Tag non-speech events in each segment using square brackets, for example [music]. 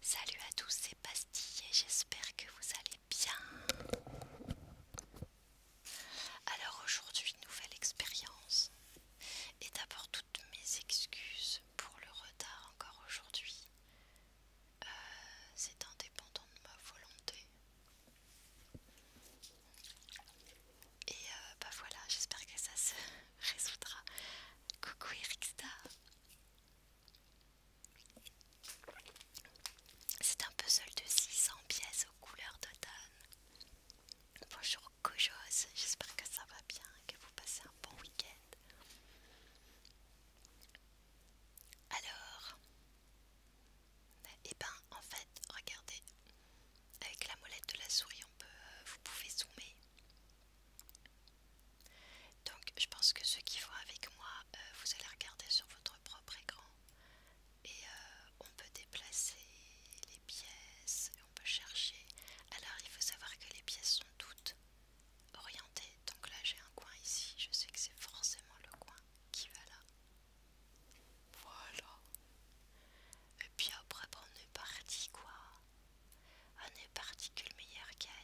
Salut à tous, c'est et j'espère que vous allez bien. Alors aujourd'hui, nouvelle expérience. Et d'abord, toutes mes excuses pour le retard encore aujourd'hui. Euh, c'est indépendant de ma volonté. Et euh, bah voilà, j'espère que ça se [laughs] résoudra. Coucou Ericstar. C'est un puzzle de 600 pièces aux couleurs d'automne. Bonjour Kojos, j'espère que ça va bien, que vous passez un bon week-end. Alors, et eh ben en fait, regardez, avec la molette de la souris, on peut, euh, vous pouvez zoomer. Donc je pense que ceux qui vont avec moi, euh, vous allez regarder sur votre propre écran et euh, on peut déplacer les pièces, on peut chercher. Alors il faut savoir que les pièces sont toutes orientées. Donc là j'ai un coin ici, je sais que c'est forcément le coin qui va là. Voilà. Et puis après, on est parti quoi. On est parti que le meilleur gagne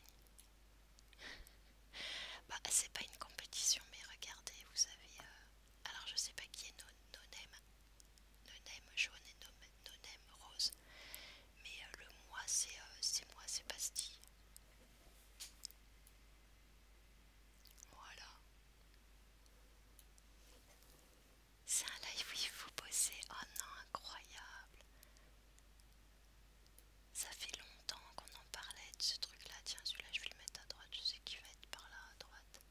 bah c'est pas une compétition mais regardez vous avez, euh, alors je sais pas qui est Nonem jaune et Nonem rose mais euh, le moi euh, c'est moi c'est Bastille voilà c'est un live où il faut bosser oh non incroyable ça fait longtemps qu'on en parlait de ce truc là. Tiens, celui-là je vais le mettre à droite. Je sais qu'il va être par là à droite.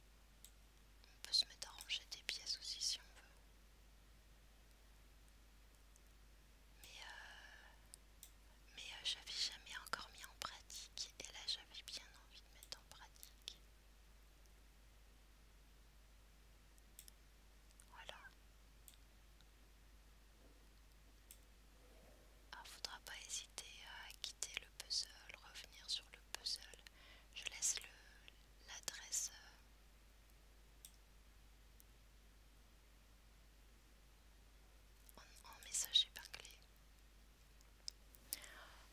On peut se mettre à ranger des pièces aussi si on veut. Mais, euh, mais euh, j'avais jamais encore mis en pratique et là j'avais bien envie de mettre en pratique. Voilà. Alors, ah, faudra pas hésiter euh, à quitter le puzzle, revenir sur le puzzle. Je laisse l'adresse. Euh, en, message épargné.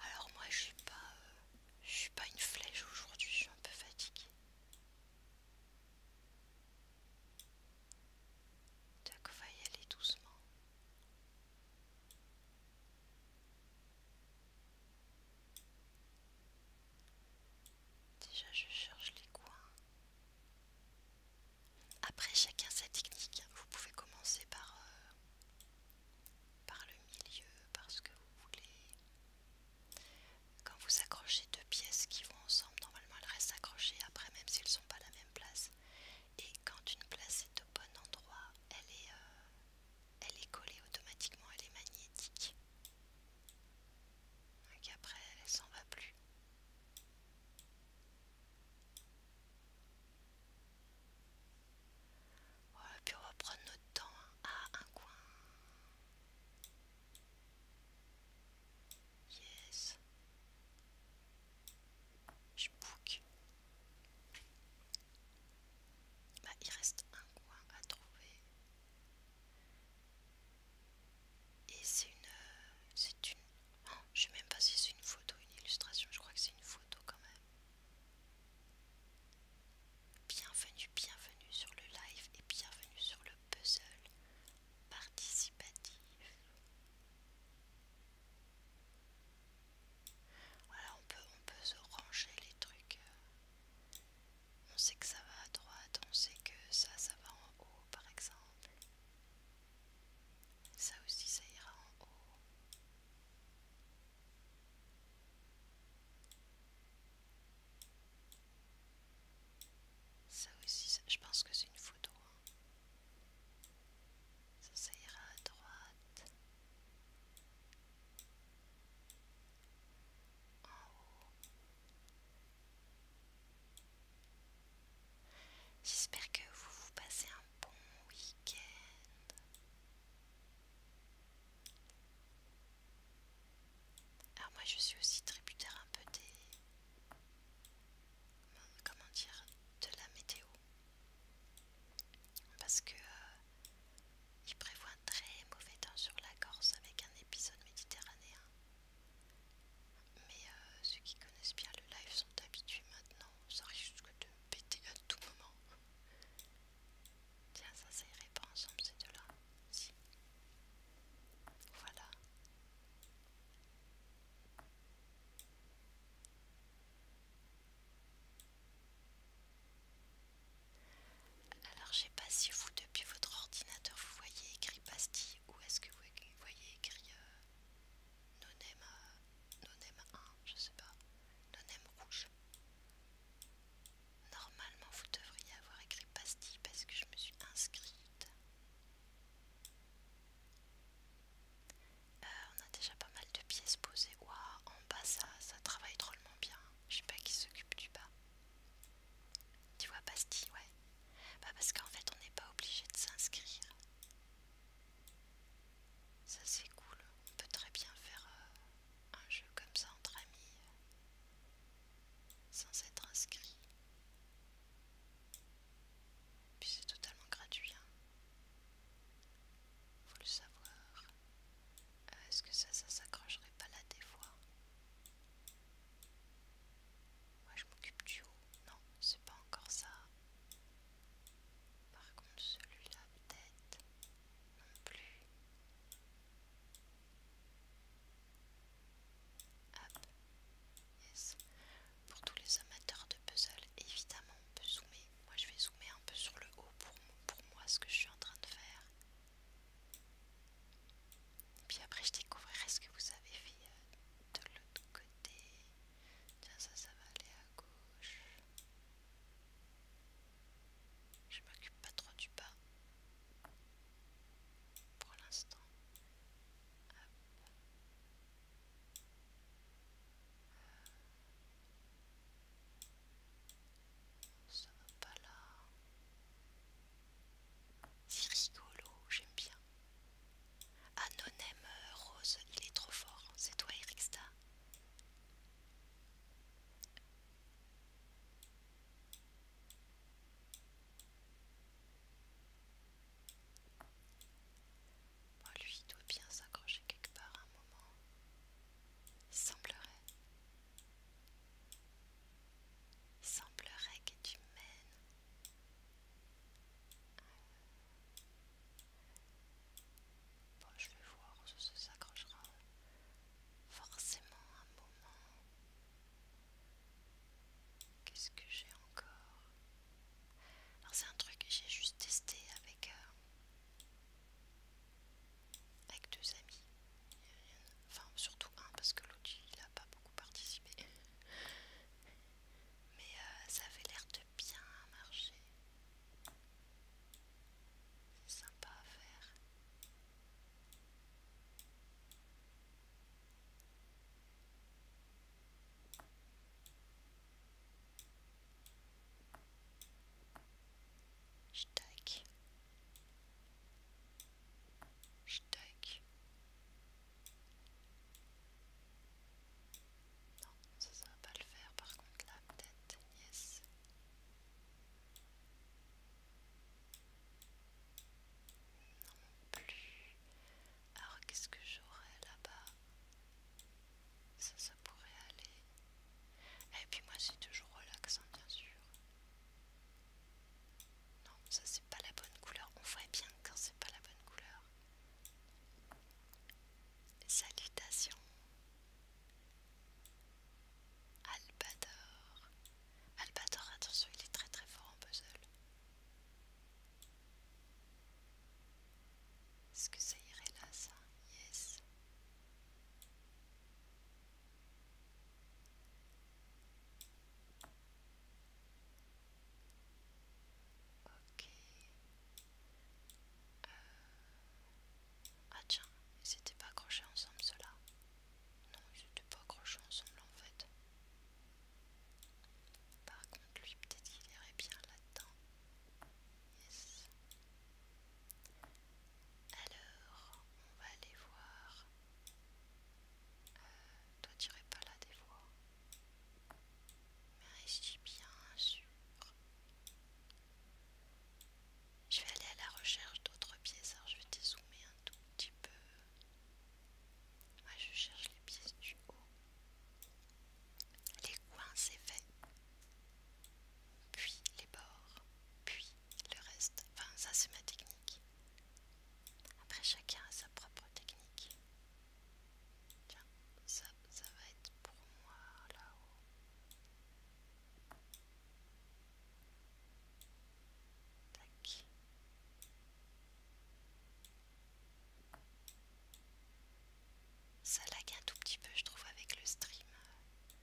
Alors moi je suis pas, euh, je suis pas une flèche aujourd'hui, je suis un peu fatiguée. Jack va y aller doucement. Déjà je cherche les coins. Après chacun sa technique, hein. vous pouvez commencer par, euh, par le milieu parce que vous voulez quand vous accrochez deux pièces qui vont ensemble, normalement elles restent accrochées après même s'ils ne sont pas à la même place. Et quand une place est au bon endroit, elle est, euh, elle est collée automatiquement, elle est magnétique. après elle s'en va plus. Voilà, puis on va prendre notre temps hein, à un coin. Yes. Je book. Bah, il reste un coin à trouver. Et c'est une. Euh, c'est une. Oh, je sais même pas si c'est une photo, une illustration. Je crois que c'est une photo quand même. Bienvenue, bienvenue sur le live et bienvenue sur le puzzle participatif. Voilà, on peut, on peut se ranger les trucs. Euh. On sait que ça va à droite, on sait que ça, ça va en haut par exemple. Ça aussi, ça ira en haut. Ça aussi, je pense que c'est une photo. Hein. ça ira à droite. En haut. J'espère que vous vous passez un bon week-end. Alors ah, moi je suis aussi tributaire un peu des... Comment dire De la météo. Parce que... Euh, il prévoit un très mauvais temps sur la Corse avec un épisode méditerranéen. Mais euh, ceux qui connaissent bien le live sont habitués maintenant. Ça risque de péter à tout moment. Tiens, ça, ça irait pas ensemble ces deux-là si. Voilà. Alors, je sais pas si vous, depuis votre ordinateur, vous voyez écrit Bastille ou est-ce que vous voyez écrit euh, Nonem euh, 1, je sais pas, Nonem rouge. Normalement, vous devriez avoir écrit Bastille parce que je me suis inscrite euh, on a déjà pas mal de pièces posées. Waouh, en bas ça, ça travaille drôlement bien. Je sais pas qui s'occupe du bas. Tu vois, Bastille, ouais. Bah, parce qu'en fait, on n'est pas obligé de s'inscrire. Ça, c'est cool. On peut très bien faire euh, un jeu comme ça entre amis sans être inscrit. puis c'est totalement gratuit, hein. faut le savoir. Euh, est-ce que ça, ça s'accrocherait pas là des fois Moi je m'occupe du haut, non, c'est pas encore ça. Par contre celui-là peut-être non plus. Pour tous les amateurs de puzzle, évidemment on peut zoomer. Moi je vais zoomer un peu sur le haut pour, moi ce que je suis en train de faire. Puis après je découvrirai ce que vous avez fait euh, de l'autre côté. Tiens ça ça va aller à gauche. Je m'occupe pas trop du bas pour l'instant. Ça va pas là. C'est rigolo, j'aime bien. Anonyme Rose, il est trop fort. C'est toi, Erixta lui, doit bien s'accrocher quelque part à un moment. Il semblerait. Il semblerait que tu mènes. Bon, je vais voir, ça s'accrochera forcément un moment. Qu'est-ce que j'ai encore Alors c'est un truc que j'ai juste testé avec, euh, avec deux amis. Enfin surtout un parce que l'autre il n'a pas beaucoup participé. [laughs] Mais euh, ça avait l'air de bien marcher. C'est sympa à faire. Stack. Stack. Non, ça, ça va pas le faire. Par contre, là, peut-être, yes. Non plus. Alors qu'est-ce que j'aurais là-bas Ça, ça pourrait aller. Et puis moi c'est toujours relaxant bien sûr. Non, ça c'est pas la bonne couleur. On voit bien quand c'est pas la bonne couleur. Salutations. Albador. Albador, attention, il est très très fort en puzzle. Est-ce que ça irait là, ça Yes. Ok. Euh, ah tiens, ils n'étaient pas accrochés ensemble cela. Non, ils n'étaient pas accrochés ensemble en fait. Par contre, lui, peut-être qu'il irait bien là-dedans. Alors, on va aller voir. Euh, toi, tu irais pas là des fois. Mais je suis bien sûr. Je vais aller à la recherche d'autres pièces. Alors, je vais dézoomer un tout petit peu. Moi je cherche les pièces du haut. Les coins c'est fait. Puis les bords. Puis le reste. Enfin ça c'est ma technique. Après chacun a sa propre technique. Tiens, ça, ça va être pour moi là-haut. Ça lag un tout petit peu, je trouve, avec le stream euh,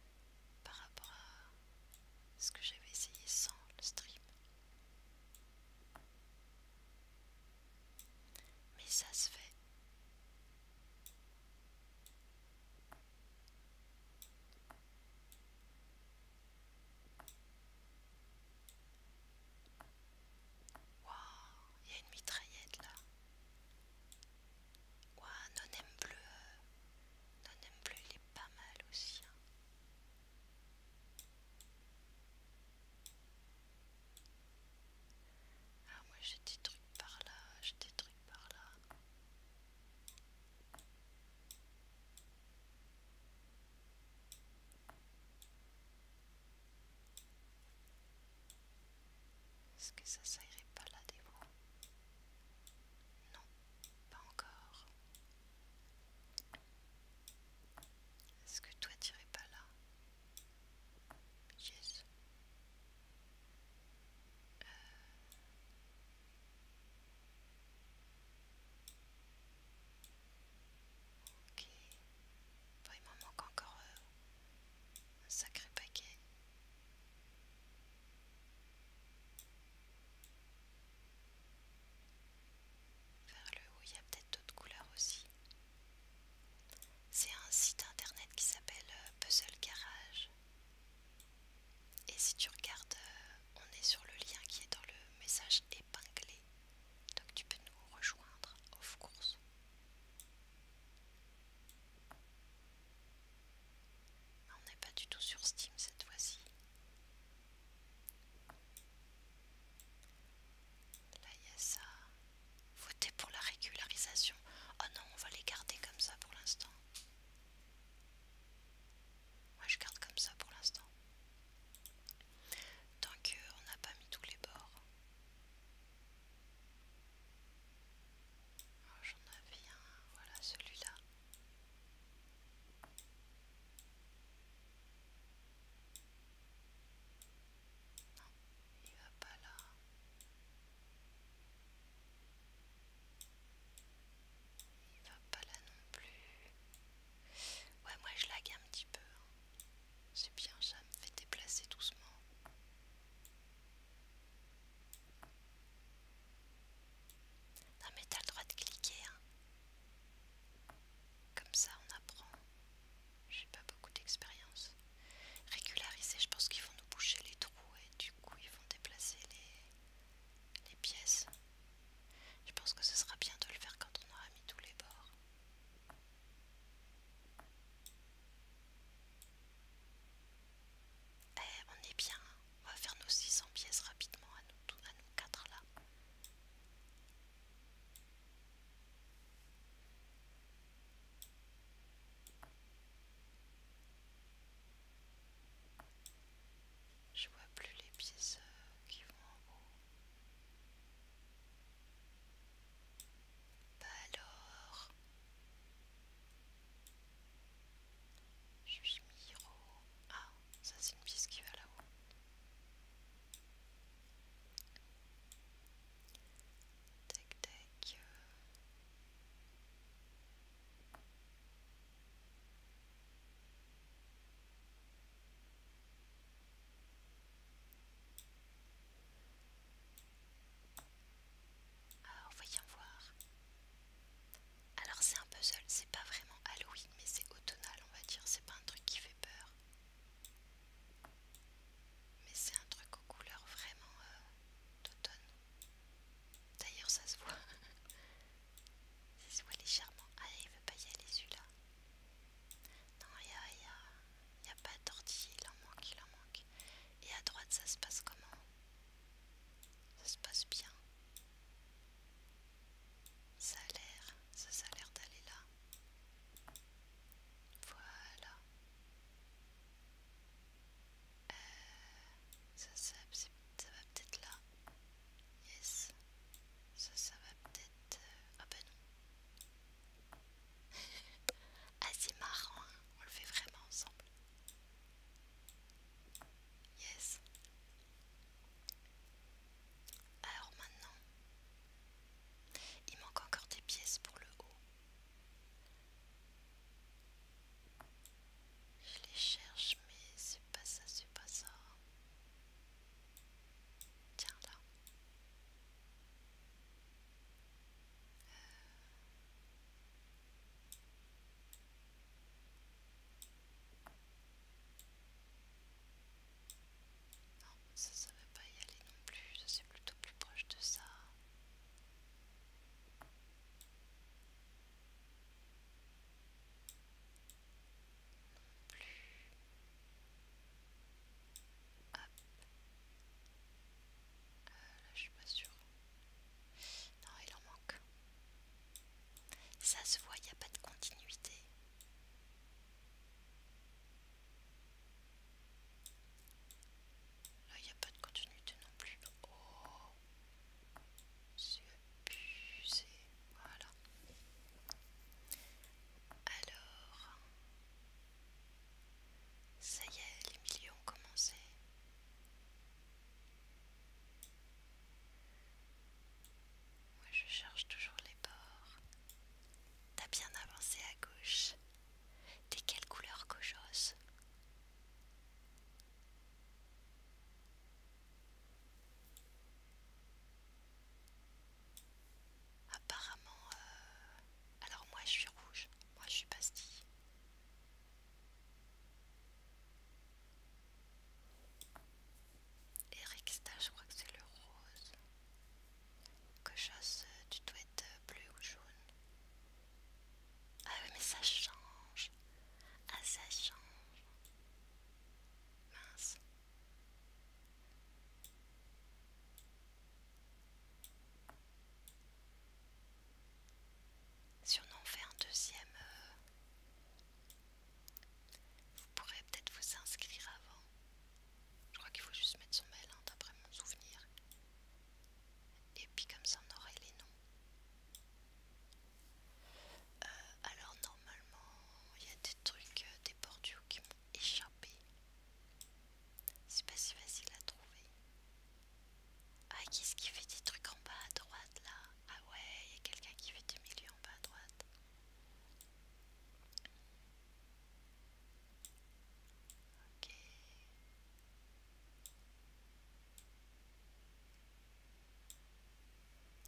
par rapport à ce que j'avais essayé sans le stream. Mais ça se fait. Waouh, il y a une mitraillette là. Waouh, non-aime bleu. Non-aime bleu, il est pas mal aussi. Hein. Ah, moi j'ai des trucs par là, j'ai des trucs par là. Est-ce que ça, ça pas là des fois Non, pas encore. Est-ce que toi t'irais pas là euh. Ok. il m'en manque encore euh, un sacré paquet. Vers le haut, il y a peut-être d'autres couleurs aussi. C'est un site internet qui s'appelle euh, Puzzle Garage. Et si tu regardes, euh, on est sur le lien qui est dans le message épinglé. Donc tu peux nous rejoindre off course. Ah, on n'est pas du tout sur Steam cette fois-ci. Là il y a ça. Voter pour la régularisation. Oh non, on va les garder comme ça pour l'instant. Moi je garde comme ça pour l'instant. Tant qu'on euh, n'a pas mis tous les bords. Oh, j'en avais un, voilà celui-là. il va pas là. Il va pas là non plus. Ouais, moi je lag un petit peu. Hein. C'est bien, ça me fait déplacer doucement. Non, mais t'as le droit de cliquer. Hein. Comme ça, on apprend. J'ai pas beaucoup d'expérience. Régulariser, je pense qu'ils vont nous boucher les trous et du coup, ils vont déplacer les pièces. Je pense que ce sera bien de le faire quand on aura mis tous les bords. Eh, on est bien, on va faire nos 600 pièces rapidement à nous, à quatre là. Je vois plus les pièces euh, qui vont en haut je suis miro Ah, ça c'est une piste qui va là-haut. Alors, euh, voyons voir. Alors, c'est un puzzle, c'est pas vraiment Halloween, mais c'est automnal, on va dire. C'est pas un truc qui fait peur. Mais c'est un truc aux couleurs vraiment euh, d'automne. D'ailleurs, ça se voit. [laughs] ça se voit légèrement. Ah, il veut pas y aller là non, il a, pas de il en manque, il en manque. Et à droite, ça se passe comment Ça se passe bien. Ça a l'air, ça, a l'air d'aller là. Voilà. Euh, ça, ça va peut-être là. Yes. Ça, ça va peut-être ah bah non. ah c'est marrant, hein. on le fait vraiment ensemble. Yes. Alors maintenant, il manque encore des pièces pour le haut. Je les cherche mais c'est pas ça, c'est pas ça. Tiens là. Euh, ça, ne va pas y aller non plus, c'est plutôt plus proche de ça non plus. Hop. Euh, là, je suis pas sûre. Non, il en manque. Ça se voit, il n'y a pas de continuité. Là, il n'y a pas de continuité non plus. Oh, c'est abusé. Voilà. Alors, ça y est, les millions ont commencé. Moi, je charge toujours les bords. T'as bien avancé à gauche. T'es quelle couleur cochose Apparemment, euh, alors moi je suis rouge, moi je suis pastille. ça je crois que c'est le rose. chose, tu dois être bleu ou jaune. Ah oui, mais ça change. Ah, ça change. Mince. Si on en fait un deuxième, euh, vous pourrez peut-être vous inscrire avant. Je crois qu'il faut juste mettre son mail hein, d'après mon souvenir. Et puis comme ça on aurait les noms. Euh, alors normalement il y a des trucs, euh, des bordures qui échappé. C'est pas si facile à trouver. Ah, qu'est-ce qui fait des trucs en bas à droite là Ah ouais, il y a quelqu'un qui fait du milieu en bas à droite. Ok.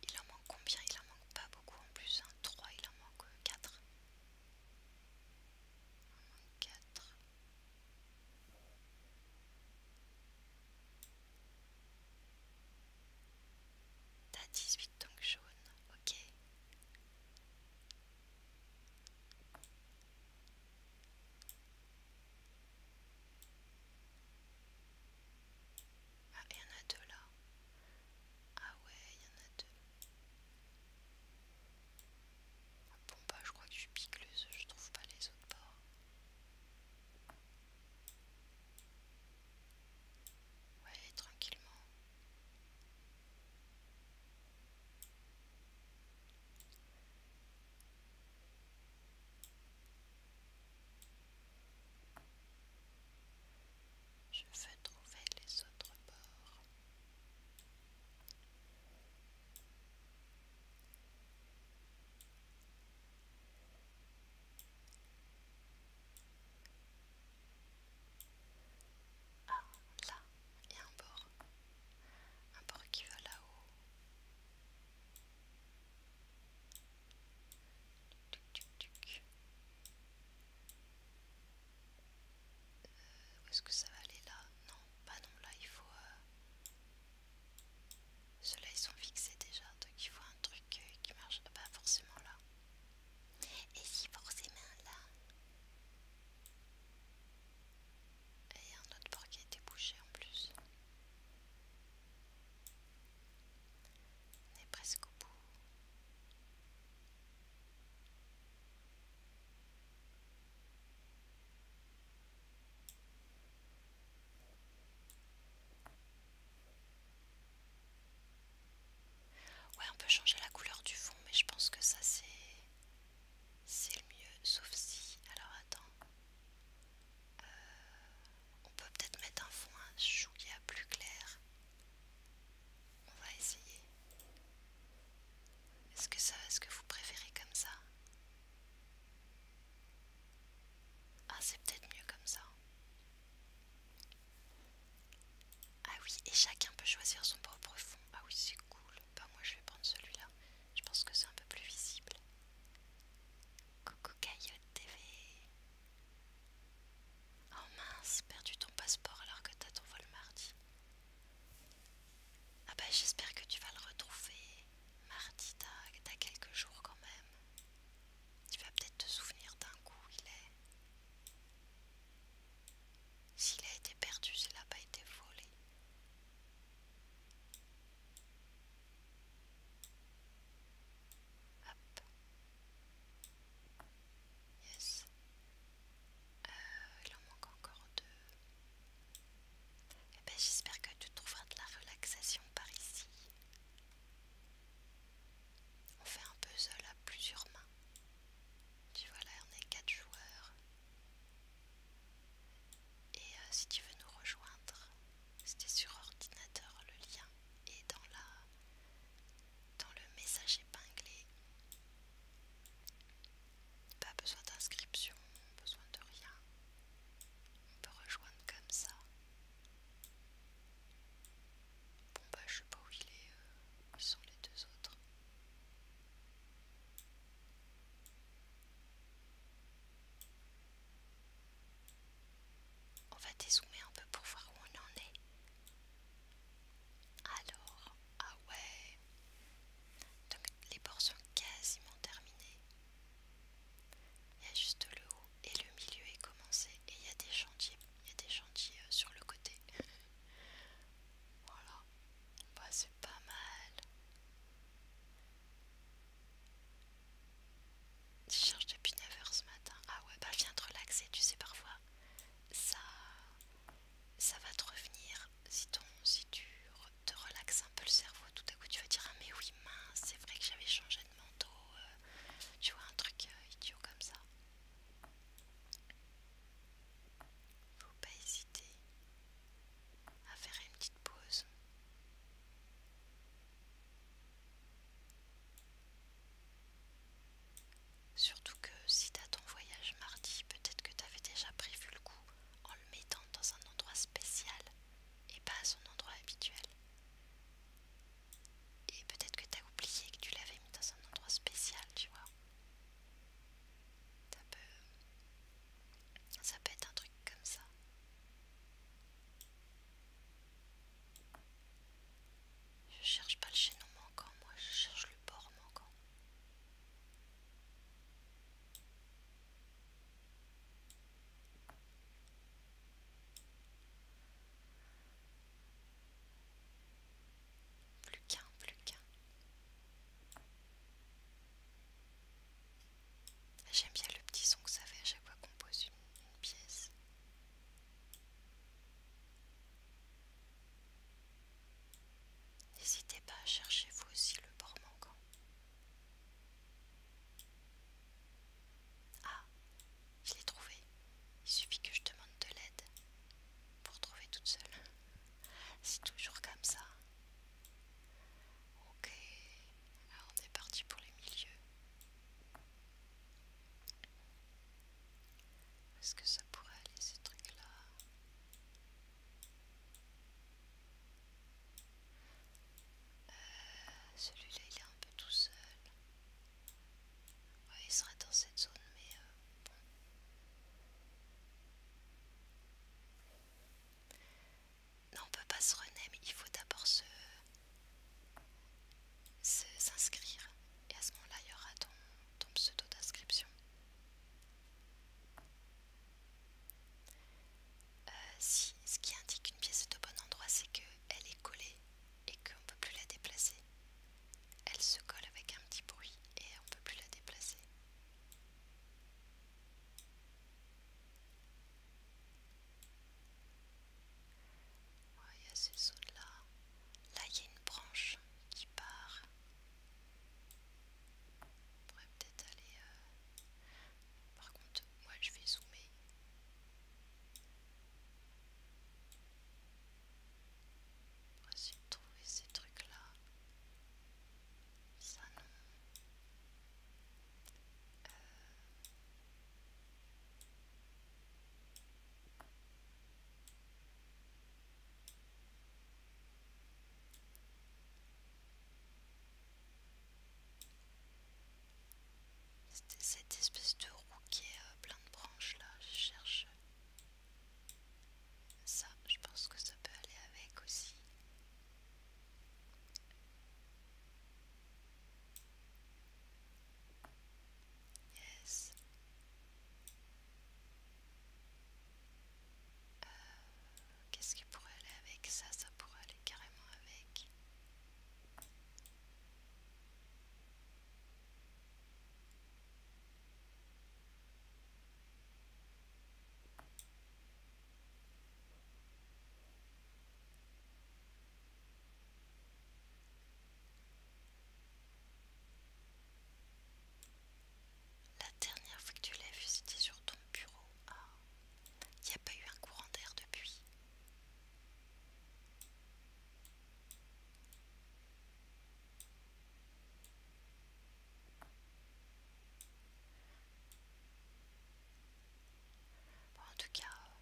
Il en manque combien Il en manque pas beaucoup en plus. Un, hein. 3, il en manque 4. Euh, 4 T'as 18 donc jaunes. ok Ah, il y en a deux là. Ah ouais, il y en a deux. Ah, bon pas, bah, je crois que je suis picleuse, je trouve pas les autres bords. Ouais, tranquillement. Je veux trouver les autres bords. Ah, là, il y a un bord. Un bord qui va là-haut. Euh, où est-ce que ça va aller là Non, bah non, là il faut... Euh, Cela ils sont fixés déjà, donc il faut un truc euh, qui marche. Pas forcément là. Et si forcément là... Et il y a un autre port qui a été bouché en plus. On est presque au bout. Ouais, on peut changer la couleur du fond, mais je pense que ça c'est c'est le mieux, sauf si. Alors attends. Euh, on peut peut-être mettre un fond un chouïa plus clair. On va essayer. Est-ce que ça, est-ce que vous préférez comme ça Ah, c'est peut-être mieux comme ça. Ah oui, et chacun peut choisir son propre fond. Ah oui, c'est cool. Bah moi je vais prendre celui-là. Je pense que c'est un peu plus visible. Coucou Caillotte TV. Oh mince, perdu ton passeport alors que t'as ton vol mardi. Ah bah j'espère que tu vas le retrouver. Mardi, t'as quelques jours quand même. Tu vas peut-être te souvenir d'un coup, il est. S'il a été perdu, s'il n'a pas été volé. Hop. Yes. Euh, il en manque encore deux. Eh ben, j'espère que tu trouveras de la relaxation par ici. On fait un puzzle à plusieurs mains. Tu vois là, on est quatre joueurs. Et euh, si tu veux nous rejoindre, c'était sur ordinateur le lien est dans la dans le message épinglé. Pas besoin d'inscription, besoin de rien. On peut rejoindre comme ça. Bon bah je sais pas où il est, euh, où sont les deux autres. On va dézoomer un peu pour voir où on en est. Alors, ah ouais. Donc les bords sont quasiment terminés. Il y a juste le haut et le milieu est commencé et il y a des chantiers. Il y a des chantiers euh, sur le côté. [laughs] voilà. Bah c'est pas mal. Tu cherches depuis 9h ce matin. Ah ouais, bah viens te relaxer, tu sais parfois. Ça ça va te revenir si, si tu te relaxes un peu le cerveau. Tout à coup, tu vas dire Ah, mais oui, mince, c'est vrai que j'avais changé de manteau. Euh, tu vois, un truc euh, idiot comme ça. Faut pas hésiter à faire une petite pause. Surtout que si t'as ton voyage mardi, peut-être que t'avais déjà prévu le coup en le mettant dans un endroit spécial et pas à son endroit habituel. Et peut-être que t'as oublié que tu l'avais mis dans un endroit spécial, tu vois. Ça peut... être un truc comme ça. Je cherche pas le chaînon manquant, moi je cherche le port manquant. Plus qu'un, plus qu'un. J'aime bien le petit son que ça fait à chaque fois qu'on pose une pièce. N'hésitez pas à chercher vous aussi le bord manquant. Ah, je l'ai trouvé. Il suffit que je demande de l'aide pour trouver toute seule. C'est toujours comme ça. Ok, alors on est parti pour les milieux. Est-ce que ça pourrait aller ce truc là euh, Celui-là il est un peu tout seul. il serait dans cette zone, mais euh, bon. Non, on peut pas se renner mais il faut d'abord se s'inscrire et à ce moment-là, il y aura ton, pseudo d'inscription. Euh, si ce qui indique qu'une pièce est au bon endroit, c'est qu'elle est collée et qu'on ne peut plus la déplacer. Elle se colle avec un petit bruit et on ne peut plus la déplacer. Il y a ces sauts là. Là, il y a une branche qui part. On pourrait peut-être aller. Euh, par contre, moi je vais zoomer. On trouver ces trucs-là. Ça non. Euh cette espèce de roue qui est euh, plein de branches là, je cherche ça, je pense que ça peut aller avec aussi. Euh, qu'est-ce qui pourrait aller avec ça Ça pourrait aller carrément avec. La dernière fois que tu l'as vu, c'était sur ton bureau. Ah, il n'y a pas eu un courant d'air depuis. en tout cas, euh,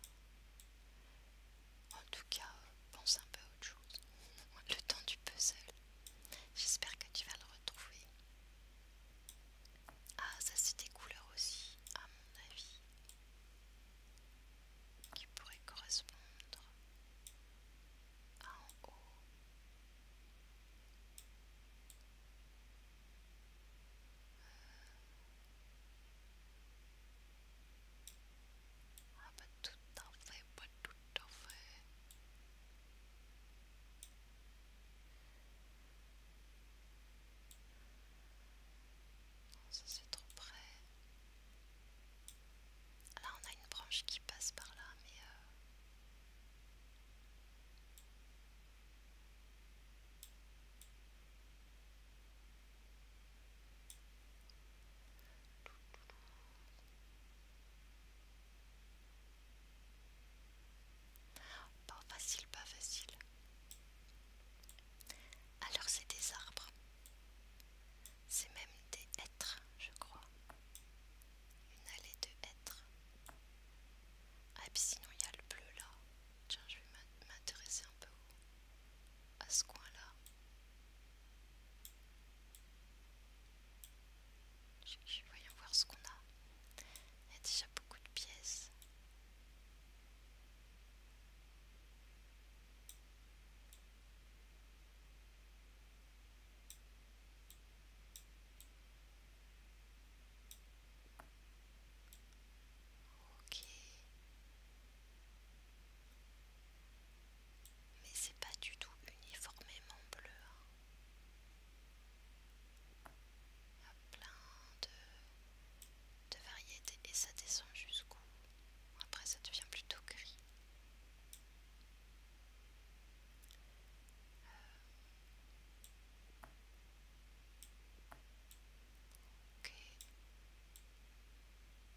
en tout cas, euh, pense un peu à autre chose. [laughs] Le temps du puzzle. J'espère que tu vas le retrouver. Ah, ça c'est des couleurs aussi, à mon avis, qui pourraient correspondre à en haut. Euh. Ah, pas tout à hein. fait, pas tout ça c'est trop près. Là on a une branche qui passe par là, mais... Euh, pas facile, pas facile. Alors c'est des arbres. C'est même des êtres, je crois. Une allée de hêtres. Ah et puis sinon il y a le bleu là. Tiens, je vais m'intéresser un peu à ce coin là. Voyons voir ce qu'on a. Il y a déjà beaucoup de pièces. Ok mais c'est pas du tout uniformément bleu. Hein. y a plein de, variétés et ça descend jusqu'où Après ça devient plutôt gris. Euh. Ok.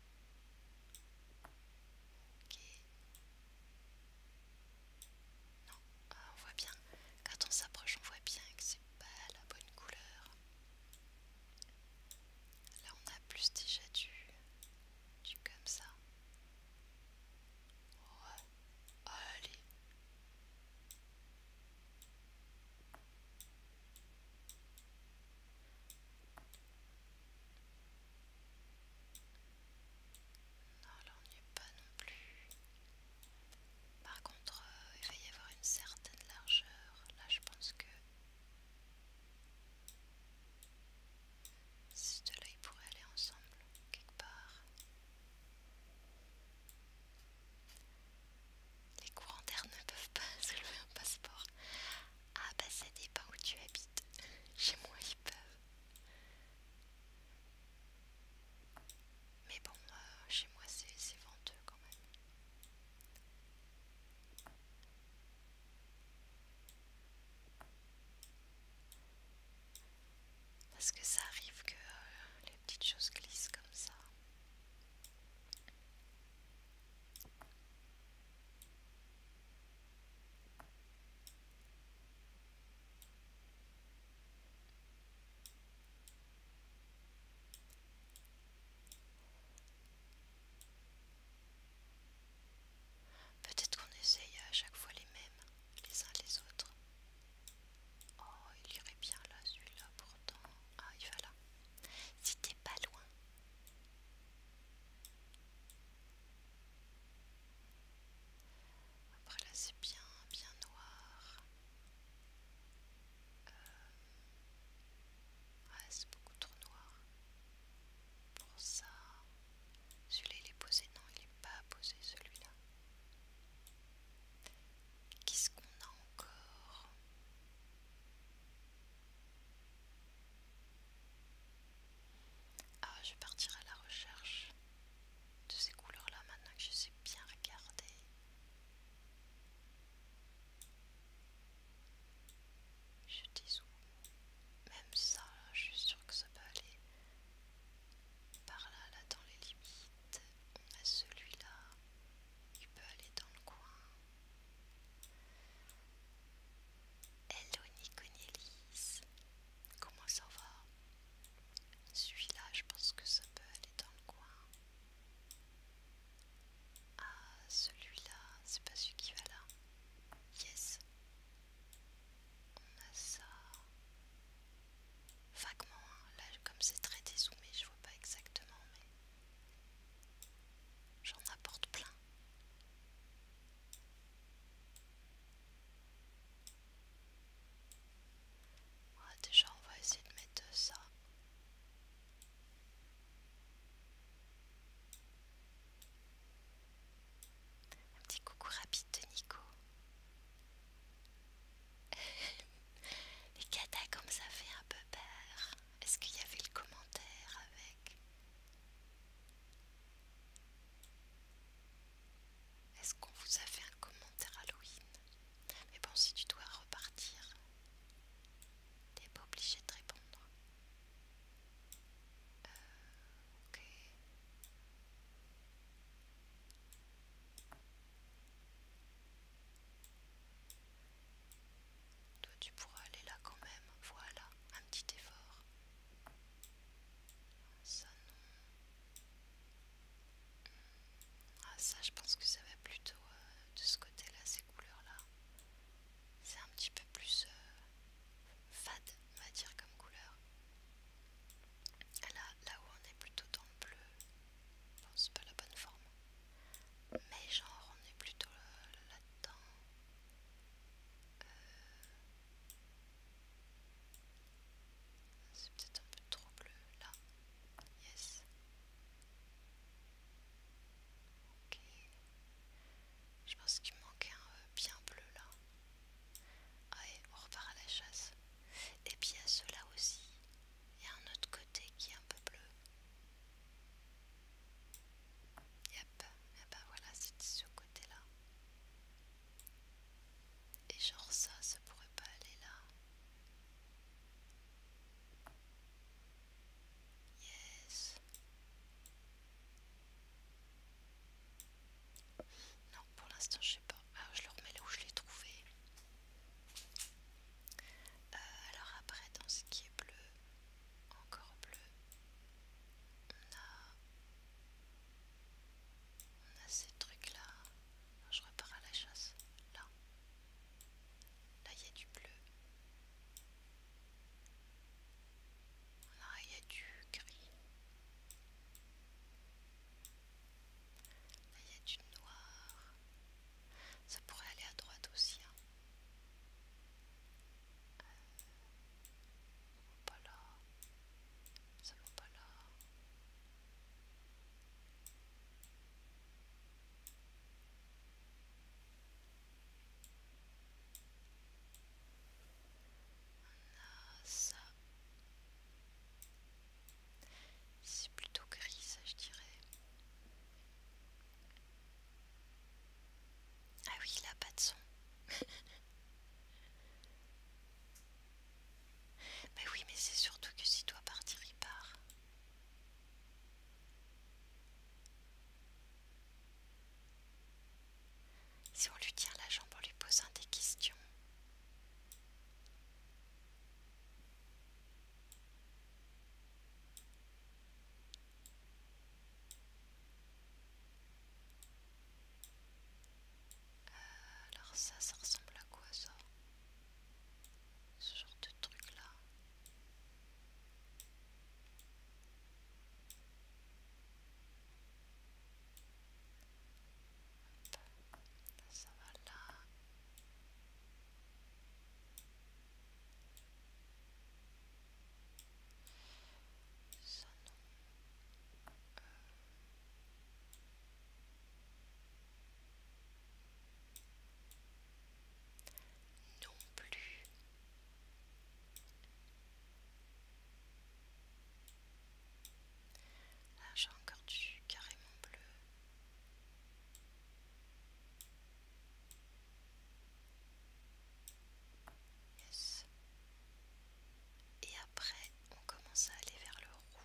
Non, ah, on voit bien. Quand on s'approche, on voit bien que c'est pas la bonne couleur. Là, on a plus déjà du, du comme ça. Allez. Non, là on n'y est pas non plus. Par contre, euh, il va y avoir une certaine largeur. Là, je pense que. Ces deux-là, ils pourraient aller ensemble, quelque part. Les courants d'air ne peuvent pas [laughs] soulever un passeport. Ah, bah des dépend où tu habites. Chez moi, ils peuvent. Mais bon, euh, chez moi c'est venteux quand même. Parce que ça arrive que euh, les petites choses glissent comme ça. Peut-être qu'on essaye à chaque fois les mêmes, les uns les autres. Oh, il irait bien là, celui-là pourtant. Ah, il va là. Si t'es pas loin. Après là c'est bien, bien noir. Euh... c'est beaucoup trop noir. Pour ça, celui-là il est posé. Non, il n'est pas posé celui-là. Qu'est-ce qu'on a encore ah, je vais partir à la recherche de ces couleurs-là maintenant que je sais bien regarder. Je dis dézoome. Même ça, je suis sûre que ça peut aller par là, là dans les limites. celui-là. Il peut aller dans le coin. Hello Niconielis, comment ça va Celui-là, je pense que ça peut aller dans le coin. Ah, celui-là, c'est pas celui qui va là. Yes. On a ça. Vaguement, hein. là comme c'est très dézoomé, je vois pas exactement, mais j'en apporte plein. Ah, déjà on va essayer de mettre ça. Un petit coucou rapide de Nico. [laughs] Les katas comme ça fait un peu peur. Est-ce qu'il y avait le commentaire avec est-ce qu'on vous a fait un commentaire Halloween Mais bon, si tu dois repartir, t'es pas obligé de répondre. Euh, ok. Toi, tu pourras aller là quand même. Voilà, un petit effort. Ah, ça non. Hmm. Ah, ça je pense que ça va plutôt euh, de ce côté-là, ces couleurs-là. C'est un petit peu plus euh, fade, on va dire, comme couleur. Là, où on est plutôt dans le bleu, c'est pas la bonne forme. Mais genre on est plutôt euh, là-dedans. C'est peut-être un peu trop bleu là. Yes. Ok. Je pense qu'il manque un euh, bien bleu là. Allez, ah on repart à la chasse. Et puis ceux-là aussi, il y a un autre côté qui est un peu bleu. Yep, et eh ben voilà, c'est ce côté-là. Et genre ça, ça pourrait pas aller là. Yes. Non, pour l'instant, je sais pas. Ah, je le remets là où je l'ai trouvé. Euh, alors après, dans ce qui est bleu, encore bleu, on a on a ces trucs là. Je repars à la chasse. Là. Là il y a du bleu. Là il y a du gris. il y a du noir. Ça pourrait aller à droite aussi. Hein. Euh, va pas là, ça va pas là. On a ça. C'est plutôt gris, ça je dirais. Ah oui, il a pas de son. [laughs] Mais oui, mais c'est surtout que si toi partir, il part. Si on lui tire la jambe en lui posant des questions alors ça, ça ressemble à quoi ça Ce genre de truc là ça va là. Ça non non plus. Là, ah, j'ai encore du carrément bleu. Et après, on commence à aller vers le roux.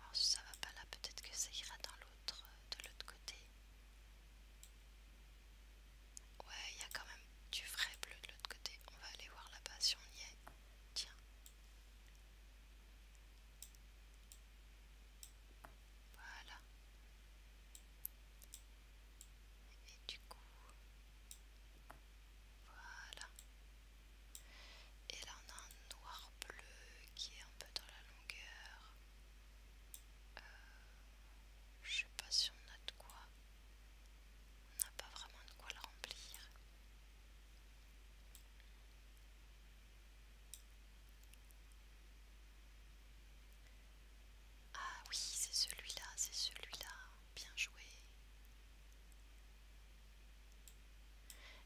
Alors si ça va pas là, peut-être que ça ira dans l'autre, de l'autre côté. Ouais, il y a quand même du vrai bleu de l'autre côté. On va aller voir là-bas si on y est. Tiens, voilà. Et du coup, voilà. Et là, on a un noir bleu qui est un peu dans la longueur. Euh, je sais pas si on a de quoi. On n'a pas vraiment de quoi le remplir. Ah oui, c'est celui-là, c'est celui-là. Bien joué.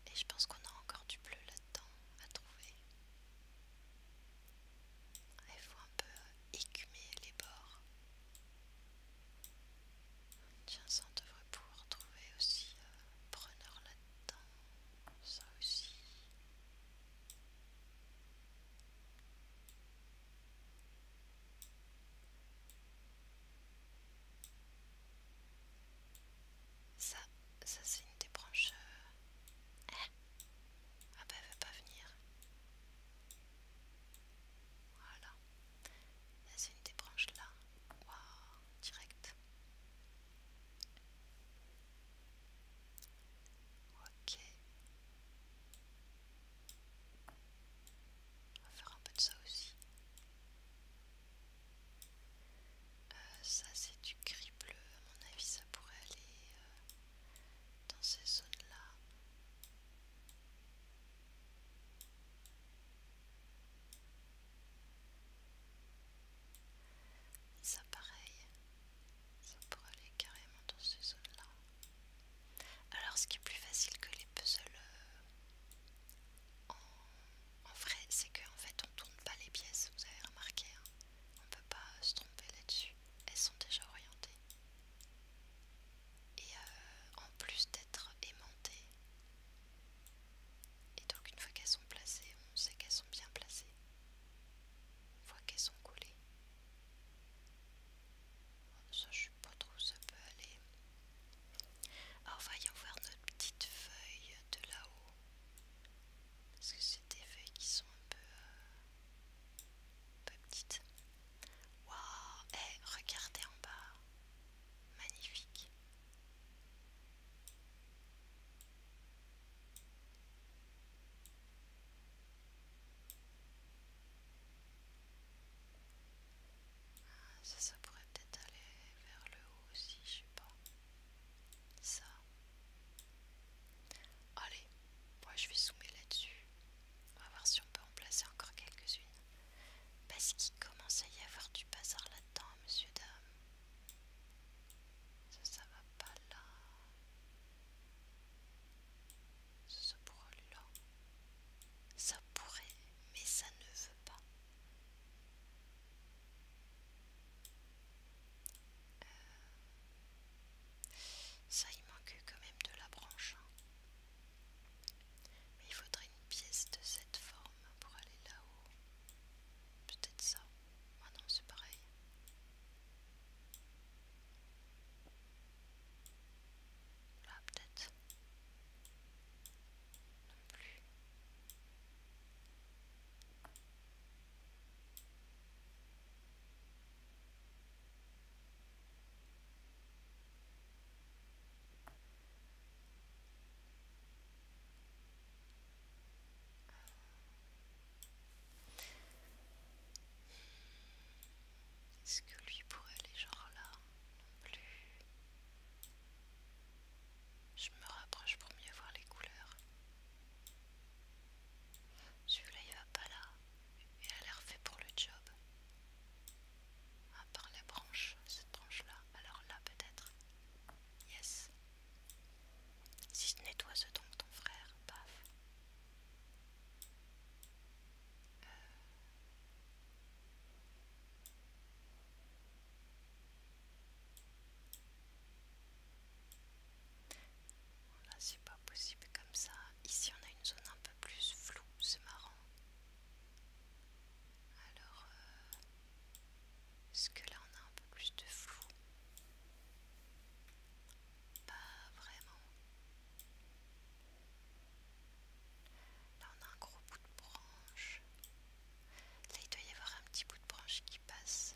Et je pense qu'on a encore du bleu là-dedans à trouver. Il faut un peu écumer les bords. Tiens, ça on devrait pouvoir trouver aussi un euh, preneur là-dedans. Ça aussi. Ça, ça c'est une des branches. Hein ah bah elle veut pas venir. Voilà c'est une des branches là. Waouh, direct. Ok. On va faire un peu de ça aussi. Euh, ça c'est du gris bleu, à mon avis ça pourrait aller euh, dans ces zones là. Ça pareil, ça pourrait aller carrément dans ces zones-là. Alors ce qui est plus facile que les puzzles euh, en, vrai, c'est qu'en fait on tourne pas les pièces, vous avez remarqué, on hein. on peut pas se tromper là-dessus, elles sont déjà orientées. Et euh, en plus d'être aimantées, et donc une fois qu'elles sont placées, on sait qu'elles sont bien placées. On voit qu'elles sont collées. Ça je ne sais pas trop où ça peut aller. Alors voyons voir notre petite feuille de là-haut. Parce que c'est des feuilles qui sont un peu, euh, peu petites. Waouh, eh, regardez en bas. Magnifique. Ah, ça, pourrait peut-être aller vers le haut aussi, je sais pas. Ça. Allez, moi je vais zoomer là-dessus. On va voir si on peut en placer encore quelques-unes. Parce qu'il commence à y avoir du bazar là-dedans, monsieur dame. Ça, ça va pas là. Ça pourrait là. Ça pourrait, mais ça ne veut pas. Euh, ça, il manque quand même de la branche. Hein. Mais il faudrait une pièce de cette forme pour aller là-haut. Peut-être ça. Ah non, c'est pareil. Là, peut-être. Est-ce que lui pourrait aller genre là non plus Je me rapproche pour mieux voir les couleurs. Celui-là il va pas là. Elle a l'air fait pour le job à part les branches, cette branche-là. Alors là, peut-être. Yes. Si tu nettoies ce donc ton frère. Paf. Euh. Là, c'est pas possible comme ça. Ici, on a une zone un peu plus floue. C'est marrant. Alors, euh, est-ce que là on a un peu plus de flou Pas vraiment. Là on a un gros bout de branche. Là il doit y avoir un petit bout de branche qui passe.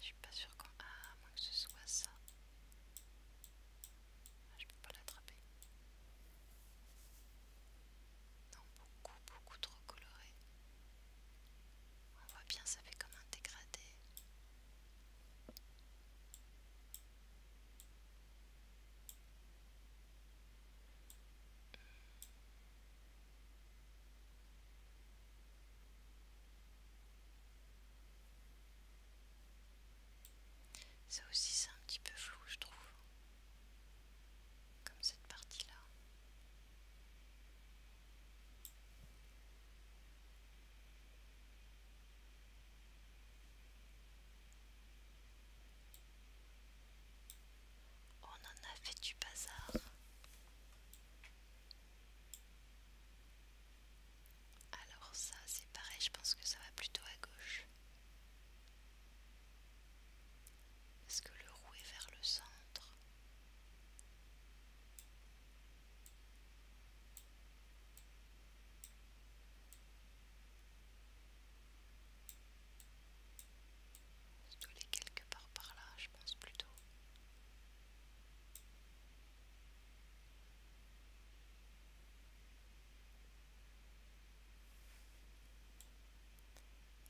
Je suis pas sûre qu'on Ah, à moins que ce soit ça. Ah, je peux pas l'attraper. Non, beaucoup, beaucoup trop coloré. On voit bien, ça fait comme un dégradé. Ça aussi c'est un petit peu flou je trouve comme cette partie là on en a fait du bazar alors ça c'est pareil je pense que ça va plutôt à gauche est-ce que le rouet est vers le centre Je que quelque part par là, je pense plutôt.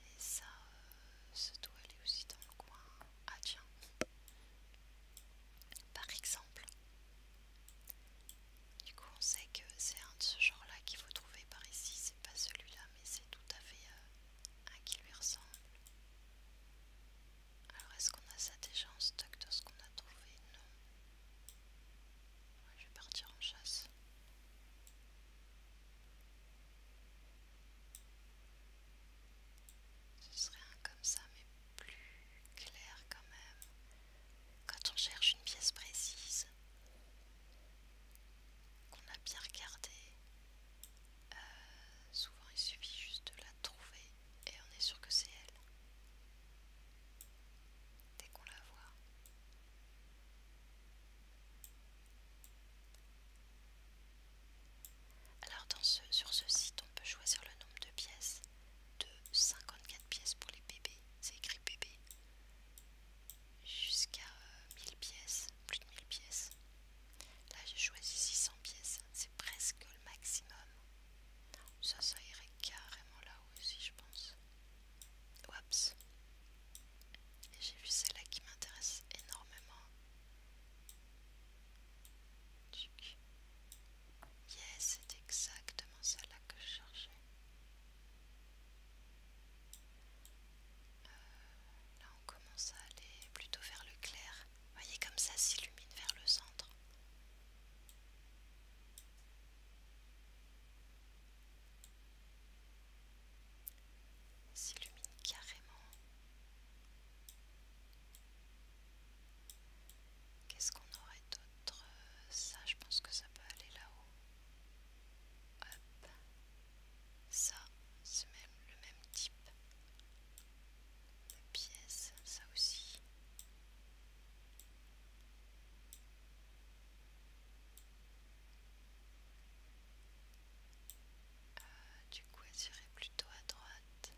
Et ça, se euh, doit aller aussi dans le coin. Ah tiens. Par exemple. Du coup, on sait que c'est un de ce genre-là qu'il faut trouver par ici. C'est pas celui-là, mais c'est tout à fait euh, un qui lui ressemble. Alors, est-ce qu'on a ça déjà en stock de ce qu'on a trouvé Non. je vais partir en chasse. Ce serait un comme ça, mais plus clair quand même. Quand on cherche une pièce précise, qu'on a bien regardée, euh, souvent il suffit juste de la trouver et on est sûr que c'est elle. Dès qu'on la voit. Alors sur ce site on peut choisir le nombre de pièces de 54 pièces pour les bébés, c'est écrit bébé jusqu'à 1000 euh, pièces, plus de 1000 pièces. Là j'ai choisi 600 pièces, c'est presque le maximum. Ça ça irait carrément là aussi je pense. Whoops. J'ai vu celle-là qui m'intéresse énormément. Yes, c'est exactement celle-là que je cherchais. Euh, là, on commence à aller plutôt vers le clair. Voyez comme ça s'illumine vers le centre s'illumine carrément. Qu'est-ce qu'on aurait d'autre Ça, je pense que ça peut aller là-haut. Ça, c'est même le même type de pièce, ça aussi. Euh, du coup, elle serait plutôt à droite.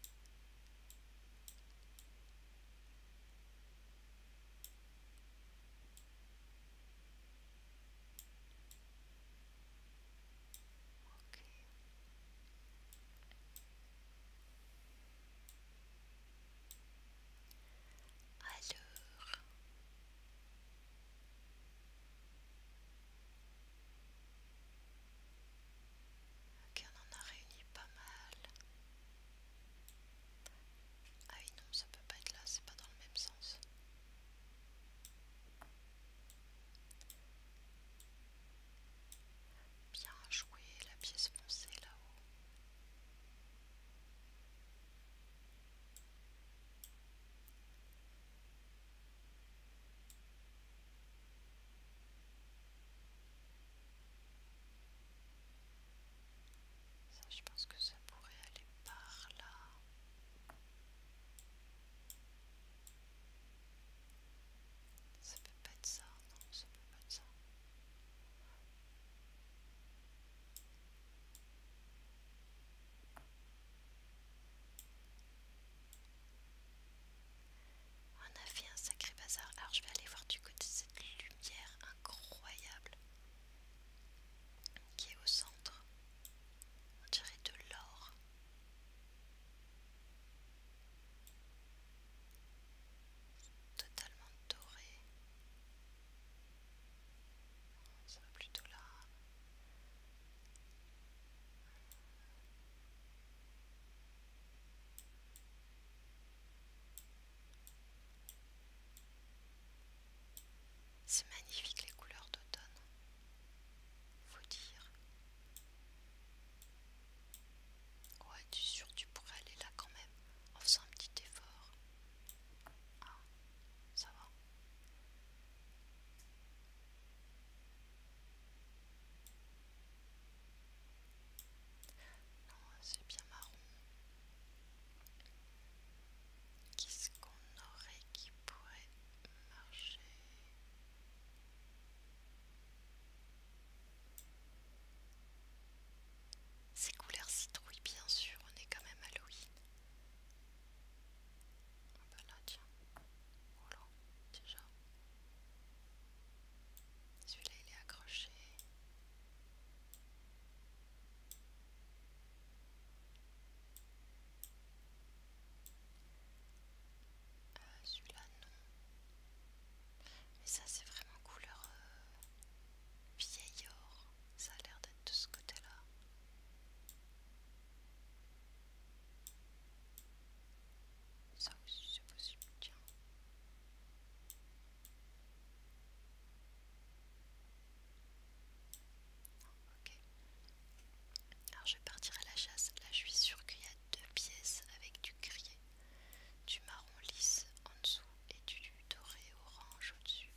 Ok. Alors, Ok, on en a réuni pas mal. Ah oui, non, ça peut pas être là, c'est pas dans le même sens. Bien joué, la pièce foncée là-haut. Ça, je pense que ça pourrait aller par là. Ça peut pas être ça, non, ça peut pas être ça. On a fait un sacré bazar. Alors je vais aller voir du côté cette lumière incroyable qui est au centre. On dirait de l'or. Totalement doré ça plutôt là. C'est magnifique les couleurs d'automne, faut dire. Ouais, tu es sûr tu pourrais aller là quand même en faisant un petit effort. Ah, ça va. Non, c'est bien marron. Qu'est-ce qu'on aurait qui pourrait marcher Ces couleurs citrouilles, bien sûr, on est quand même Halloween. Ah tiens, voilà, déjà. Celui-là il est accroché. Euh, celui-là non. Mais ça c'est vraiment couleur euh, vieil or ça a l'air d'être de ce côté-là. Ça aussi c'est possible, tiens. Ok. Alors je vais partir à la chasse. Là je suis sûre qu'il y a deux pièces avec du grillé, du marron lisse en dessous et du doré orange au-dessus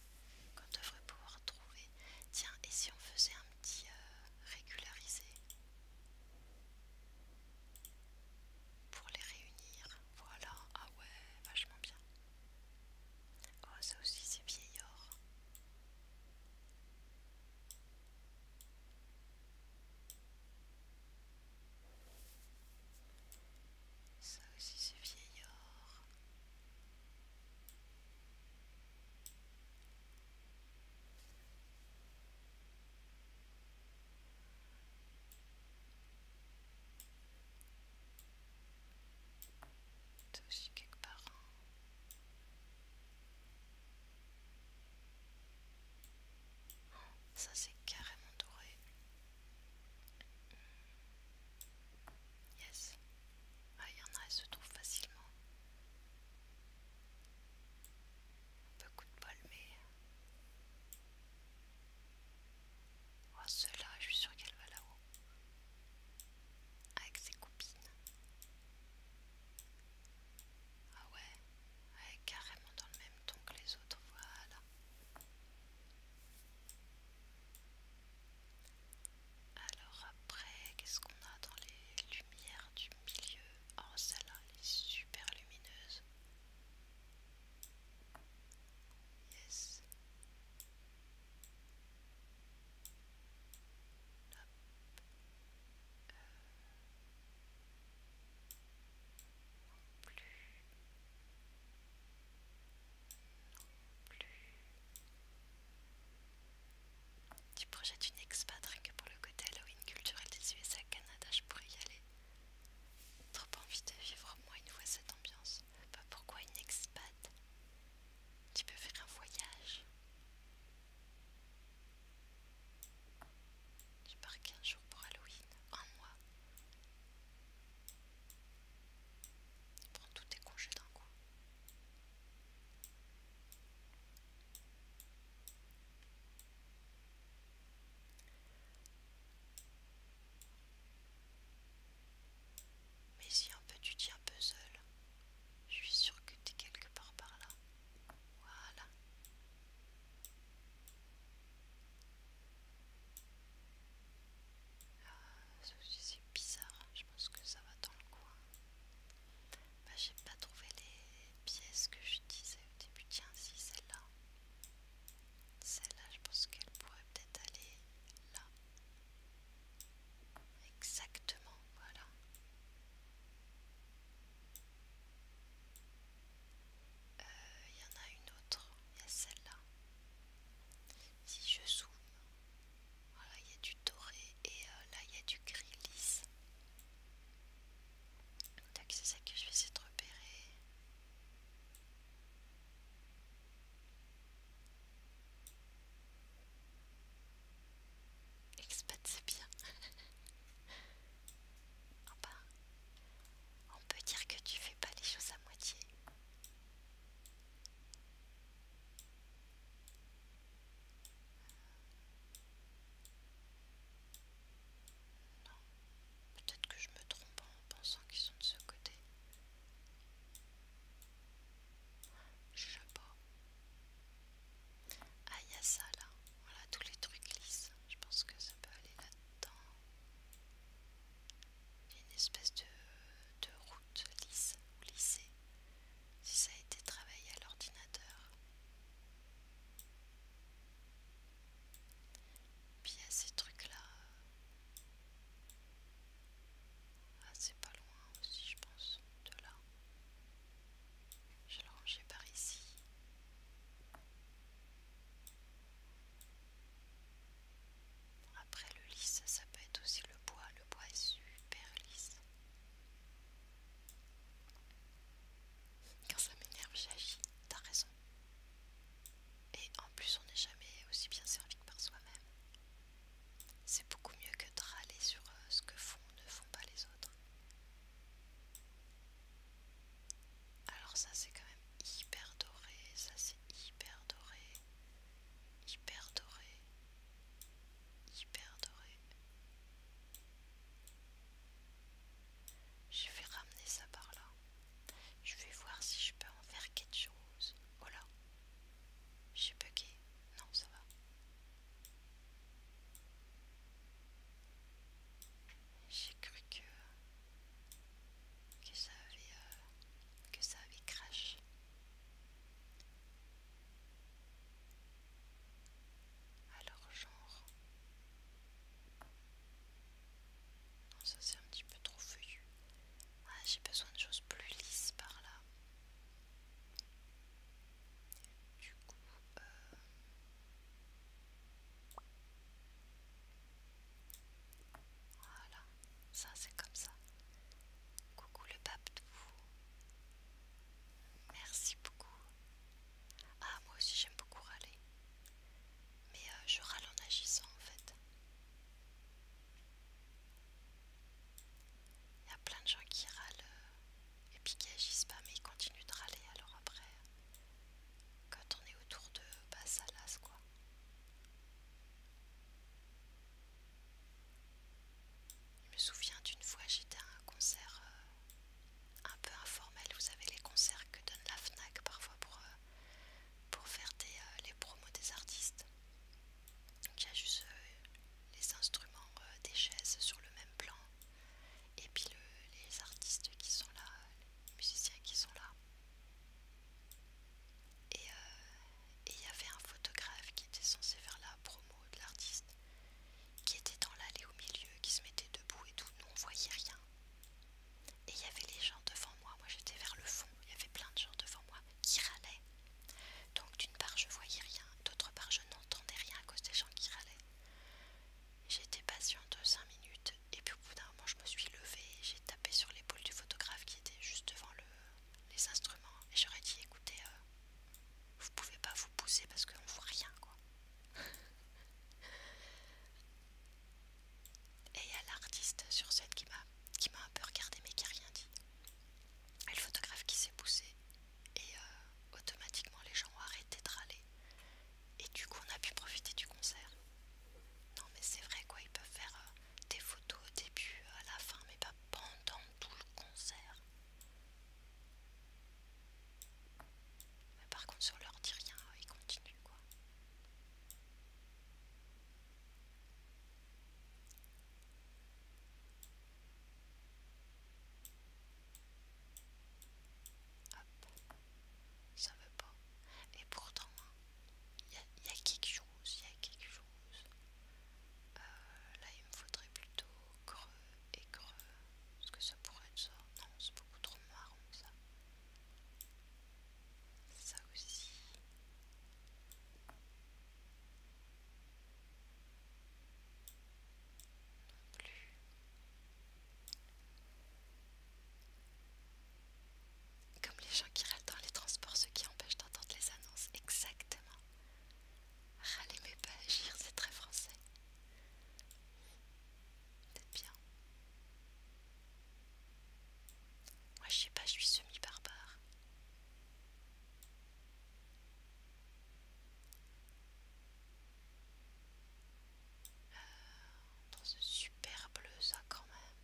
qu'on devrait pouvoir trouver. Tiens, et si on faisait un petit euh, régularisé pour les réunir, voilà, ah ouais, vachement bien. Oh, ça aussi c'est or. Ça aussi c'est or. C'est aussi quelque part. Ça c'est carrément doré. Yes. Ah, il y en a, elles se trouve facilement. Beaucoup de mais. Oh, celle-là, je suis sûre qu'elle va là-haut. Avec ses copines. Ah ouais, elle est carrément dans le même ton que les autres, voilà. Alors après, qu'est-ce qu'on a dans les lumières du milieu Oh celle-là, elle est super lumineuse. Yes. Non euh, plus. Tu projettes une expat rien que pour le côté Halloween culturel des USA Canada, je pourrais y aller. Trop envie de vivre au moins une fois cette ambiance. Pas pourquoi une expat Tu peux faire un voyage. Tu pars 15 jours pour Halloween, un mois. Tu Prends tous tes congés d'un coup. Mais si un peu tu tiens puzzle, je suis sûre que t'es quelque part par là. Voilà. Euh, c'est bizarre, hein. je pense que ça va dans le coin. Bah, j'ai pas trouvé les pièces que je disais au début. Tiens, si, celle-là. Celle-là, je pense qu'elle pourrait peut-être aller là. Exactement, voilà. Il euh, y en a une autre, il y a celle-là. Si je zoome, il y a du doré et euh, là il y a du gris lisse. c'est ça que je vais essayer de repérer. Expat c'est bien. [laughs] on peut dire que tu fais pas les choses à moitié. Non, peut-être que je me trompe en pensant qu'ils sont de ce côté. Je sais pas. Ah, il y a ça là. Voilà, tous les trucs lisses. Je pense que ça peut aller là-dedans. Il y a une espèce de, route lisse ou lissée si ça a été travaillé à l'ordinateur. Puis il y a ces trucs-là. Ah, c'est pas loin aussi, je pense, de là. Je vais le par ici. Après le lisse, ça peut être aussi le bois. Le bois est super lisse. Quand ça m'énerve, j'agis. T'as raison. Et en plus, on n'est jamais aussi bien servi que par soi-même. C'est beaucoup mieux que de râler sur euh, ce que font ou ne font pas les autres. Alors ça c'est quand même hyper doré, ça c'est hyper doré, hyper doré, Hyper doré. Je vais ramener ça par là. Je vais voir si je peux en faire quelque chose. Oh là J'ai bugué. Non, ça va. J'ai cru que, que ça avait euh, que ça avait crash. Alors genre. ça c'est un petit peu trop feuillu. Ah, j'ai besoin de choses plus lisses par là. Du coup, euh, voilà ça c'est comme ça. Coucou le pape Merci beaucoup. Ah moi aussi j'aime beaucoup râler. Mais euh, je râle en agissant en fait. Il y a plein de gens qui râlent euh, et puis qui agissent pas mais ils continuent de râler alors après quand on est autour de bah ça quoi. Je me souviens d'une fois, j'étais à un concert euh, un peu informel. Vous savez, les concerts que donne la FNAC parfois pour, euh, pour faire euh, les promos des artistes. Donc il y a juste les instruments des chaises sur le même plan. Et puis les artistes qui sont là, les musiciens qui sont là. Euh, et il y avait un photographe qui était censé faire la promo de l'artiste, qui était dans l'allée au milieu, qui se mettait debout et tout, nous on voyait rien. Et il y avait les gens devant moi, moi j'étais vers le fond, il y avait plein de gens devant moi qui râlaient. Donc d'une part je voyais rien, d'autre part je n'entendais rien à cause des gens qui râlaient. J'étais patiente 5 minutes et puis au bout d'un moment je me suis levée et j'ai tapé sur l'épaule du photographe qui était juste devant le, les instruments et j'aurais dit écoutez euh, vous pouvez pas vous pousser parce qu'on voit rien quoi [laughs] et il y a l'artiste sur scène qui m'a un peu regardé mais qui a rien dit et le photographe qui s'est poussé et euh, automatiquement les gens ont arrêté de râler et du coup on a pu profiter du concert non mais c'est vrai quoi ils peuvent faire euh, des photos au début, à la fin, mais pas pendant tout le concert. par contre, si leur dit rien, ils continuent quoi. Hop, ça veut pas. Et pourtant, il y, y a quelque chose, il y a quelque chose. Euh, là, il me faudrait plutôt creux et creux. Est-ce que ça pourrait être ça Non, c'est beaucoup trop marron ça. Ça aussi. Non plus. Comme les gens qui râlent dans les transports, ce qui empêche d'entendre les annonces. Exactement. Râler ah, mais pas agir, c'est très français. C'est bien. Moi je sais pas, je suis semi-barbare. Euh, dans ce super bleu ça quand même.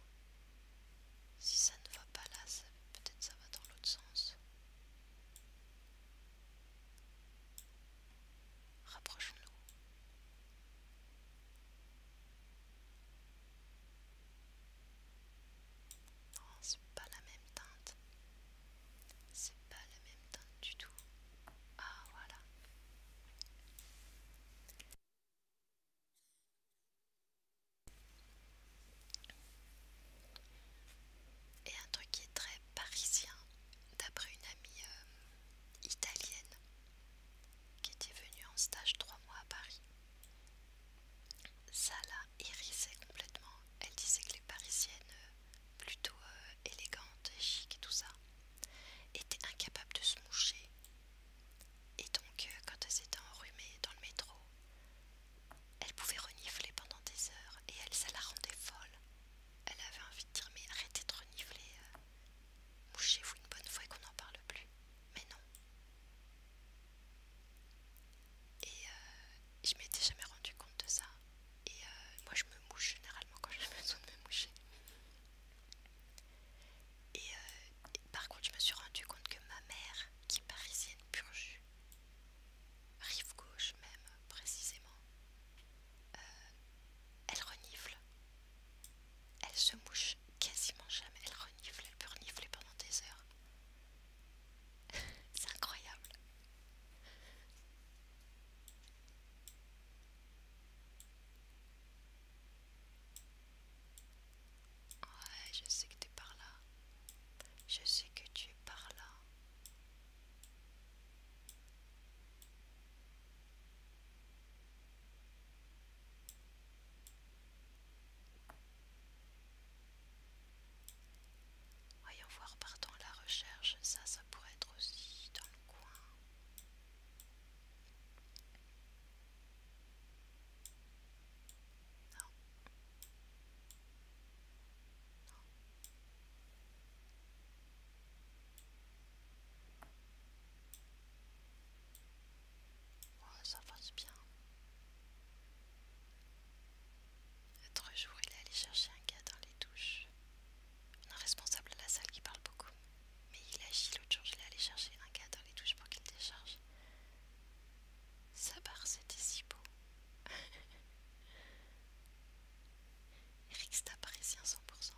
Si ça ne va pas là, peut-être ça va dans l'autre sens. Rapprochons-nous. Non, c'est pas la même teinte. C'est pas la même teinte du tout. Ah voilà. Et un truc qui est très parisien, d'après une amie euh, italienne qui était venue en stage trois mois à Paris. Ça la hérissait complètement. Elle disait que les parisiennes, euh, plutôt euh, élégantes et chic et tout ça, étaient incapables de se moucher. Et donc, quand elles étaient enrhumées dans le métro, elle pouvait renifler pendant des heures et elle, ça la rendait folle. Elle avait envie de dire mais arrêtez de renifler, euh. mouchez-vous une bonne fois et qu'on n'en parle plus. Mais non. Et je euh, je m'étais jamais rendue compte de ça. Et euh, moi je me mouche généralement quand j'ai [laughs] besoin de me moucher. Et, par contre je me suis rendue compte que ma mère, qui est parisienne purge rive gauche même précisément, euh, elle renifle. Elle se mouche quasiment jamais, elle renifle, elle peut renifler pendant des heures. [laughs] C'est incroyable. Ouais, je sais que tu es par là. Je sais que tu es par là. Voyons voir partant la recherche, ça, ça pourrait être aussi dans le coin. Non, Oh, ça passe bien. L'autre jour, il est allé chercher un gars dans les douches. Un responsable de la salle qui parle beaucoup. Mais il agit l'autre jour, il est allé chercher un gars dans les douches pour qu'il décharge. Ça barre, c'était si beau. Eric, c'est à 100%.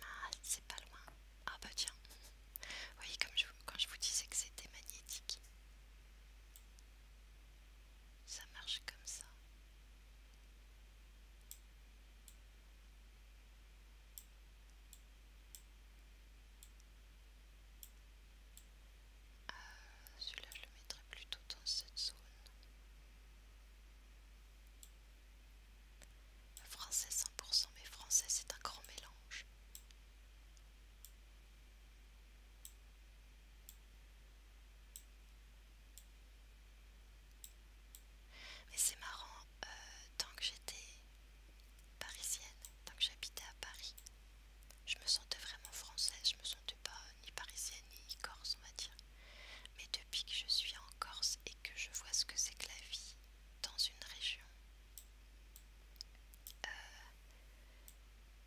Mal, c'est pas loin. Ah bah tiens. voyez, comme quand je vous disais que c'était magnétique. Ça marche comme ça. Euh, celui-là, je le mettrai plutôt dans cette zone. Français 100%, mais français c'est un grand mélange. Mais c'est marrant, euh, tant que j'étais parisienne, tant que j'habitais à Paris, je me sentais vraiment française, je me sentais pas ni parisienne ni corse on va dire. Mais depuis que je suis en Corse et que je vois ce que c'est que la vie dans une région, euh,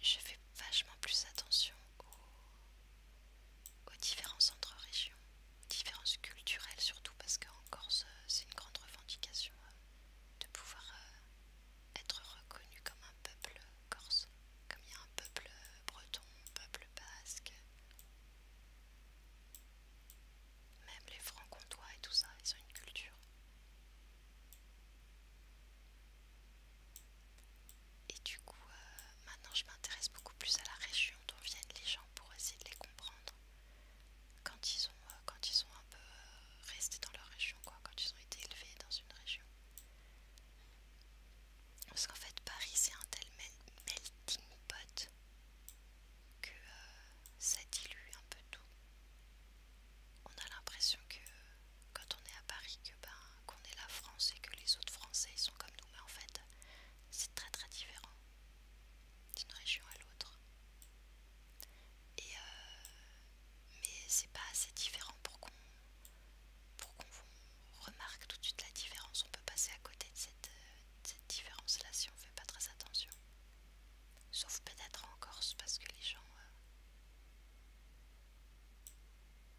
je fais vachement plus attention aux, aux différents centres régions, différences culturelles surtout parce qu'en Corse euh, c'est une grande revendication euh, de pouvoir euh, être reconnu comme un peuple corse, comme il y a un peuple breton, un peuple basque. Même les francs comtois et tout ça, ils ont une culture. Et du coup, euh, maintenant je m'intéresse beaucoup plus à la région d'où viennent les gens pour essayer de les comprendre quand ils ont euh, quand ils sont un peu euh, restés dans leur région, quoi, quand ils ont été élevés dans une région. Parce qu'en fait, Paris c'est un tel melting pot que ça dilue un peu tout. On a l'impression que quand on est à Paris, que ben qu'on est la France et que les autres Français ils sont comme nous, mais en fait c'est très très différent d'une région à l'autre. Et euh, mais c'est pas assez différent pour qu'on pour qu'on remarque tout de suite la différence. On peut passer à côté de cette, différence là si on fait pas très attention. Sauf peut-être en Corse parce que les gens euh,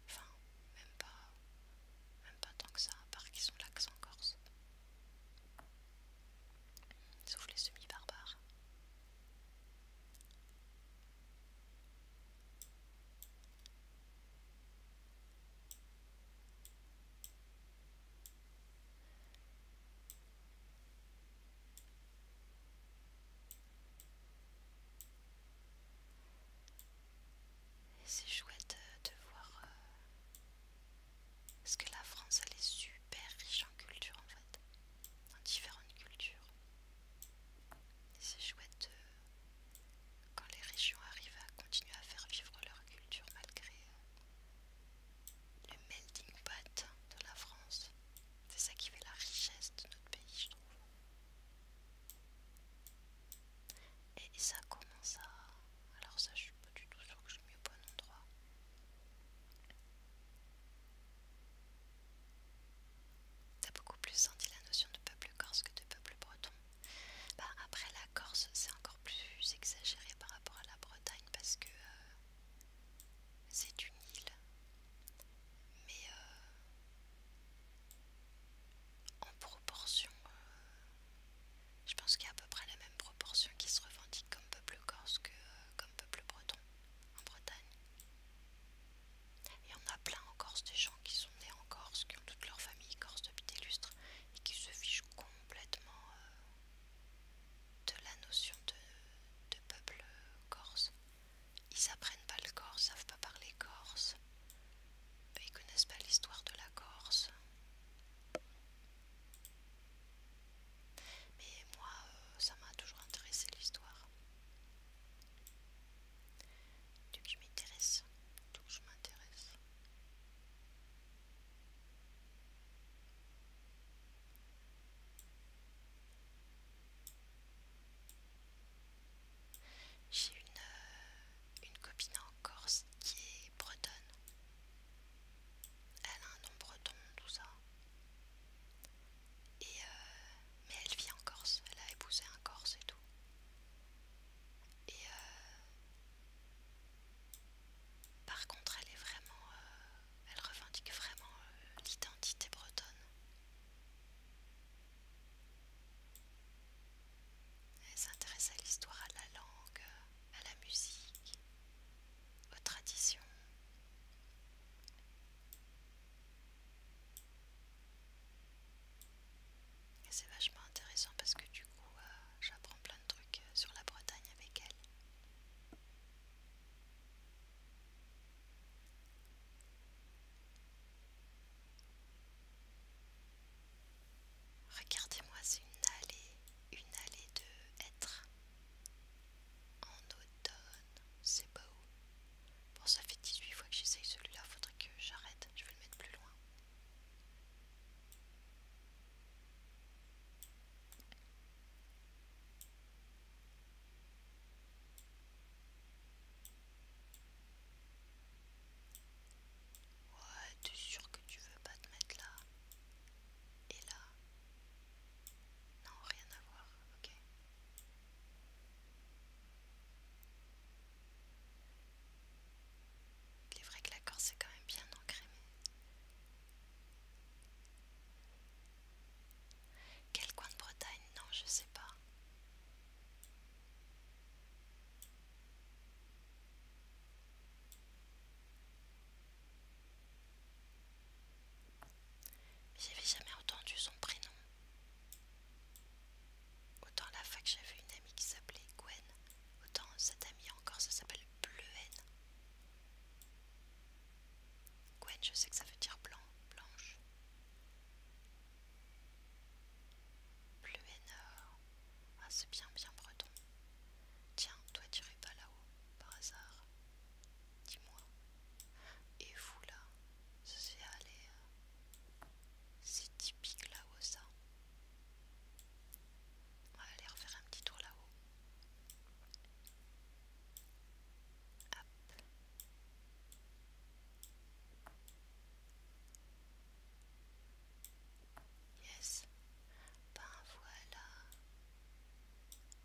Enfin, même pas. Même pas tant que ça, à part qu'ils ont en corse. Sauf les semi-barbares. C'est chouette de voir parce euh, que la France elle est super riche en culture en fait, dans différentes cultures. C'est chouette quand les régions arrivent à continuer à faire vivre leur culture malgré euh, le melting pot de la France. C'est ça qui fait la richesse de notre pays, je trouve. Et ça commence à... Alors ça je suis pas du tout sûre que je suis au bon endroit. T'as beaucoup plus senti la notion de peuple corse que de peuple breton. Bah après la Corse c'est encore plus exagéré par rapport à la Bretagne parce que euh, c'est une île. Mais euh, en proportion euh, je pense qu'il y a à peu près la même proportion qui se revendique comme peuple corse que euh, comme peuple breton en Bretagne. Et on a plein en Corse des gens qui sont nés en Corse, qui ont toute leur famille corse depuis des lustres et qui se fichent complètement euh, de la notion de, peuple euh, corse. Ils apprennent pas le corse, savent pas parler corse. Bah, ils connaissent pas l'histoire de la Corse. Mais moi, euh, ça m'a toujours intéressé l'histoire. que je m'intéresse. je m'intéresse. J'ai euh, une, copine en Corse qui est bretonne. Elle a un nom breton, tout ça. Et euh, mais elle vit en Corse, elle a épousé un Corse et tout. Et euh, par contre, elle est vraiment, euh, elle revendique vraiment l'identité bretonne. Elle s'intéresse à l'histoire, à la langue, à la musique, aux traditions. Et c'est vachement intéressant parce que du coup, euh, j'apprends plein de trucs euh, sur la Bretagne avec elle. Regardez-moi, c'est une allée, une allée de hêtres. En automne, c'est beau. Bon, ça fait 18 fois que j'essaye celui-là, faudrait que j'arrête, je vais le mettre plus loin. Ouais, es sûr que tu veux pas te mettre là Et là Non, rien à voir, ok. Il est vrai que la Corse est quand même bien ancrée, Quel coin de Bretagne Non, je sais pas. J'avais jamais entendu son prénom. Autant la fac j'avais une amie qui s'appelait Gwen, autant cette amie encore ça s'appelle Bleuen. Gwen je sais que ça veut dire blanc, blanche énorme Ah, c'est bien, bien breton. Tiens, toi, tu n'irais pas là-haut, par hasard. Dis-moi. Et vous, là Ça, c'est aller. C'est typique là-haut, ça. On va aller refaire un petit tour là-haut. Yes. Ben voilà.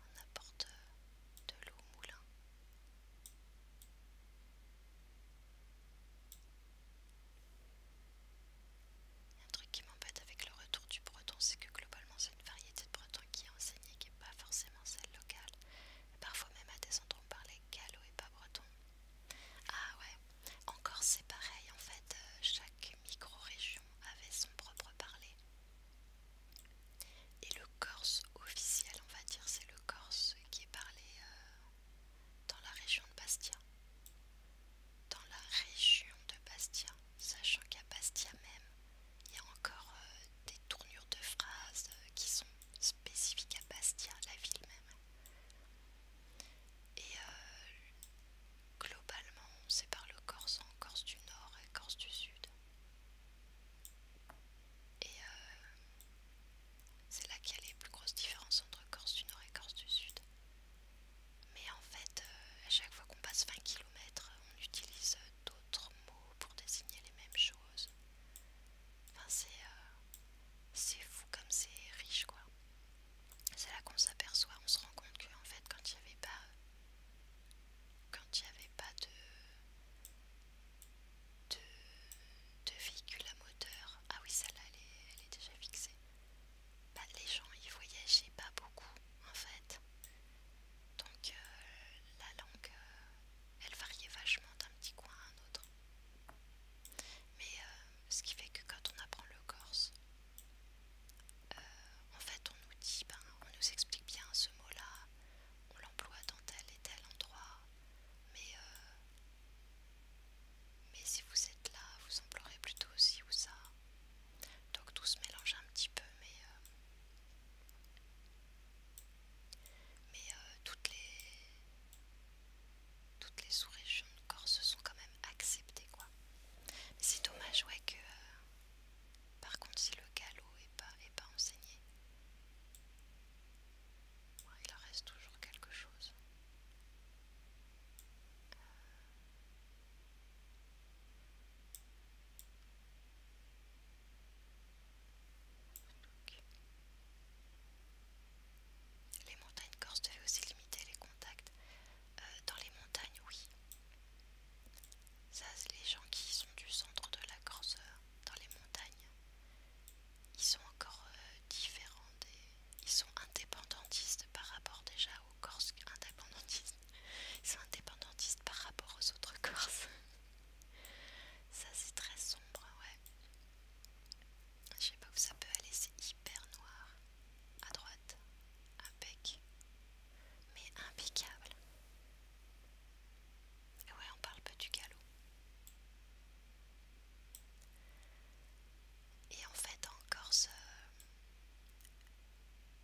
On apporte euh, de l'eau au moulin. un truc qui m'embête avec le retour du breton, c'est que globalement c'est une variété de breton qui est enseignée, qui n'est pas forcément celle locale. Parfois même à des endroits on parlait gallo et pas breton. Ah ouais, encore c'est pareil en fait, euh, chaque micro-région avait son propre parler. Et le corse officiel, on va dire, c'est le corse qui est parlé euh, dans la région de Bastia. Dans la région de Bastia, sachant qu'à Bastia même, il y a encore euh, des tournures de phrases qui sont spécifiques à Bastia, la ville même. Et euh, globalement, on sépare le Corse en Corse du Nord et Corse du Sud. Et euh, c'est là qu'il y a les plus grosses différences entre Corse du Nord et Corse du Sud. Mais en fait, euh, à chaque fois qu'on passe 20 km, on utilise d'autres mots pour désigner les mêmes choses. Enfin, c'est fou comme c'est riche, quoi. C'est là qu'on s'aperçoit, on se rend compte que en fait quand il n'y avait pas euh, quand pas de, de, véhicule à moteur, ah oui celle-là elle, est déjà fixée, bah, les gens ils voyageaient pas beaucoup en fait. Donc euh, la langue euh, elle variait vachement d'un petit coin à un autre. Mais ce qui fait que quand on apprend le corse, euh, en fait, on nous dit, ben, on nous explique bien ce mot-là, on l'emploie dans tel et tel endroit, mais, euh, mais si vous êtes là, vous emploierez plutôt ci ou ça. Donc tout se mélange un petit peu, mais, euh, mais toutes les toutes les sous-régions de Corse sont quand même acceptées quoi. c'est dommage ouais que euh, par contre si le galop est pas enseigné. il reste toujours quelque chose. Euh. Les montagnes corses devaient aussi limiter les contacts euh, dans les montagnes, oui. Ça, c'est les gens qui sont du centre de la Corse, dans les montagnes. Ils sont encore euh, différents des... Ils sont indépendantistes par rapport déjà aux Corses indépendantistes. Ils sont indépendantistes par rapport aux autres Corses. [laughs] Ça, c'est très sombre, ouais. Je sais pas où ça peut aller, c'est hyper noir. À droite, impec. Mais impeccable. Et ouais, on parle peu du galop. Et en fait, en Corse, euh,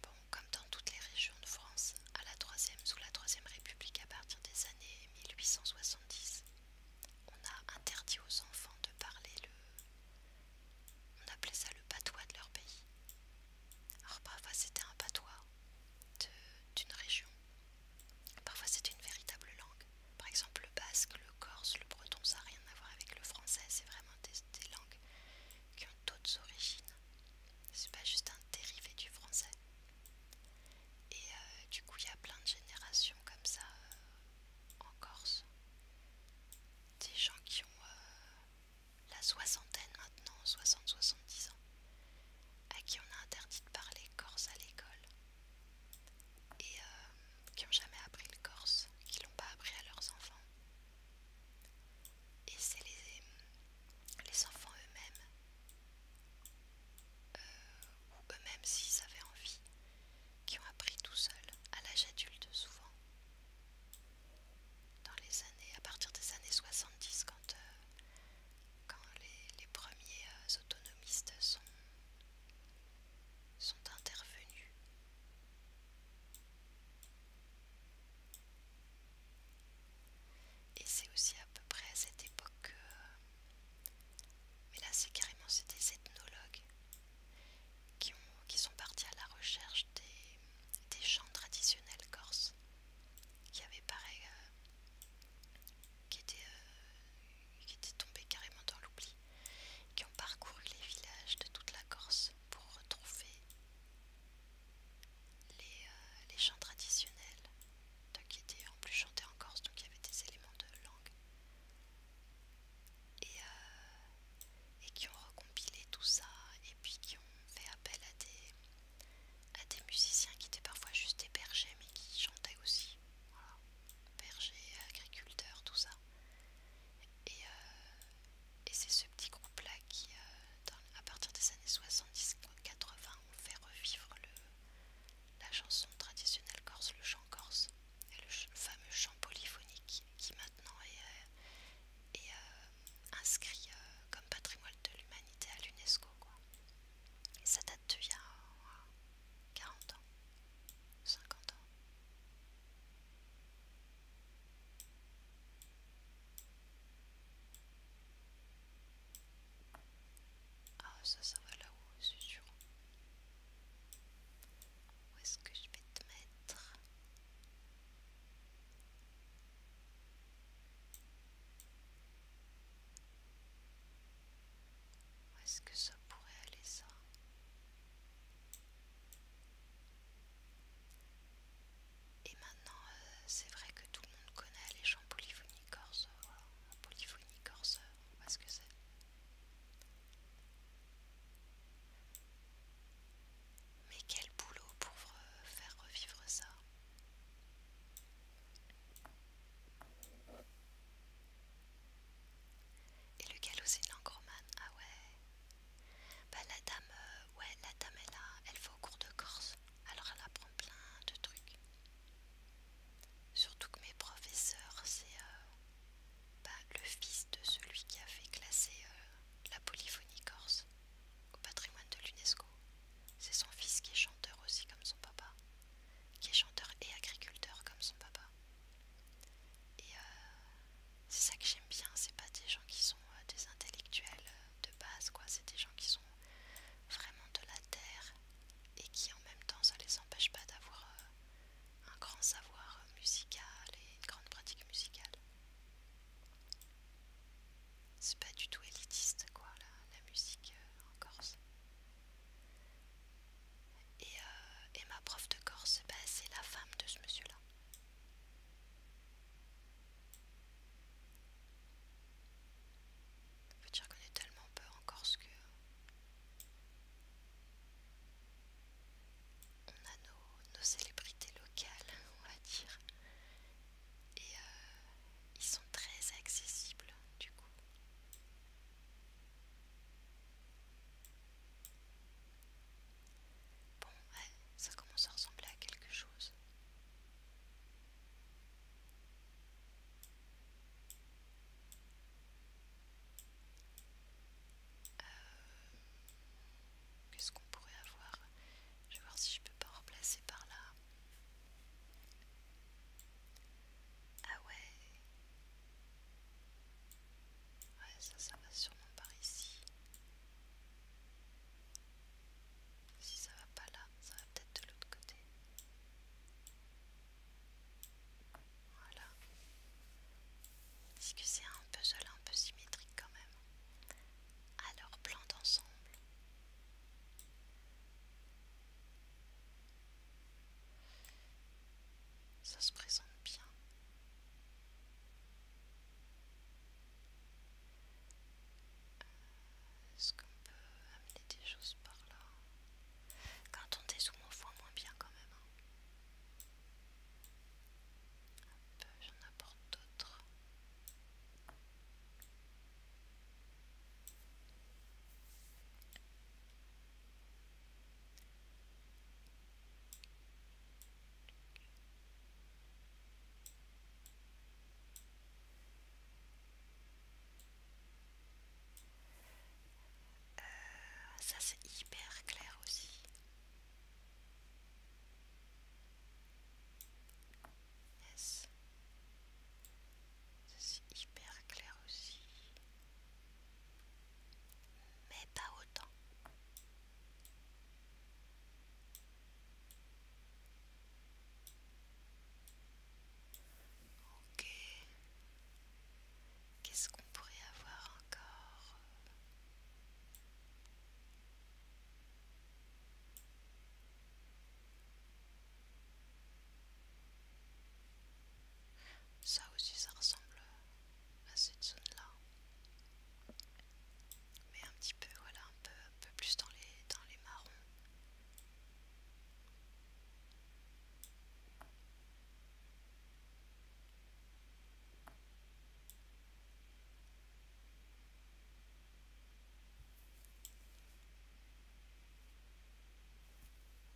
bon, comme dans toutes les régions de France, à la troisième, sous la Troisième République, à partir des années 1870, on a interdit aux enfants de parler le, on appelait ça le patois de leur pays. Alors parfois c'était un patois d'une région. Parfois c'était une véritable langue. Par exemple le basque, le corse, le breton, ça n'a rien à voir avec le français. C'est vraiment des, langues qui ont d'autres origines. C'est pas juste un dérivé du français. Et euh, du coup il y a plein de générations comme ça euh, en Corse des gens qui ont euh, la soixantaine maintenant, 60-70 ans, à qui on a interdit de parler corse à l'école et euh, qui n'ont jamais appris le corse, qui l'ont pas appris à leurs enfants. Et c'est les, enfants eux-mêmes, euh, ou eux-mêmes s'ils avaient envie, qui ont appris tout seuls à l'âge adulte souvent. Dans les années, à partir des années 70, euh, quand, les, premiers euh, autonomistes sont, sont intervenus. Et c'est aussi à peu près à cette époque que... Euh, mais là c'est carrément, des ethnologues qui, sont partis à la recherche des, chants traditionnels corses, qui avaient pareil, euh, euh, qui, étaient, tombés carrément dans l'oubli, qui ont parcouru les villages de toute la Corse pour retrouver les, euh, chants traditionnels, qui étaient en plus chantés en Corse, donc il y avait des éléments de langue. Euh, et, qui ont recompilé tout ça et puis qui ont fait appel à des, musiciens qui étaient parfois juste des bergers mais qui chantaient aussi. Voilà. Bergers, agriculteurs, tout ça. Et, euh, c'est ce petit groupe-là qui, euh, à partir des années 70-80, ont fait revivre la chanson traditionnelle corse, le chant corse le fameux chant polyphonique qui maintenant est, euh, euh, inscrit euh, comme patrimoine de l'humanité à l'UNESCO. Ça date il y a 40 ans, 50 ans. Ah ça, ça va là-haut, c'est sûr. Où est-ce que je vais te mettre Où est-ce que ça pourrait aller ça et maintenant, euh, c'est vrai que tout le monde connaît les gens polyphoniques Voilà, polyphonie corse, que c'est. Mais quel boulot pour faire revivre ça Et le galosine c'est ah ouais Bah la dame, euh, ouais la dame elle, a, elle va au cours de Corse, alors elle apprend plein de trucs. Surtout que mes professeurs c'est... Euh, le fils de celui qui a fait classer euh, la polyphonie corse au patrimoine de l'UNESCO. C'est son fils qui est chanteur aussi comme son papa, qui est chanteur et agriculteur comme son papa. Et euh, c'est ça que j'aime bien, c'est pas des gens qui sont euh, des intellectuels de base, quoi. C'est des gens qui sont vraiment de la terre et qui en même temps ça les empêche pas d'avoir un grand savoir musical et une grande pratique musicale. C'est pas du tout élitiste quoi la, musique euh, en Corse. Et, euh, et ma prof de Corse, c'est la femme de ce monsieur-là. peut dire qu'on est tellement peu en Corse que on a nos, célébrités locales, on va dire, et euh, ils sont très accessibles du coup. Bon, ouais, ça commence à ressembler à quelque chose. Euh, Qu'est-ce qu'on pourrait avoir Je vais voir si je peux pas remplacer par là. Ah ouais. Ouais, ça, ça va sûrement par ici. Si ça va pas là, ça va peut-être de l'autre côté. Voilà. Est-ce que c'est un puzzle un peu symétrique quand même. Alors plan d'ensemble. Ça se présente bien. Euh, est-ce qu'on peut amener des choses par là Quand on dézoome, on voit moins bien quand même. Hein. Hop, j'en apporte d'autres. Euh, ça c'est hyper clair aussi. C'est hyper clair aussi. Mais pas autant. Ok. Qu'est-ce qu'on pourrait avoir encore ça aussi ça ressemble à cette zone-là. Mais un petit peu, voilà, un peu, un peu plus dans les, dans les marrons.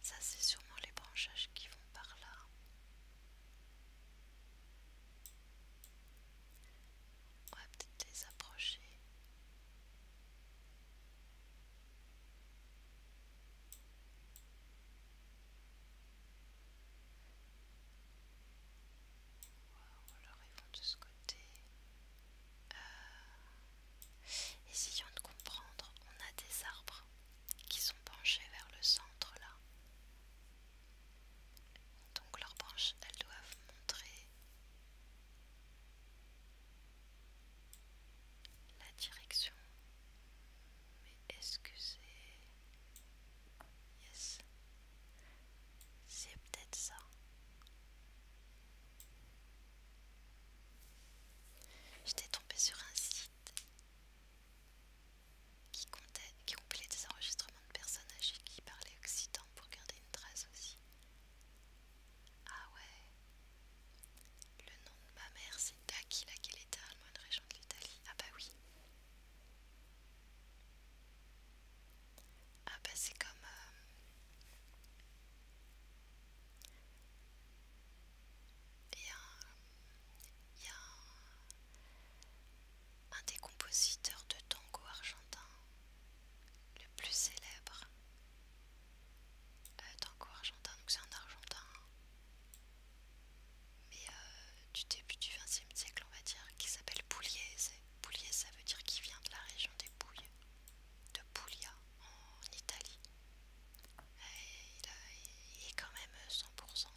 Ça, c'est sûrement les branchages qui vont par là. On va peut-être les approcher ils de ce côté. Euh, essayons de comprendre. On a des arbres qui sont penchés vers le centre là. Donc leurs branches, elles doivent montrer la direction mais est-ce que c'est... Yes. C'est peut-être ça. J'étais tombée sur un site qui, comptait, qui des enregistrements de personnes âgées qui parlaient occitan pour garder une trace aussi. Ah ouais. Le nom de ma mère, c'est Aquila Geletta, une région de l'Italie. Ah bah oui. Ah bah c'est comme... Euh, il y a, un, il y a un, des compositeurs de tango argentin le plus célèbre. Euh, tango argentin, donc c'est un argentin mais euh, du début du 20e siècle, on va dire, qui s'appelle Pugliese Pugliese ça veut dire qu'il vient de la région des Bouilles de Puglia, en Italie. il, est quand même 100%,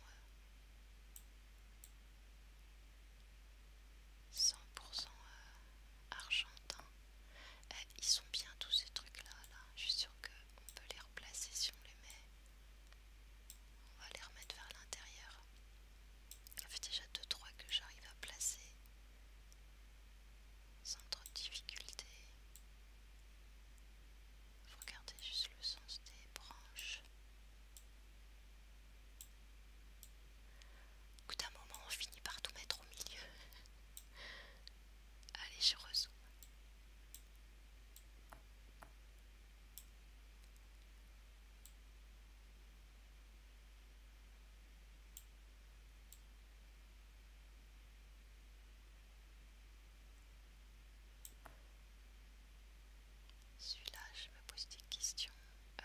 100 euh, euh, argentin. Ils sont bien tous ces trucs-là, là. je suis sûre qu'on peut les replacer si on les met. On va les remettre vers l'intérieur. Ça fait déjà 2-3 que j'arrive à placer sans trop de difficulté. Faut juste le sens des branches. Au un moment, on finit par tout mettre au milieu. [laughs] Allez, je rezoome. Celui-là, je me pose des questions. Euh,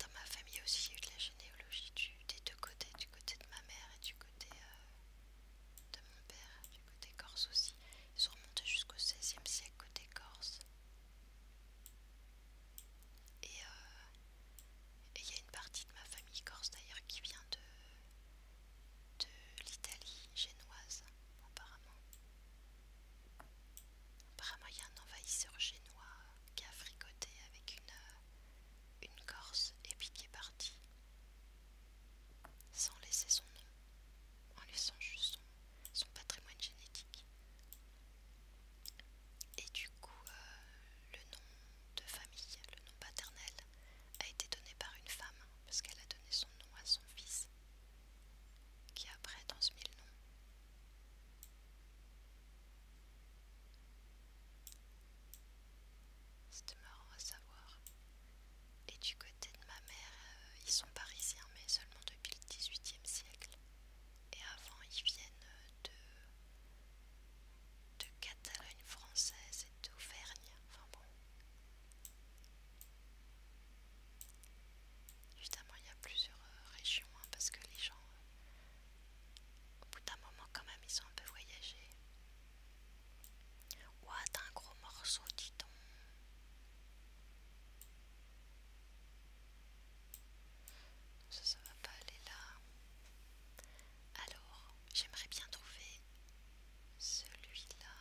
dans ma famille aussi, il y a eu de la généalogie des deux côtés, du côté de ma mère et du côté euh, de mon père, du côté corse aussi. Ils sont remontés jusqu'au 16e siècle côté corse. Euh, et il y a une partie de ma famille corse d'ailleurs qui vient de, de l'Italie génoise, apparemment il y a un envahisseur génois qui a fricoté avec une, euh, corse et piqué qui est parti sans laisser son nom, en laissant juste son, patrimoine génétique. Et du coup, euh, le nom de famille, le nom paternel, a été donné par une femme, parce qu'elle a donné son nom à son fils, qui après transmis le nom c'est marrant à savoir. Et du côté de ma mère, euh, ils sont parisiens, mais seulement depuis le XVIIIe siècle. Et avant, ils viennent de, de Catalogne française et d'Auvergne. Évidemment, il y a plusieurs euh, régions hein, parce que les gens, euh, au bout d'un moment, quand même, ils ont un peu voyagé. Ouah, t'as un gros morceau, dis donc. Ça, ça va pas aller là. Alors, j'aimerais bien trouver celui-là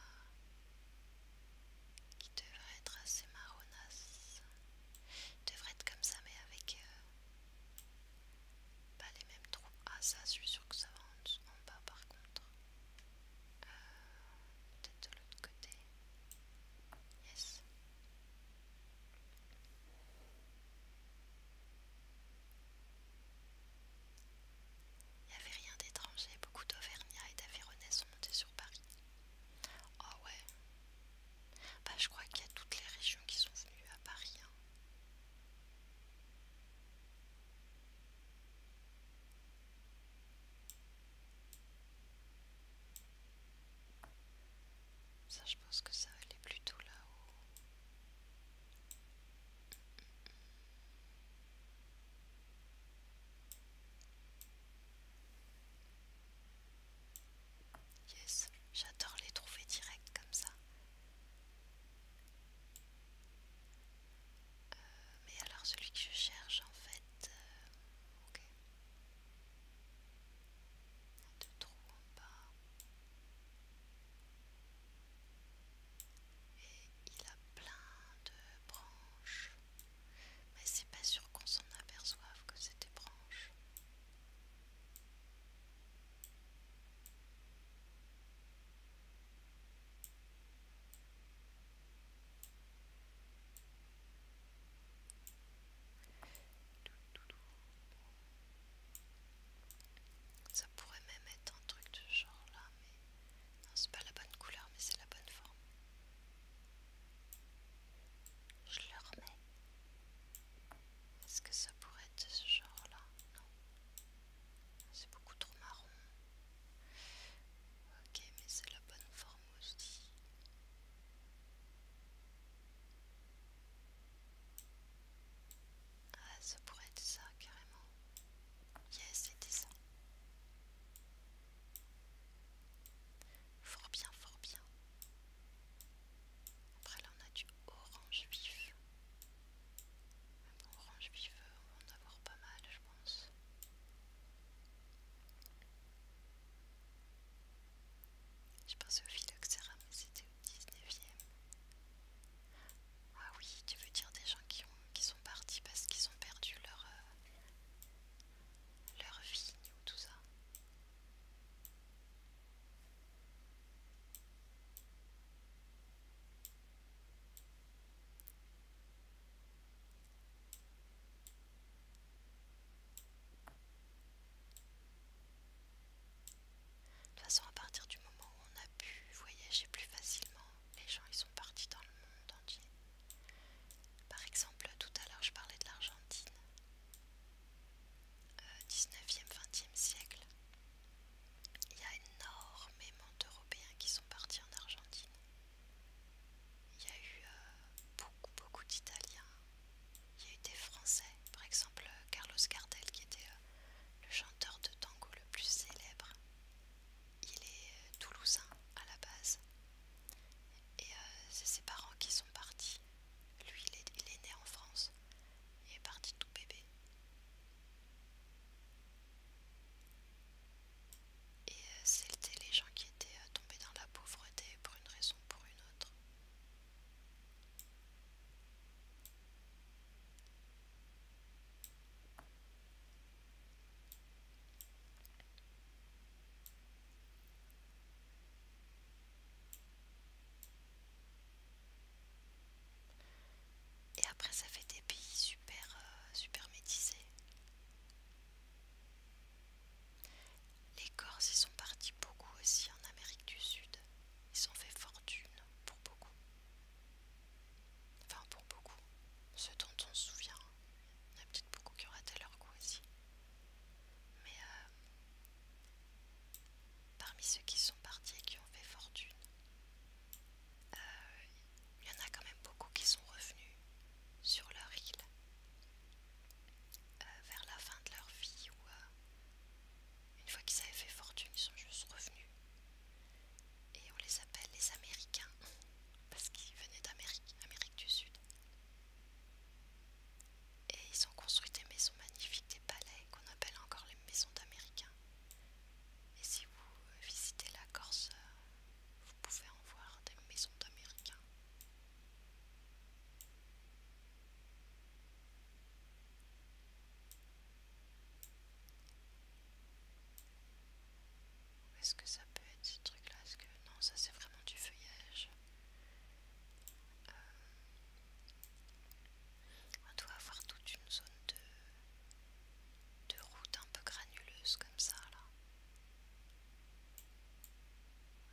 devrait être assez marronasse. devrait être comme ça, mais avec euh, pas les mêmes trous. Ah, ça, je suis sûr que ça va en, bas par contre. Euh, peut-être de l'autre côté. Yes. Il n'y avait rien d'étranger, beaucoup d'Auvergnats et d'Avironnais sont montés sur Paris. Ah ouais. Bah je crois qu'il y a toutes les régions qui sont venues à Paris. Hein. Ça je pense que ça allait plutôt là-haut. Yes, j'adore les trouver direct comme ça. Euh, mais alors celui que je cherche en fait... Euh, y a Deux trous en bas. Et il a plein de branches. Mais c'est pas sûr qu'on s'en aperçoive que c'était branche. Ça pourrait même être un truc de genre là, mais c'est pas la bonne couleur, mais c'est la bonne forme. Je le remets. Est-ce que ça pourrait être ce genre-là Non. C'est beaucoup trop marron. Ok, mais c'est la bonne forme aussi. Ah, ça pourrait être ça carrément. Yes, c'était ça. Fort bien, fort bien. Après là on a du orange vif. Bon, orange vif, euh, on va en avoir pas mal je pense. Je pense au mais c'était au 19ème. Ah oui, tu veux dire des gens qui, ont, qui sont partis parce qu'ils ont perdu leur, euh, leur vigne ou tout ça de toute façon, à partir du moment où on a pu voyager plus facilement, les gens ils sont partis dans le monde entier. Par exemple, tout à l'heure je parlais de l'Argentine. 19e, 20e siècle, il y a énormément d'Européens qui sont partis en Argentine. Il y a eu euh, beaucoup, beaucoup d'Italiens. Il y a eu des Français, par exemple Carlos Gardel qui était euh, le chanteur de tango le plus célèbre. Il est euh, toulousain à la base. Et c'est ses parents qui sont partis lui, il est, né en France. Il est parti tout bébé. Et euh, c'était les gens qui étaient euh, tombés dans la pauvreté pour une raison ou pour une autre. Et après ça fait des pays super euh, super Les Corses ils sont partis beaucoup aussi en Amérique du Sud. Ils ont fait fortune pour beaucoup. Enfin pour beaucoup. Ce dont on se souvient. Hein. Il y a peut-être beaucoup qui auraient raté leur coup aussi. Mais euh, Parmi ceux qui sont partis et qui ont fait fortune, euh, il y en a quand même beaucoup qui sont revenus sur leur île euh, vers la fin de leur vie ou euh, une fois qu'ils avaient fait fortune, ils sont juste revenus. Et on les appelle les Américains [laughs] parce qu'ils venaient d'Amérique, Amérique du Sud. Et ils ont construit des maisons magnifiques, des palais qu'on appelle encore les maisons d'Américains. Et si vous visitez la Corse, euh, vous pouvez en voir des maisons d'Américains. Est-ce que ça peut être ce truc là ce que non, ça c'est vraiment du feuillage. Euh, on doit avoir toute une zone de, de route un peu granuleuse comme ça là.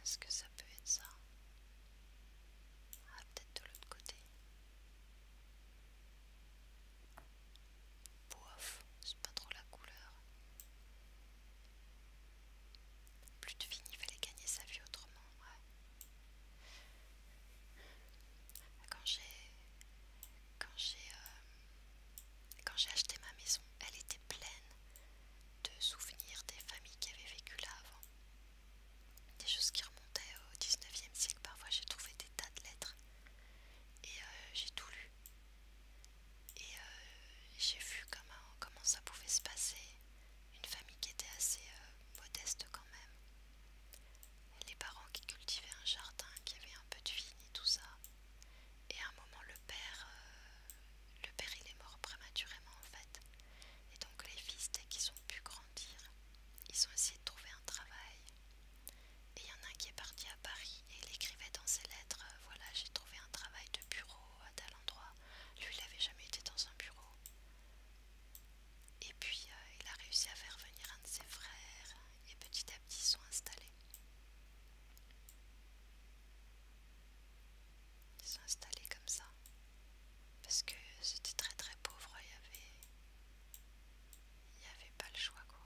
Est-ce que ça peut être ça Ah peut-être de l'autre côté. Bof, c'est pas trop la couleur. Plus de fini, il fallait gagner sa vie autrement. Ouais. Euh, quand j'ai acheté ma maison, elle était pleine de souvenirs des familles qui avaient vécu là avant. Des choses qui remontaient au 19e siècle. Parfois, j'ai trouvé des tas de lettres et euh, j'ai tout lu. Et euh, j'ai vu comment, comment ça pouvait se passer une famille qui était assez euh, modeste quand même. Les parents qui cultivaient un jardin, qui avaient un peu de vigne et tout ça. Et à un moment, le père, euh, le père il est mort prématurément en fait. Et donc les fils, dès qu'ils ont pu grandir, ils ont essayé de trouver un travail. Et il y en a un qui est parti à Paris et il écrivait dans ses lettres, euh, voilà j'ai trouvé un travail de bureau à talent lui, il n'avait jamais été dans un bureau. Et puis, euh, il a réussi à faire venir un de ses frères et petit à petit ils sont installés. Ils sont installés comme ça. Parce que c'était très très pauvre, il y avait... Il n'y avait pas le choix quoi.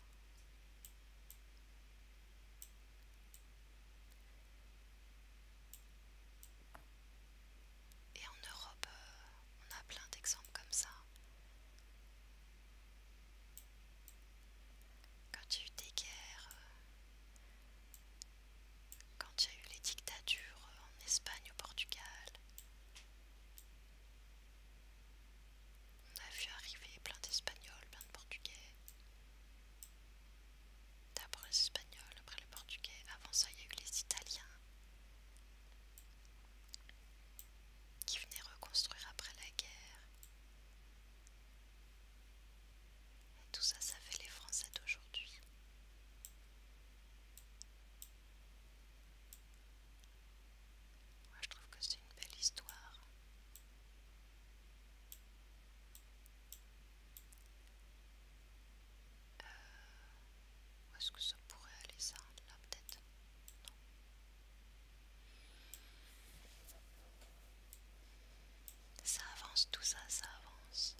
Et en Europe, euh, on a plein d'exemples comme ça. Quand il y a eu des guerres, euh, quand il y a eu les dictatures euh, en Espagne, au Portugal, on a vu arriver plein d'Espagnols, plein de Portugais. D'abord les Espagnols, après le Portugais, avant ça il y a les Italiens qui venaient reconstruire après la guerre. tout ça, ça fait les Français d'aujourd'hui. Moi je trouve que c'est une belle histoire. Euh, où est-ce que ça pourrait aller ça Là peut-être Non. Ça avance tout ça, ça avance.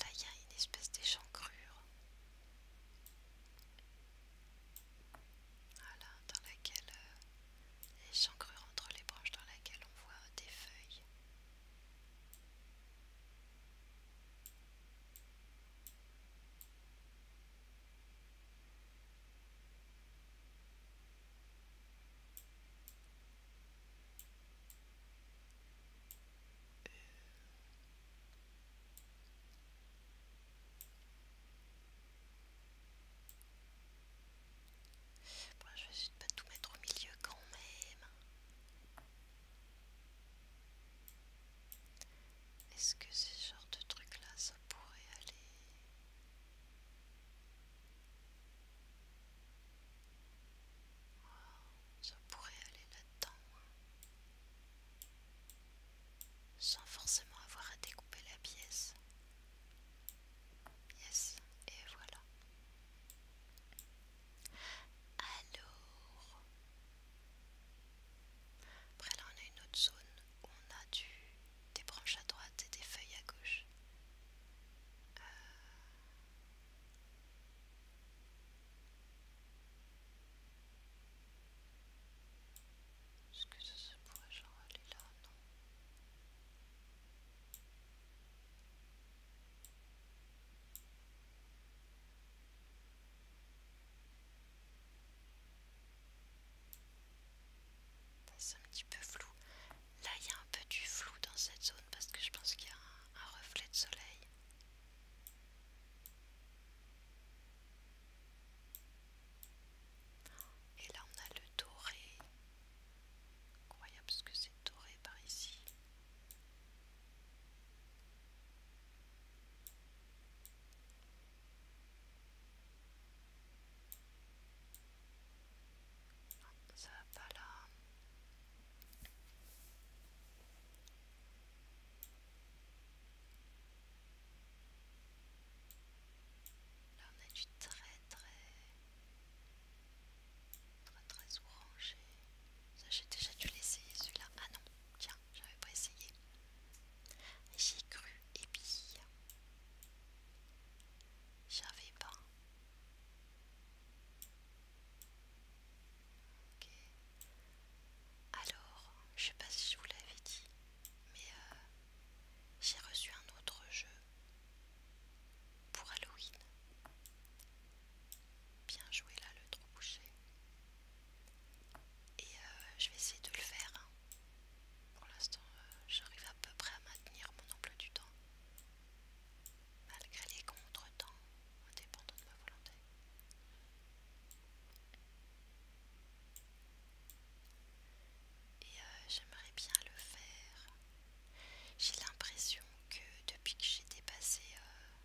Là il y a une espèce d'échancrure. Voilà, dans laquelle... Euh, et j'encrure entre les branches dans laquelle on voit des feuilles. Euh je vais juste pas tout mettre au milieu quand même. Est-ce que ce genre de truc là, ça pourrait aller Ça pourrait aller là-dedans. Hein. Sans forcément avoir à découper la pièce. Yes, et voilà. Alors, après là on a une autre zone où on a des branches à droite et des feuilles à gauche. Euh, est-ce que ça se pourrait genre aller là Non. C'est un petit peu flou. Là, il y a un peu du flou dans cette zone parce que je pense qu'il y a un, reflet de soleil. Et là, on a le doré. Incroyable ce que c'est doré par ici. Ah, ça va pas là. Là on a du très très Très très orangé. Ça j'ai déjà dû l'essayer celui-là. Ah non, tiens, j'avais pas essayé. J'ai cru et puis... J'avais pas. Alors, je sais pas si je vous l'avais dit, mais euh, j'ai reçu un autre jeu pour Halloween. Bien joué là le trou bouché. Et euh, je vais essayer de le faire. Hein. Pour l'instant, euh, j'arrive à peu près à maintenir mon emploi du temps. Malgré les contretemps, indépendant de ma volonté et euh, j'aimerais bien le faire. J'ai l'impression que depuis que j'ai dépassé, euh,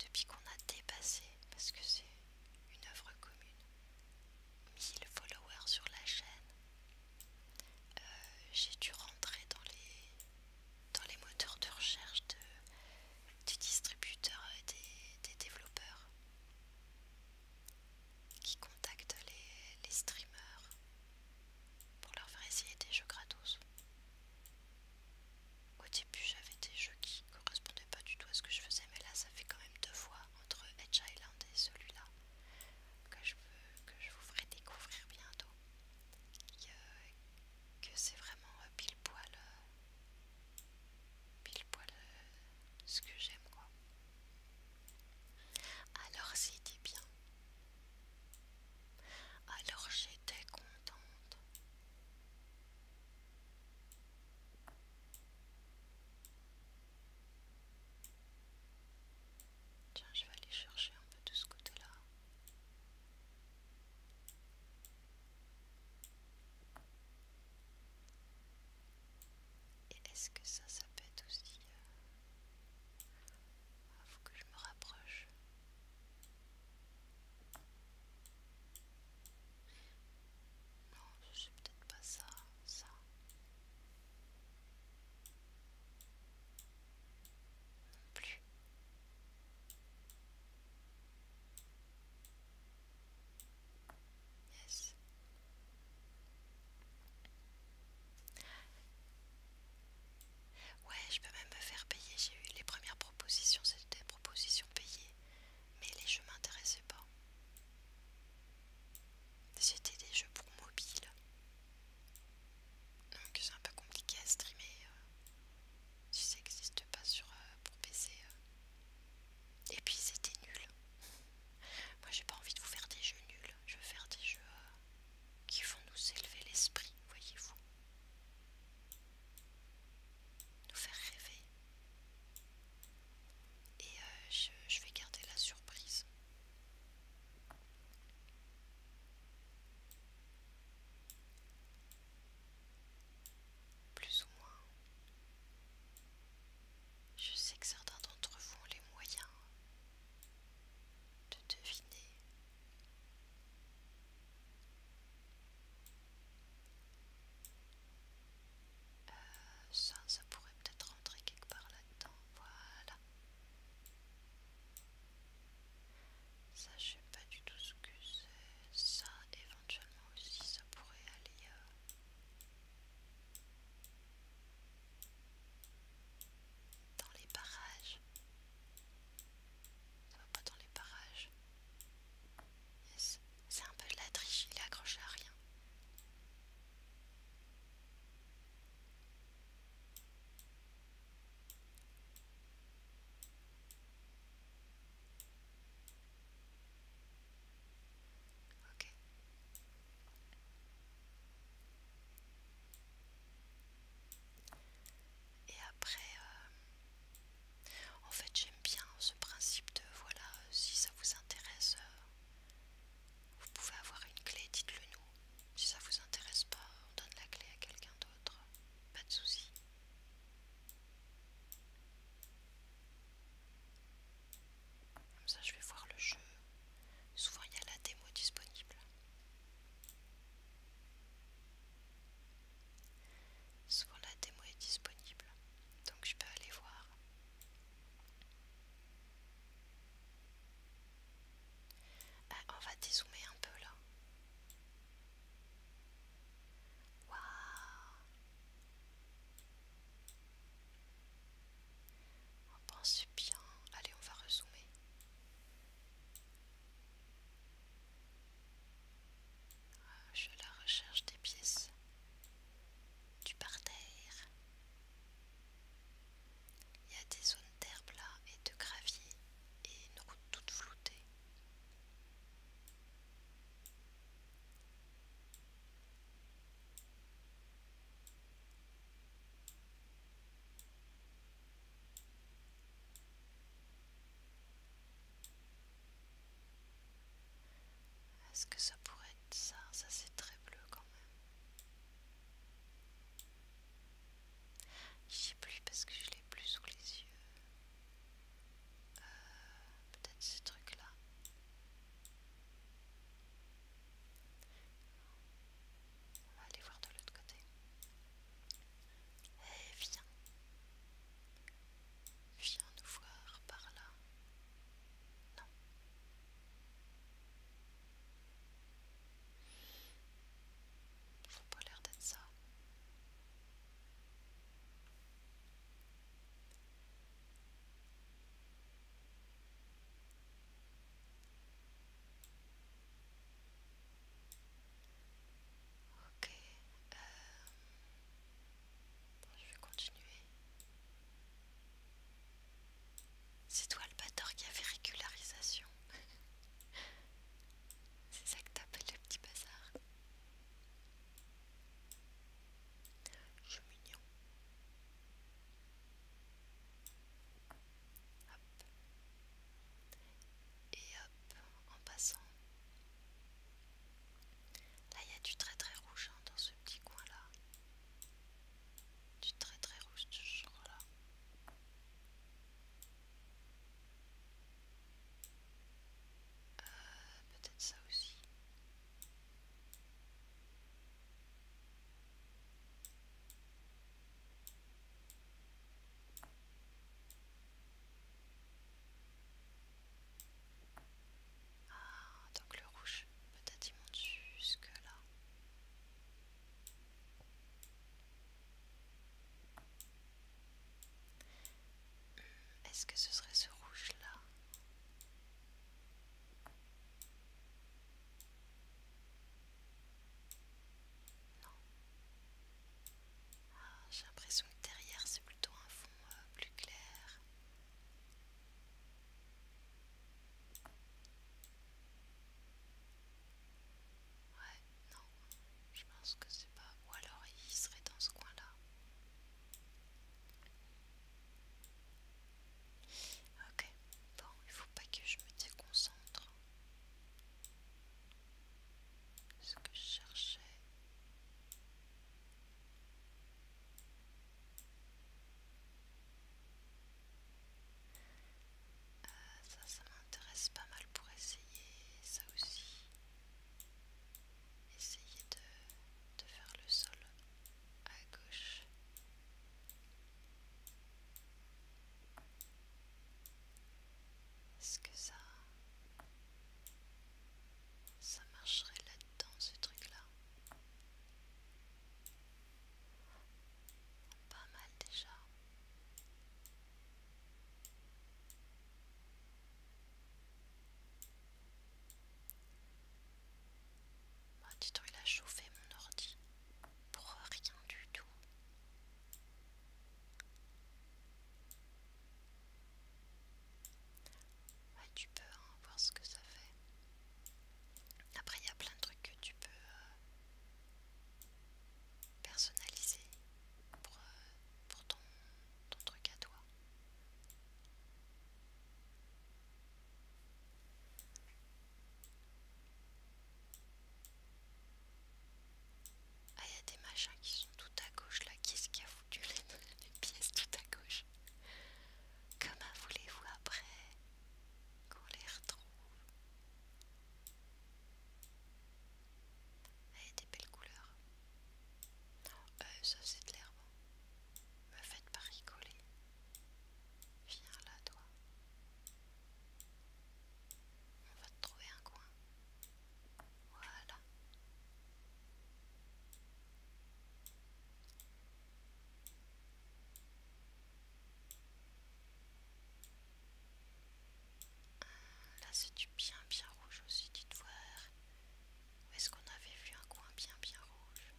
depuis qu'on a dépassé, parce que c'est une œuvre commune, 1000 followers sur la chaîne, euh, j'ai dû rentrer dans les, dans les moteurs de recherche de, distributeurs distributeur des développeurs qui contactent les, streamers pour leur faire essayer des jeux gratos. Au début, j'avais des jeux qui ne correspondaient pas du tout à ce que je faisais, mais là, ça fait quand même deux fois entre Edge Island et celui-là que je que je vous ferai découvrir bientôt. Euh, que c'est vraiment euh, pile poil, euh, pile poil ce que j'aime quoi. Alors c'était bien. Alors j'étais contente. Tiens, je vais aller chercher un peu de ce côté-là. Et est-ce que ça, ça peut aussi... Euh, ah, faut que je me rapproche. Non, c'est peut-être pas ça, ça. Non plus. Yes. Ouais, je peux même me faire payer. J'ai eu les premières propositions, c'était des propositions payées, mais les jeux m'intéressaient pas. C'était des jeux pour mobile, donc c'est un peu compliqué à streamer euh, si ça n'existe pas sur euh, pour PC. Euh. Et puis c'était nul. [laughs] Moi, j'ai pas envie de vous faire des jeux nuls je vais faire des jeux euh, qui vont nous élever l'esprit, voyez-vous. Nous faire rêver. Et euh, je, je vais garder la surprise. Plus ou moins. Je sais que certains d'entre vous ont les moyens de deviner euh, ça, ça pourrait peut-être rentrer quelque part là-dedans, voilà ça je sais pas du tout ce que c'est, ça éventuellement aussi ça pourrait aller euh, dans les barrages. Ça va pas dans les barrages. C'est un peu de la triche, il est accroché à rien. Ok. Et après, euh, en fait j'aime bien ce principe de voilà, euh, si ça vous intéresse, euh, vous pouvez avoir une clé, dites-le nous. Si ça vous intéresse pas, on donne la clé à quelqu'un d'autre, pas de souci. Comme ça, je vais voir le jeu. Souvent, il y a la démo disponible. Souvent, la démo est disponible. Donc, je peux aller voir. Ah, on va dézoomer un peu là. On pense bien. Allez, on va rezoomer. Euh, je la recherche des pièces du parterre. Il y a des zones d'herbe là et de gravier et une route toute floutée. Est-ce que ça pourrait être ça Ça c'est très bleu quand même. J'ai plus parce que je l'ai plus sous les yeux. Euh, peut-être ce truc là. On va aller voir de l'autre côté. Eh, viens. Viens nous voir par là. Non. Faut pas l'air d'être ça. Ok, euh, je vais continuer. C'est toi le bâtard qui a fait régularisation. [laughs] C'est ça que t'appelles le petit bazar. Je et hop, en passant. Là, il y a du très très rouge hein, dans ce petit coin-là. Du très très rouge de ce là euh, Peut-être ça aussi. Ah, donc le rouge, peut-être il monte jusque là. Hmm, est-ce que ce serait ce rouge là non. Ah, j'ai l'impression que derrière c'est plutôt un fond euh, plus clair. Ouais, non, je pense que c'est pas. Ou alors il serait dans ce coin-là. Ok, bon, il faut pas que je me déconcentre. Ce que je cherchais. Euh, ça, ça m'intéresse pas mal pour essayer ça aussi. Essayer de faire le sol à gauche. Est-ce que ça... Ça marcherait là-dedans, ce truc-là Pas mal déjà. Maldito, il a chauffé mon ordi pour rien du tout. tu peux hein, voir ce que ça fait. Après, il y a plein de trucs que tu peux euh, personnaliser pour, euh, pour ton truc à toi. Ah, y'a y a des machins qui sont tout à gauche là. Qu'est-ce qui a foutu [laughs] les, pièces tout à gauche Comment voulez-vous après qu'on les retrouve Ah eh, a des belles couleurs. Euh, ça c'est de l'herbe. Hein. Me faites pas rigoler. Viens là, toi. On va te trouver un coin. Voilà. Euh, là, c'est du bien, bien rouge aussi, tu te voir. Où est-ce qu'on avait vu un coin bien, bien rouge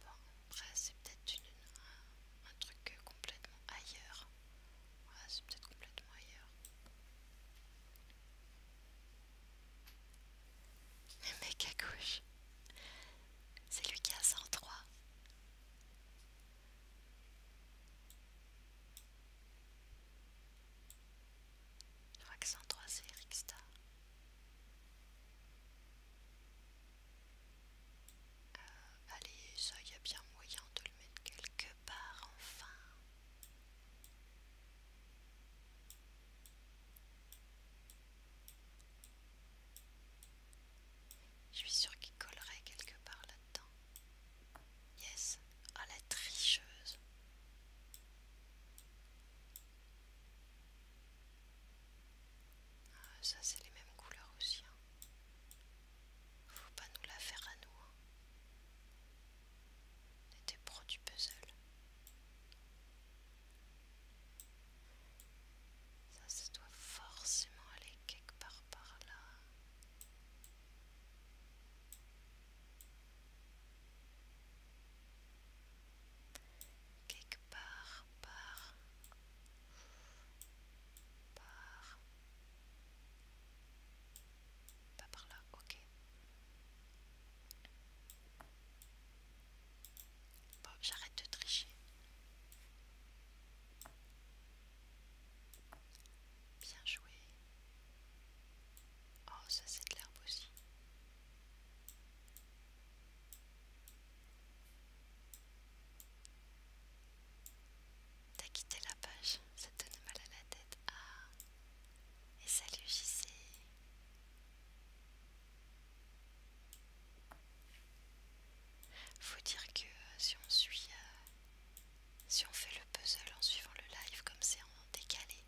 euh, c'est peut-être un truc complètement ailleurs. ouais c'est peut-être complètement ailleurs. Le mec à gauche, c'est lui qui a 103. Euh, allez, ça, il y a bien moyen de le mettre quelque part, enfin. Je suis sûre qu'il collerait quelque part là Yes. Ah, la tricheuse. Ah, ça, c'est les mêmes couleurs aussi. Hein. Faut pas nous la faire à nous. Hein. On était pro du puzzle. Ça, ça doit forcément aller quelque part par là. Quelque part, par, par, pas par là, ok. Bon, j'arrête de tricher. Bien joué. Oh, ça c'est de l'herbe aussi. T'as quitté la page, ça te donne mal à la tête. Ah, et salut JC. Faut dire que euh, si on suit euh, si on fait le puzzle en suivant le live comme c'est en décalé,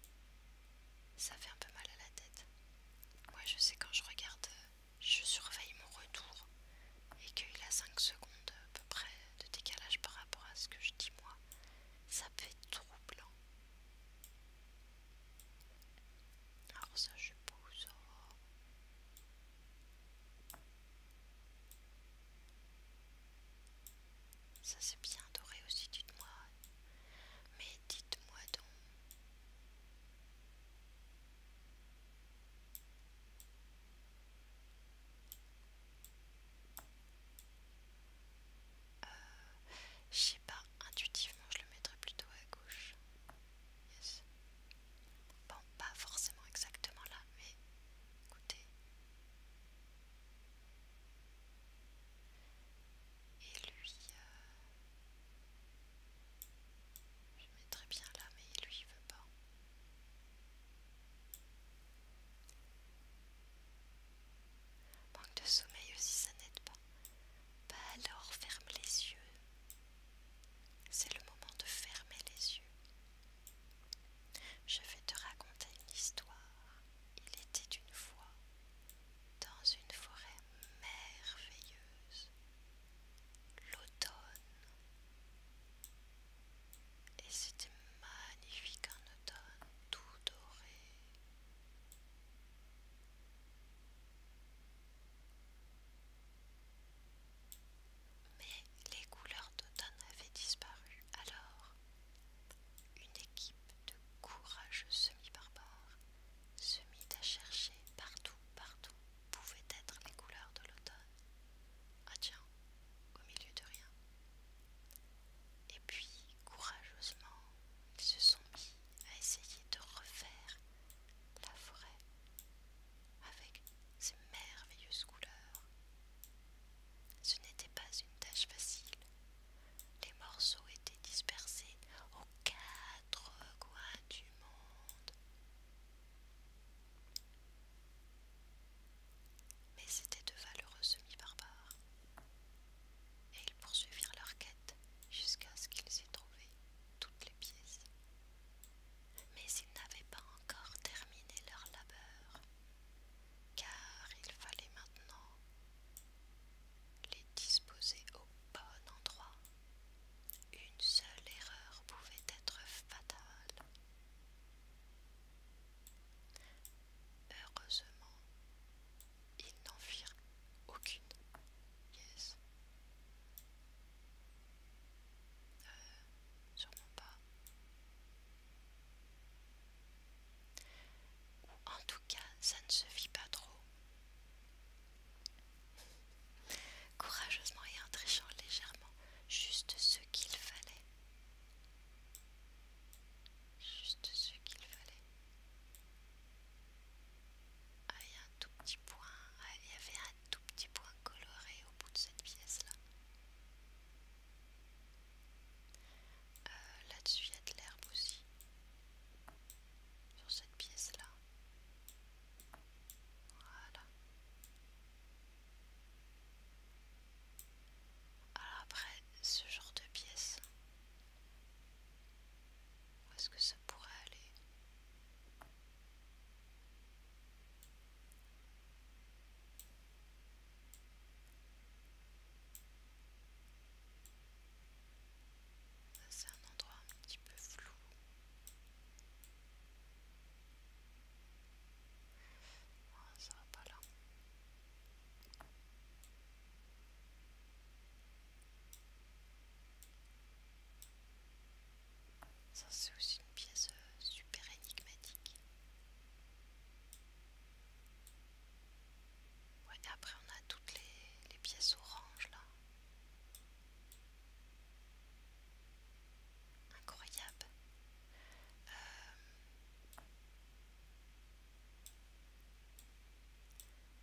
ça fait un peu mal à la tête. Moi je sais quand je regarde, euh, je surveille mon retour et qu'il a 5 secondes à peu près de décalage par rapport à ce que je dis moi. Ça peut être troublant. Alors ça je pose. Oh. Ça c'est bien doré aussi, dites-moi. Mais dites-moi donc. Euh, je sais pas, intuitivement je le mettrais plutôt à gauche. Yes. Bon, pas forcément exactement là, mais écoutez. Et lui, euh, je je très bien là, mais lui il veut pas. Manque de sommeil aussi, ça n'aide pas. Bah alors ferme les yeux. C'est le moment de fermer les yeux. Je vais te raconter une histoire. Il était une fois dans une forêt merveilleuse, l'automne. Et c'était magnifique en automne, tout doré mais les couleurs d'automne avaient disparu. Alors, une équipe de courageux semi-barbares se mit à chercher partout, partout pouvaient être les couleurs de l'automne. Ah tiens, au milieu de rien. Et puis, courageusement, ils se sont mis à essayer de refaire la forêt avec ces merveilleuses couleurs. Ce n'était pas une tâche facile. Les morceaux étaient dispersés aux quatre coins du monde. Mais c'était de valeureux semi-barbares, et ils poursuivirent leur quête jusqu'à ce qu'ils aient trouvé toutes les pièces. Mais ils n'avaient pas encore terminé leur labeur car il fallait maintenant les disposer au bon endroit. Une seule erreur pouvait être fatale. Heureusement, ils n'en firent aucune. Yes. Euh, sûrement pas. Ou en tout cas, ça ne se vit pas trop. Courageusement et en trichant légèrement, juste ce qu'il fallait. Juste ce qu'il fallait. Ah, un tout petit point. Ah, il y avait un tout petit point coloré au bout de cette pièce-là. Euh, là-dessus, il y a de l'herbe aussi. Sur cette pièce-là. Voilà. Alors après, ce genre de pièce, où est-ce que ça pourrait aller ah, c'est un endroit un petit peu flou. Ah, ça va pas là. Ça c'est aussi une pièce euh, super énigmatique après on a toutes les, pièces oranges là. Incroyable. Euh,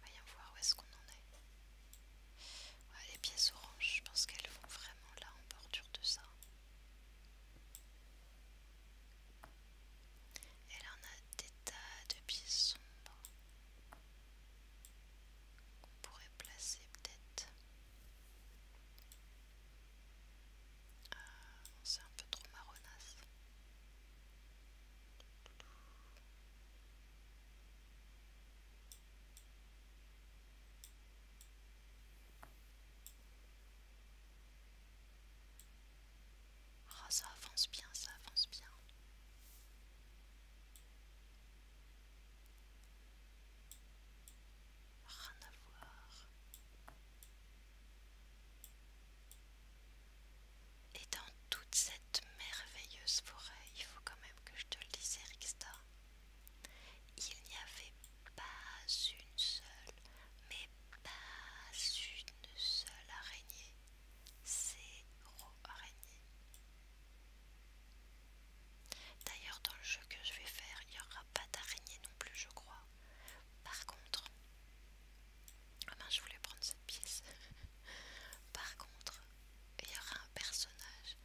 voyons voir où est-ce qu'on en est. les pièces oranges, je pense qu'elles vont vraiment là en bordure de ça. Elle en a des tas de pièces sombres qu'on pourrait placer peut-être. Euh, c'est un peu trop marronasse. Ah, ça avance bien, ça avance bien. Rien à voir. Et dans toute cette merveilleuse forêt, il faut quand même que je te le dise, Erixta, il n'y avait pas une seule, mais pas une seule araignée, c'est zéro araignée. D'ailleurs, dans le jeu que je vais faire, il n'y aura pas d'araignée non plus, je crois. Par contre, ah ben, je voulais prendre cette pièce. Par contre, il y aura un personnage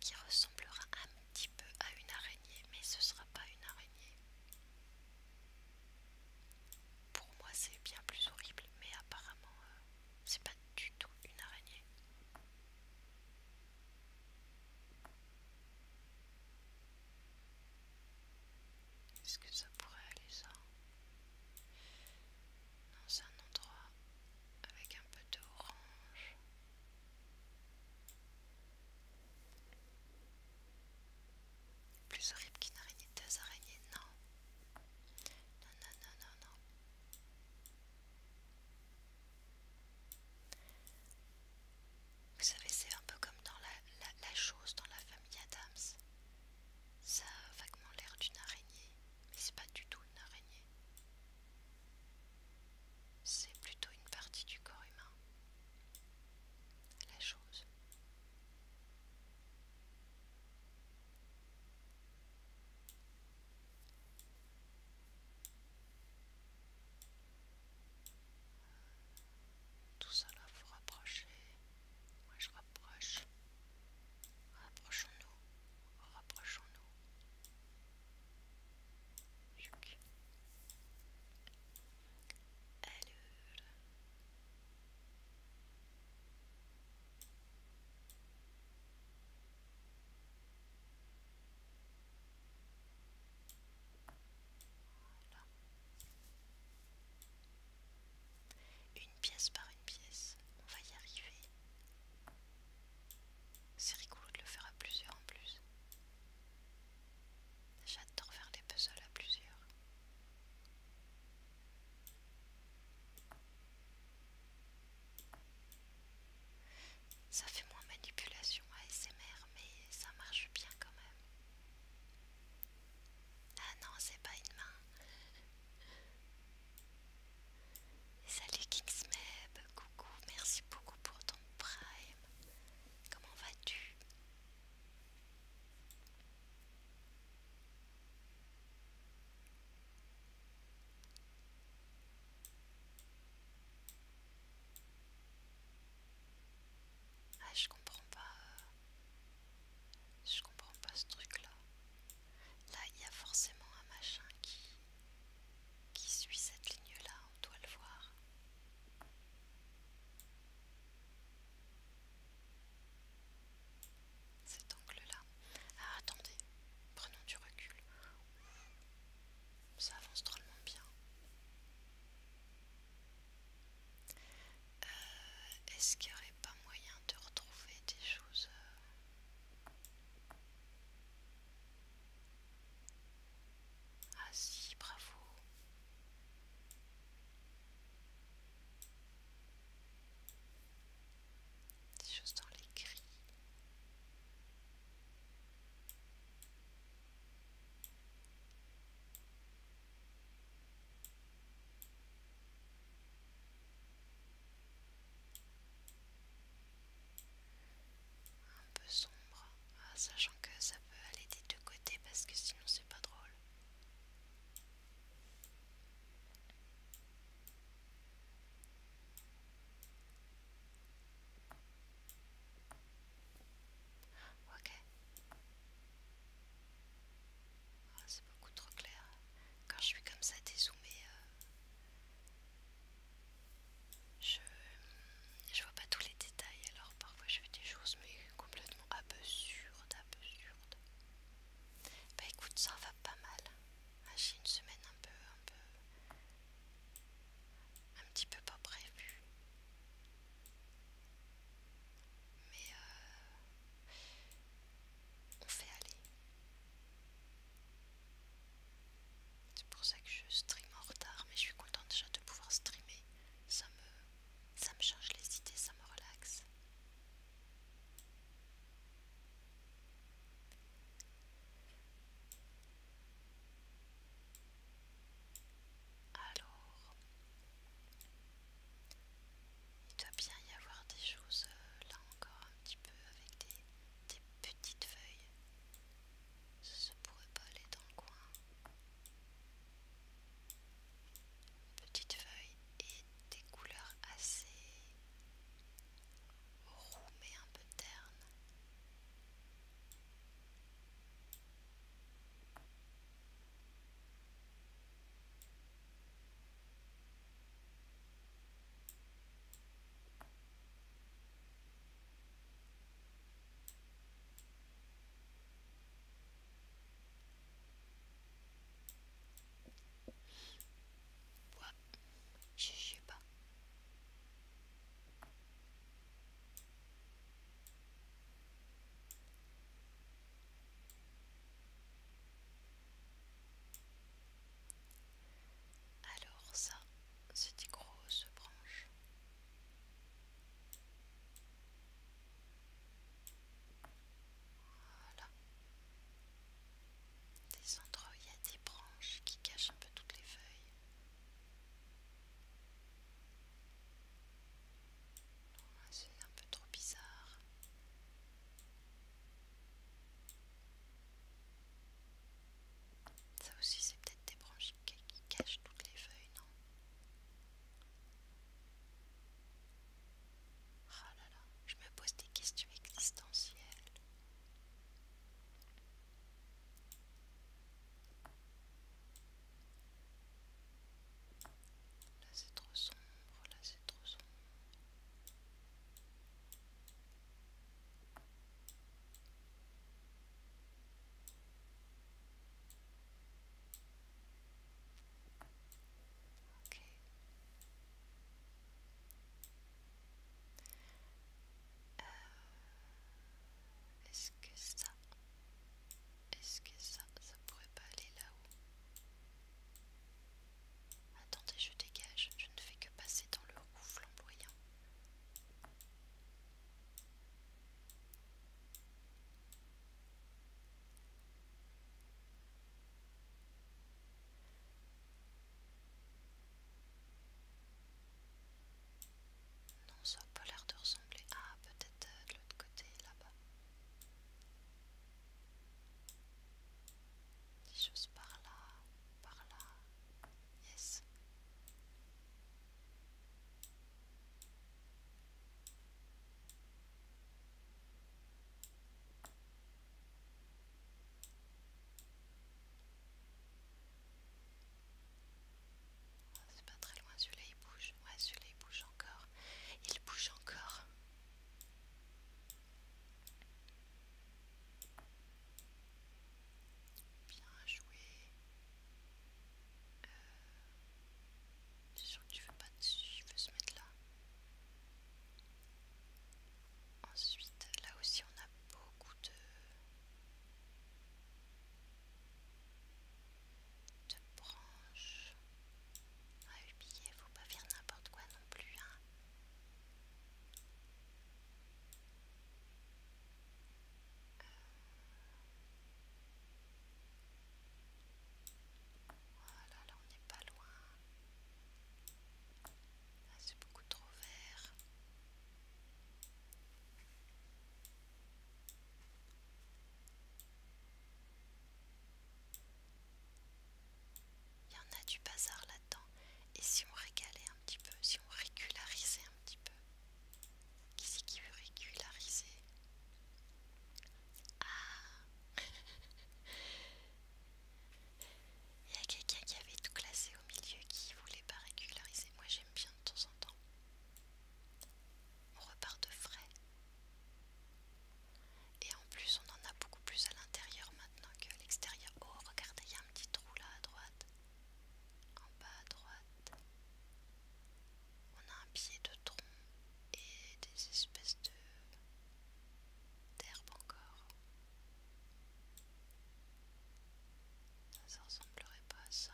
qui ressemblera à moi petit peu à une araignée, mais ce sera pas une araignée. Pour moi, c'est bien plus horrible, mais apparemment, euh, c'est pas du tout une araignée. Est-ce que ça pourrait aller ça Non, c'est un endroit avec un peu d'orange. Plus horrible qu'une araignée, deux araignées, non. Non, non, non, non, non. Vous savez, c'est un peu comme dans la, la chose dans la famille Adams. Ça a vaguement l'air d'une araignée, mais c'est pas du tout une araignée. C'est plutôt une partie du corps humain la chose. Tout cela vous rapprochez. Moi je rapproche. Rapprochons-nous. Rapprochons-nous. Une pièce par une pièce, on va y arriver. C'est rigolo de le faire à plusieurs en plus. J'adore faire des puzzles à plusieurs. Ça fait moins manipulation ASMR, mais ça marche bien quand même. Ah non, c'est pas une main. Salut Kingsmeb, coucou, merci beaucoup pour ton prime. Comment vas-tu ah, je comprends pas. Euh, je comprends pas ce truc-là. Là, il y a forcément un machin qui qui suit cette ligne-là, on doit le voir. Cet angle-là. Ah, attendez, prenons du recul. Ça avance drôlement bien. Euh, est-ce qu'il n'y aurait pas moyen de retrouver des choses euh, ah si, bravo. Des choses dans les gris un peu sombre, ah, sachant que ça peut aller des deux côtés parce que sinon c'est pas drôle. Ok. Ah, c'est beaucoup trop clair. Quand je suis comme ça dézoomé euh, je je vois pas tous les détails alors parfois je fais des choses mais complètement absurdes absurdes bah écoute ça va pas mal ah, j'ai une semaine un peu un peu un petit peu pas prévue mais euh, on fait aller c'est pour ça que je stream en retard, mais je suis contente déjà de pouvoir streamer ça me, ça me change les idées, ça me relaxe. Alors, il doit bien y avoir des choses euh, là encore un petit peu avec des, des petites feuilles. Ça ne pourrait pas aller dans le coin petites feuilles et des couleurs assez roux mais un peu ternes. Ouais, je sais pas. Alors ça, c'est des grosses branches. Voilà. Des endroits il y a des branches qui cachent un peu toutes les feuilles. C'est un peu trop bizarre. Ça aussi, c'est peut-être des branches qui cache toutes les feuilles, non Ah là là, je me pose des questions existentielles. Là c'est trop sombre, là c'est trop sombre. Euh, est-ce que ça... Est-ce que ça... Ça pourrait pas aller là-haut Attendez, je dégage. Je ne fais que passer dans le roux flamboyant. Non, ça n'a pas l'air de ressembler. à ah, peut-être euh, de l'autre côté, là-bas. Des choses par là, par là. Yes. Ah, c'est pas très loin, celui-là il bouge. Ouais, celui-là il bouge encore. Il bouge encore. Bien joué c'est euh, sûr que tu veux pas dessus, peux se mettre là. Ensuite, là aussi on a beaucoup de, de branches à ah, ne faut pas faire n'importe quoi non plus. Hein. Voilà, là on n'est pas loin. c'est beaucoup trop vert. Il y en a du bazar là-dedans. Et si on régalait un petit peu, si on régularisait un petit peu. Qui c'est qui veut régulariser Ah [laughs] Il y a quelqu'un qui avait tout classé au milieu qui voulait pas régulariser. Moi j'aime bien de temps en temps. On repart de frais. Et en plus on en a beaucoup plus à l'intérieur maintenant que l'extérieur. Oh regardez, il y a un petit trou là à droite. En bas à droite. On a un pied de tronc et des espèces de d'herbe encore. Ça ressemblerait pas à ça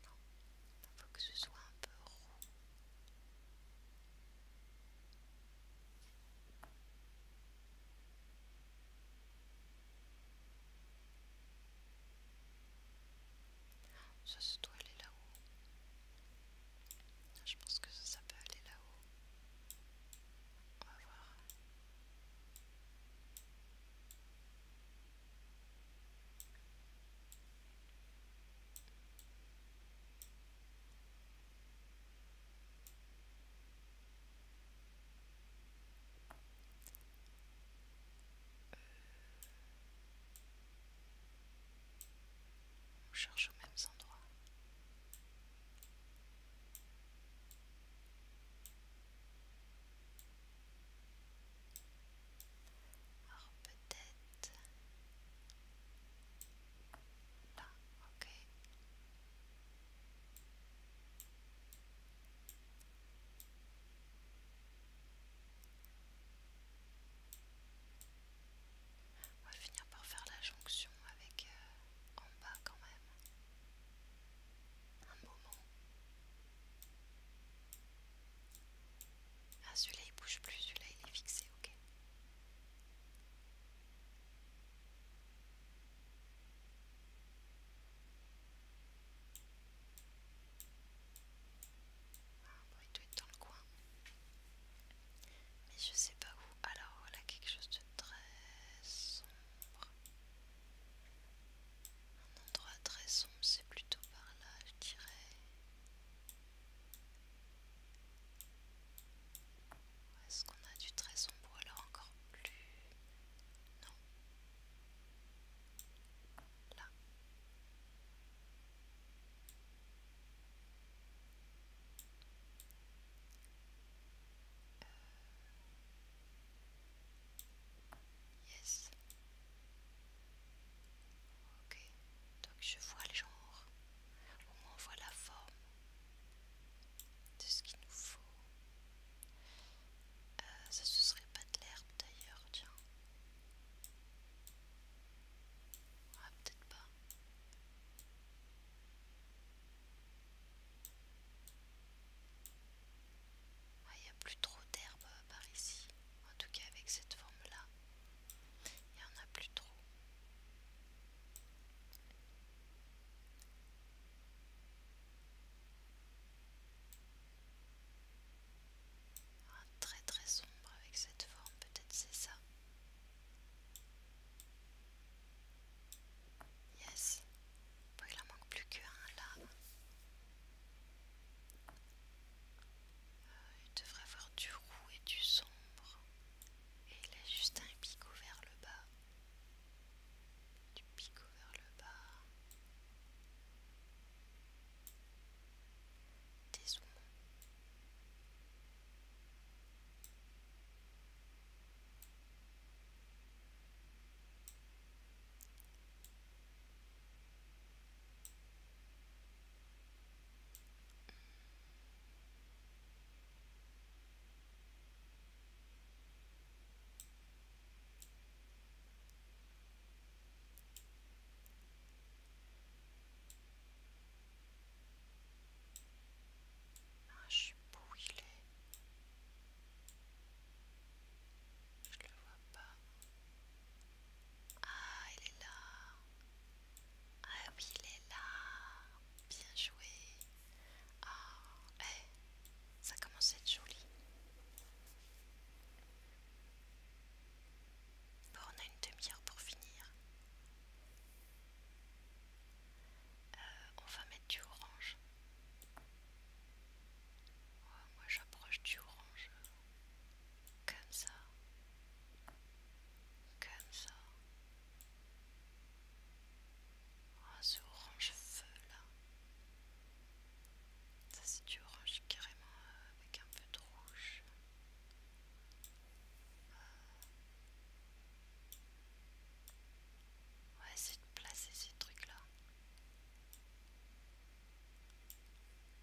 il faut que ce soit un peu rond Ça, se doit aller là-haut. Je pense que ça peut aller là-haut. On va voir. On cherche aux mêmes endroits peut-être là, ok. On va finir par faire la jonction avec euh, en bas quand même. Un moment. Ah celui-là il bouge plus, celui-là il est fixé, ok. Ah bon, il doit être dans le coin. Mais je sais pas où. Alors voilà quelque chose de très sombre. Un endroit très sombre, c'est plutôt par là, je dirais. Est-ce qu'on a du très sombre ou alors encore plus Non. Là. Euh. Yes. Ok, donc je vois le genre, au moins on voit la forme de ce qu'il nous faut. Euh, ça ce serait pas de l'herbe d'ailleurs, tiens. Ah, peut-être pas. Ah, il n'y a plus trop d'herbe euh, par ici, en tout cas avec cette forme-là. Il n'y en a plus trop. Ah, très très sombre avec cette forme, peut-être c'est ça. Yes, il en manque plus qu'un là. Euh, il devrait avoir du roux et du sombre. Et il a juste un picot vers le bas. Du picot vers le bas. des ombres. Ah, je sais pas où il est. Je le vois pas. Ah, il est là. Ah oui, il est là. Bien joué. Ah, eh, ça commence à être joli. Bon, on a une demi-heure pour finir. Euh, on va mettre du orange. moi j'approche du orange comme ça, comme ça. Oh, ce orange feu là. Ça c'est du orange carrément euh, avec un peu de rouge. Euh. Ouais, c'est de placer ces trucs là.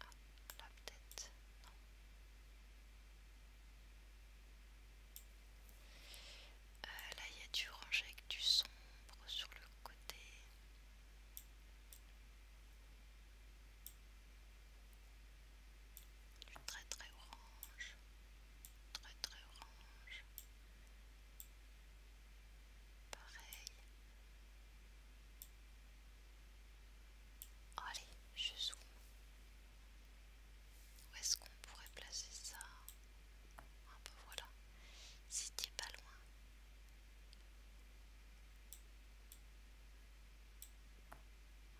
Ah, là peut non. Euh, là, il y a du orange avec du sombre sur le côté. Du très très orange. Très très orange. Pareil. Allez, je zoome. Où est-ce qu'on pourrait placer ça Un peu voilà. Si pas loin.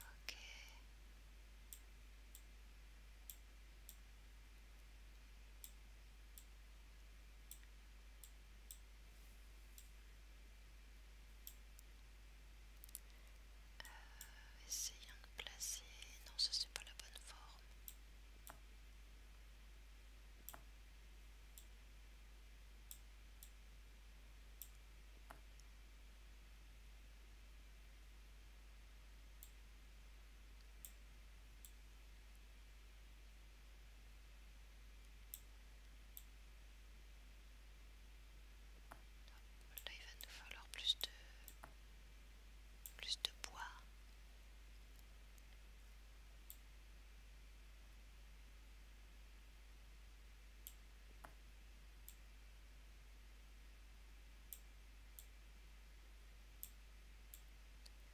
Ok. Euh, essayons de placer... Non, ça c'est pas la bonne forme. Là, il va nous falloir plus de plus de bois. Euh,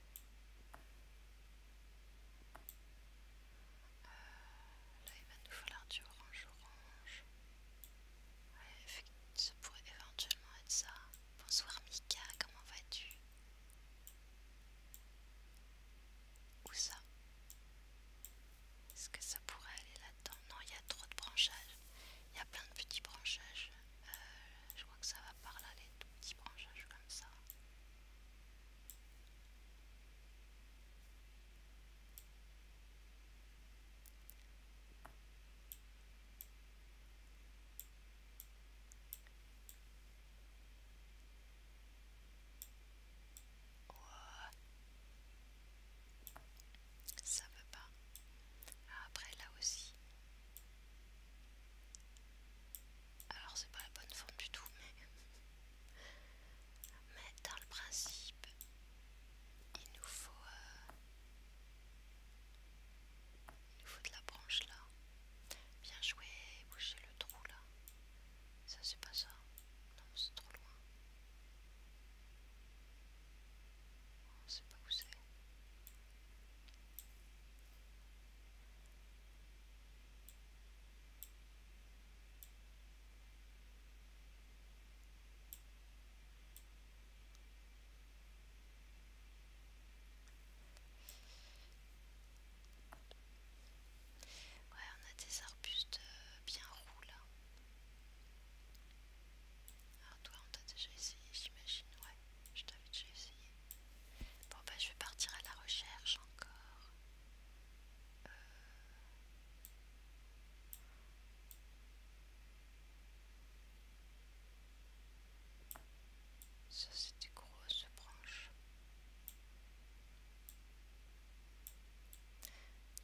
là, il va nous falloir du orange-orange. ça pourrait éventuellement être ça. Bonsoir Mika, comment vas-tu Où ça Est-ce que ça pourrait aller là-dedans Non, il y a trop de branchages. Il y a plein de petits branchages. Euh, je crois que ça va par là, les tout petits branchages comme ça. Ça veut pas. Ah, après là aussi. Alors c'est pas la bonne forme du tout, mais... Mais dans le principe, il nous faut... Euh, il nous faut de la branche là. Bien jouer boucher le trou là. Ça c'est pas ça. Non, c'est trop loin. On sait pas où c'est. Ouais, on a des arbustes euh, bien roux là. toi on t'a déjà essayé j'imagine, ouais, je t'avais déjà essayé. Bon ben je vais partir à la recherche encore. Euh. Ça c'est des grosses branches.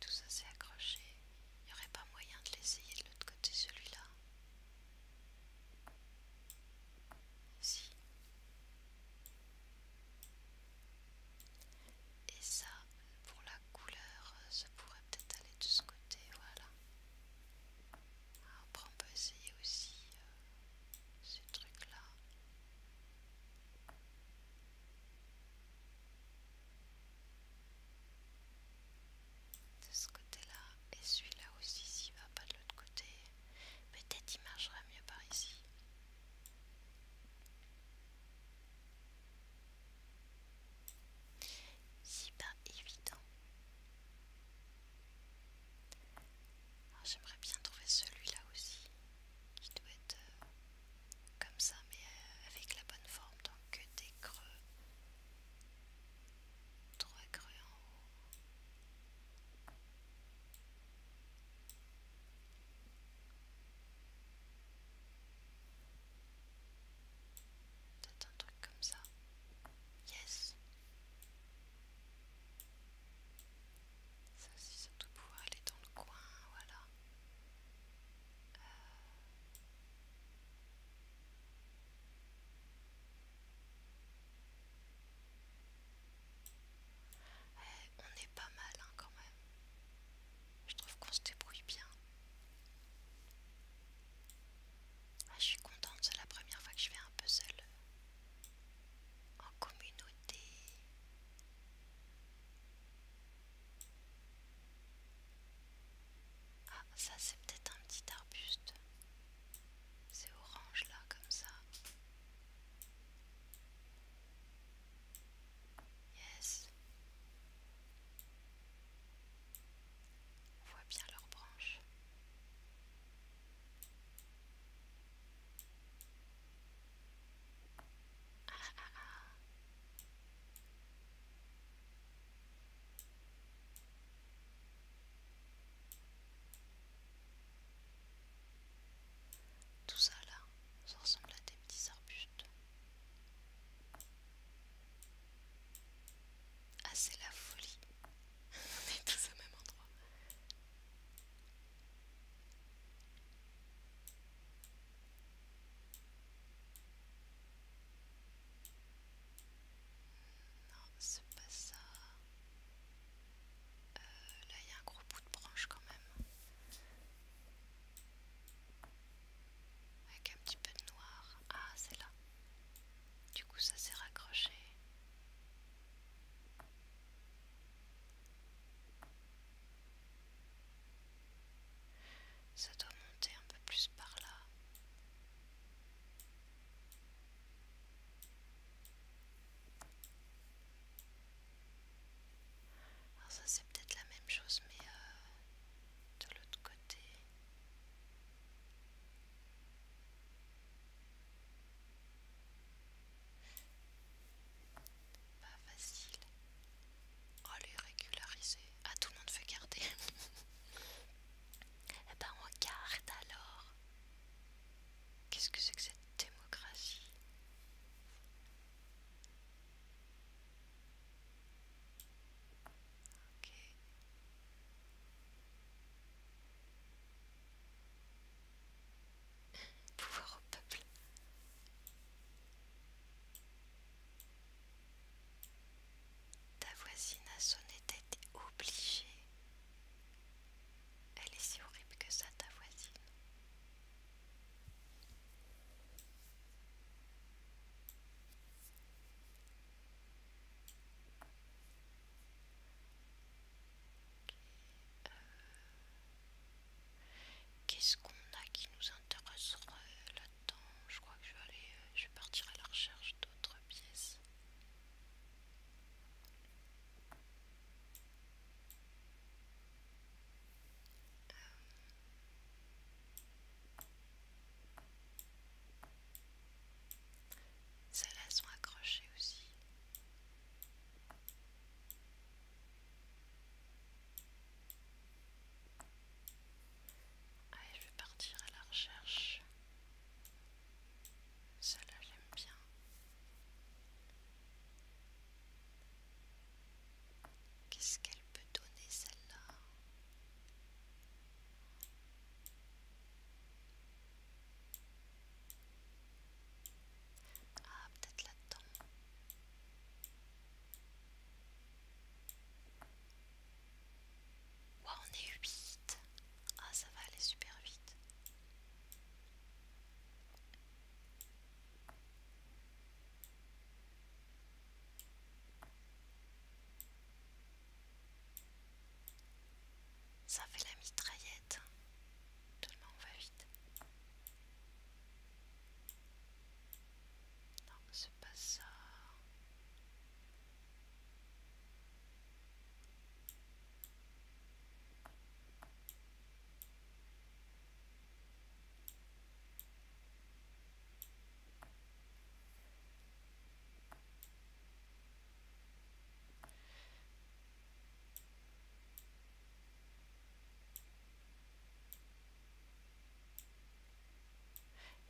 Tout ça s'est accroché. Il n'y aurait pas moyen de l'essayer de l'autre côté celui-là. Si. Et ça, pour la couleur, euh, ça pourrait peut-être aller de ce côté, voilà. Après, on peut essayer aussi euh, ce truc-là. De ce côté-là, et celui-là aussi, s'il va pas de l'autre côté. Peut-être il marchera mieux par ici. C'est pas évident. J'aimerais bien trouver celui-là aussi, qui doit être euh, comme ça, mais euh, avec la bonne forme, donc des creux. Trois creux en haut. Peut-être un truc comme ça. Yes. Ça aussi, ça pour pouvoir aller dans le coin, voilà. Euh on est pas mal hein, quand même. Je trouve qu'on se débrouille bien. Ah, je suis contente, c'est la première fois que je vais un puzzle euh, en communauté. Ah, ça c'est peut-être un petit arbuste. C'est orange là, comme ça. Yes. On voit bien leurs branches. Tout ça là, ça ressemble à des petits arbustes. Ah c'est la folie. [laughs] On tout au même endroit. Non, c'est pas ça. Euh, là, il y a un gros bout de branche quand même. Avec un petit peu de noir. Ah, c'est là. Du coup, ça s'est raccroché. Ça doit monter un peu plus par là. Alors ça c'est peut-être la même chose mais euh, de l'autre côté. Pas facile. Oh les régulariser. Ah tout le monde fait garder. [laughs] Eh ben on garde alors. Qu'est-ce que c'est que cette démocratie Pouvoir au peuple. Ta voisine a sonné été obligée. Elle est si horrible que ça, ta voisine. Euh, qu'est-ce qu'on a qui nous intéresserait euh, là-dedans Je crois que je vais aller, euh, je vais partir à la recherche d'autres pièces. Celles-là euh, sont accrochées aussi. Allez, je vais partir à la recherche. ça là j'aime bien. Qu'est-ce qu'elle peut donner celle-là Ah, peut-être là-dedans. on est 8. Ah, ça va aller super vite. Ça fait la mitraillette. le on va vite. Non, c'est pas ça.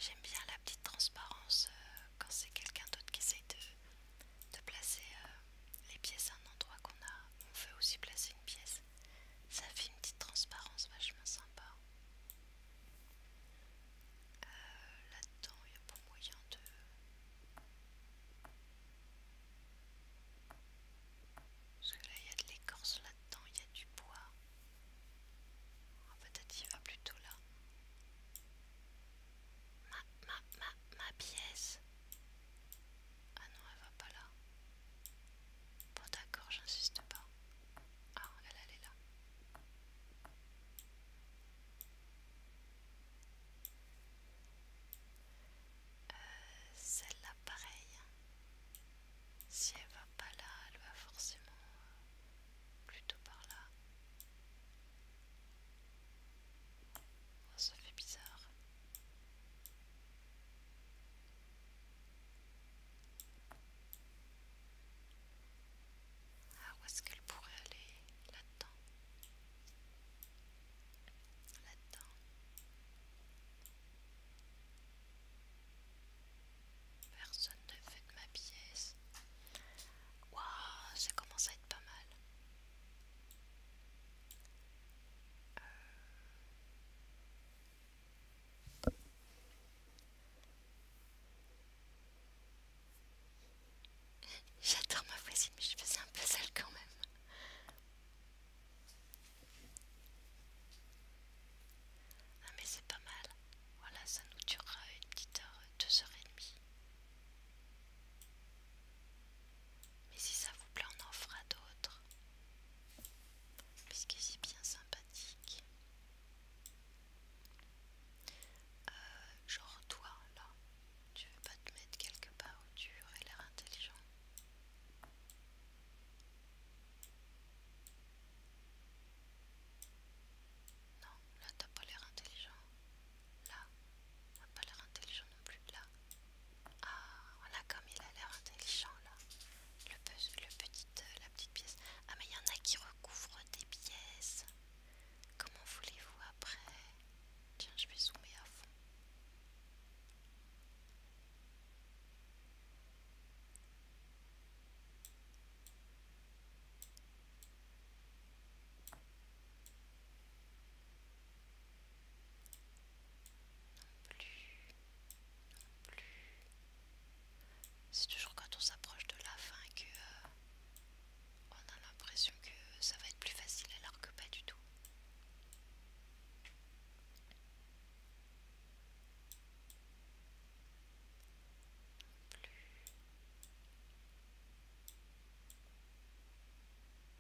J'aime bien la petite transparence euh, quand c'est quelqu'un d'autre qui sait de, de placer euh, les pièces à un endroit qu'on a. On veut aussi placer une pièce. Ça fait une petite transparence vachement sympa. Euh, là-dedans, il n'y a pas moyen de... Parce que là, il y a de l'écorce là-dedans, il y a du bois. Ah, peut-être il va plutôt là. Ma, ma, ma, ma pièce. Ah non, elle va pas là. Bon d'accord, j'insiste pas. Ah, elle, elle est là. Euh, celle-là, pareil. Si elle va pas là, elle va forcément euh, plutôt par là. Oh, ça fait bizarre. Ah, où est-ce qu'elle pourrait aller Là-dedans. Là-dedans. Personne ne fait de ma pièce. Waouh, ça commence à être pas mal. J'adore ma voisine, mais je faisais un puzzle quand même. Ah mais c'est pas mal. Voilà, ça nous durera une petite heure, deux heures et demie. Mais si ça vous plaît, on en fera d'autres. Puisque c'est bien sympathique. Euh, genre toi, là, tu veux pas te mettre quelque part où tu aurais l'air intelligent Non, là t'as pas l'air intelligent. Là, t'as pas l'air intelligent non plus. Là, ah, voilà comme il a l'air intelligent là. Le, petit, euh, la petite pièce. Ah mais il y en a qui recouvrent des pièces. Comment voulez-vous après Tiens, je vais zoomer à fond plus. plus. C'est toujours quand on s'approche de la fin que euh, on a l'impression que ça va être plus facile alors que pas du tout. plus.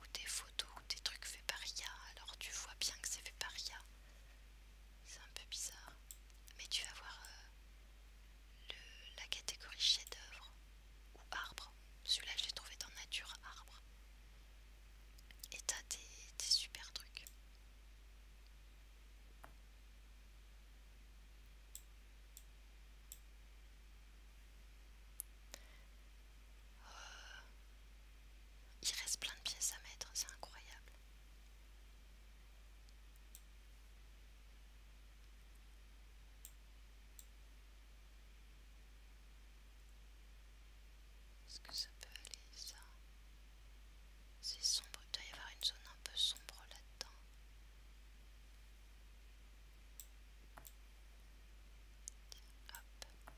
ou des photos ou des trucs faits par IA, alors tu vois bien que c'est fait par IA. C'est un peu bizarre. Mais tu vas voir euh, la catégorie chef-d'œuvre ou arbre. Celui-là, je l'ai trouvé dans Nature Arbre. Et t'as des super trucs. Euh, il reste plein de pièces à mettre, c'est incroyable. Est-ce que ça peut aller ça C'est sombre, il doit y avoir une zone un peu sombre là-dedans. Hop. Hop.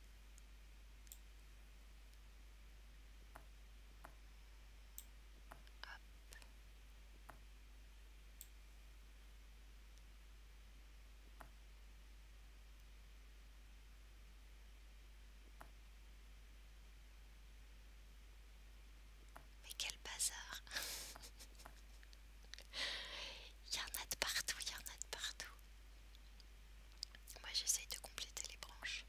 Mais quel bazar [laughs] Il y en a de partout, il y en a de partout. Moi j'essaye de compléter les branches.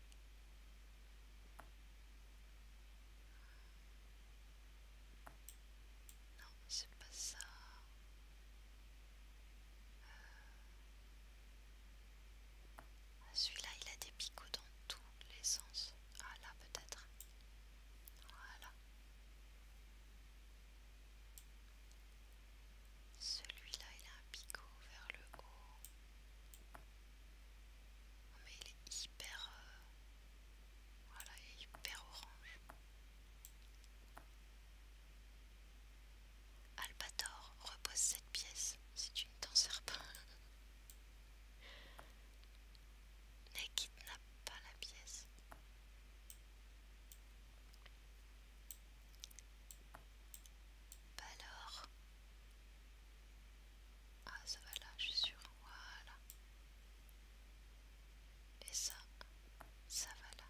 Non, c'est pas ça. Euh, ah, celui-là, il a des picots dans tous les sens. Ah là, peut-être. Voilà. Celui-là, il a un picot vers le haut. Oh, mais il est hyper. Euh, voilà, il est hyper orange. Albator, repose cette pièce c'est une ne serpent. [laughs] ne kidnappe pas la pièce alors. Ah, ça va là, je suis sûre. Voilà. Et ça, ça va là.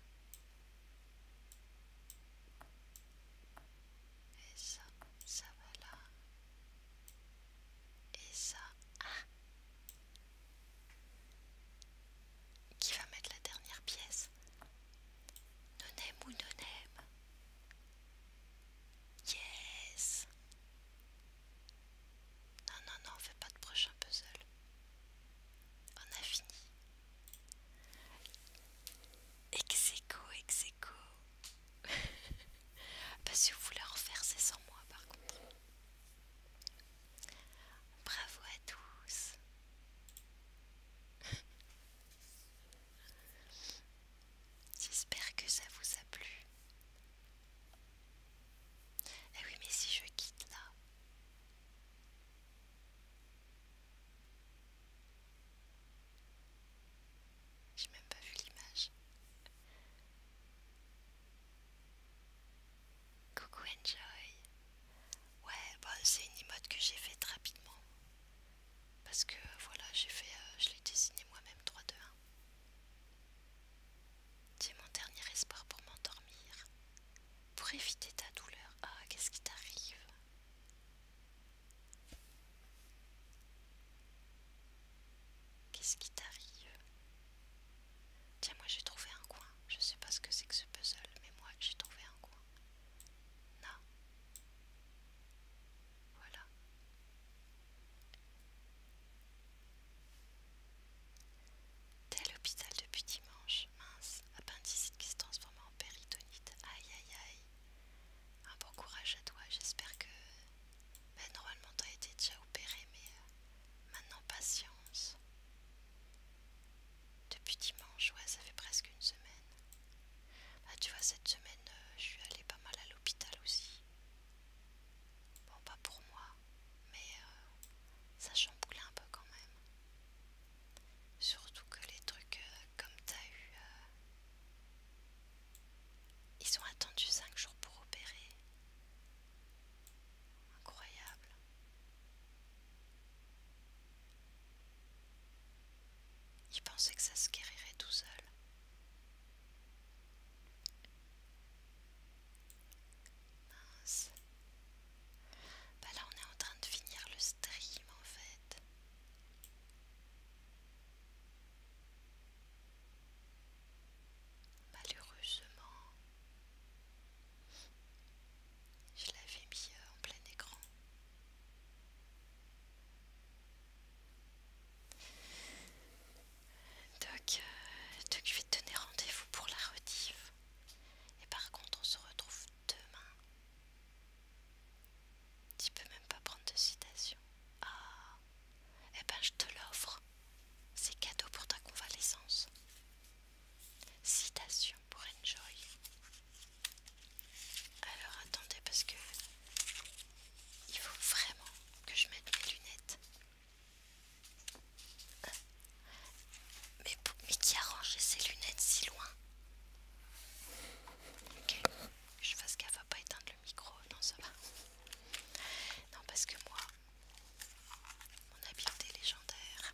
Et ça, ça va là. Et ça, ah Qui va mettre la dernière pièce Nonem ou nonem Yes Non, non, non, on fait pas de prochain puzzle. On a fini. Execo, execo. [laughs] bah si vous voulez en refaire, c'est sans moi par contre. Bravo à tous J'espère que ça vous a plu. Eh oui, mais si je quitte là. J'ai même pas vu l'image. Coucou Enjoy. Ouais, bah c'est une emote que j'ai faite rapidement. Parce que voilà, j'ai fait, euh, je l'ai dessiné moi-même 3-2-1. C'est mon dernier espoir pour m'endormir. Pour éviter ta douleur. Ah, qu'est-ce qui t'arrive Qu'est-ce qui t'arrive Tiens, moi j'ai trouvé un coin. Je sais pas ce que c'est que ce puzzle, mais moi j'ai trouvé un coin. Non. Voilà. T'es à l'hôpital depuis dimanche, mince, appendicite qui se transforme en péritonite, aïe aïe aïe. Un bon courage à toi, j'espère que... Ben normalement t'as été déjà opéré, mais euh, maintenant patience. Depuis dimanche, ouais, ça fait presque une semaine. Bah, tu vois, cette semaine, euh, je suis allée pas mal à l'hôpital aussi. Bon, pas pour moi, mais euh, ça chamboulait un peu quand même. Surtout que les trucs euh, comme t'as eu. ils ont attendu 5 jours pour opérer. Incroyable. Il pensait que ça se guérirait tout seul. Bah là on est en train de finir le stream en fait. Malheureusement. Je l'avais mis euh, en plein écran. Donc, euh, je vais te donner rendez-vous pour la rediff. Et par contre, on se retrouve demain. Tu peux même pas prendre de citation. Ah, eh ben je te l'offre. C'est cadeau pour ta convalescence. Citation pour Enjoy. Alors attendez parce que il faut vraiment que je mette mes lunettes. Mais, qui a rangé ses lunettes si loin Ok, je fasse qu'elle va pas éteindre le micro, non ça va. Non parce que moi, mon habileté légendaire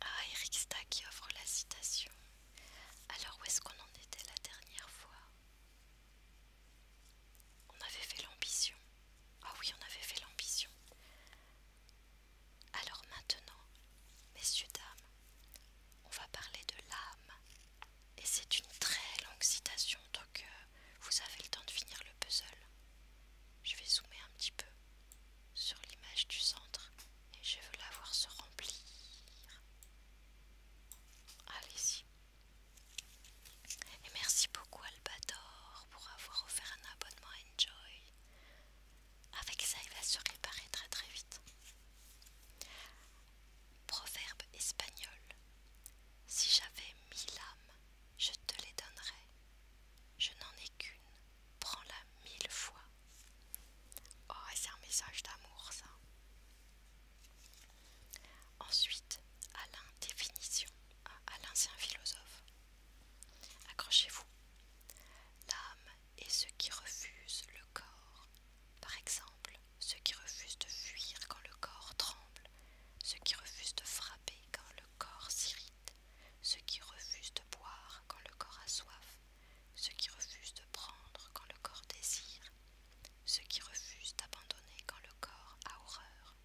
ah, Eric Sta qui offre la citation. Alors, où est-ce qu'on en était la dernière fois On avait fait l'ambition. Ah oui, on avait fait l'ambition. Alors maintenant, messieurs, dames, on va parler de l'âme. Et c'est une très longue citation, donc euh, vous avez le temps de finir le puzzle. Je vais zoomer un petit peu sur l'image du centre et je veux la voir se remplir. Allez-y. Et merci beaucoup albador pour avoir offert un abonnement à Enjoy. Avec ça, il va se réparer très très vite. Proverbe espagnol. Si j'avais mille âmes, je te les donnerais. Je n'en ai qu'une prends-la mille fois. Oh, c'est un message d'amour, ça. Ensuite, Alain, définition. Alain, c'est un philosophe. Accrochez-vous. L'âme est ce qui refuse le corps. Par exemple, ce qui refuse de fuir quand le corps tremble, Ce qui refuse de frapper quand le corps s'irrite, ceux qui refusent de boire quand le corps a soif, ceux qui refusent de prendre quand le corps désire, ceux qui refusent d'abandonner quand le corps a horreur.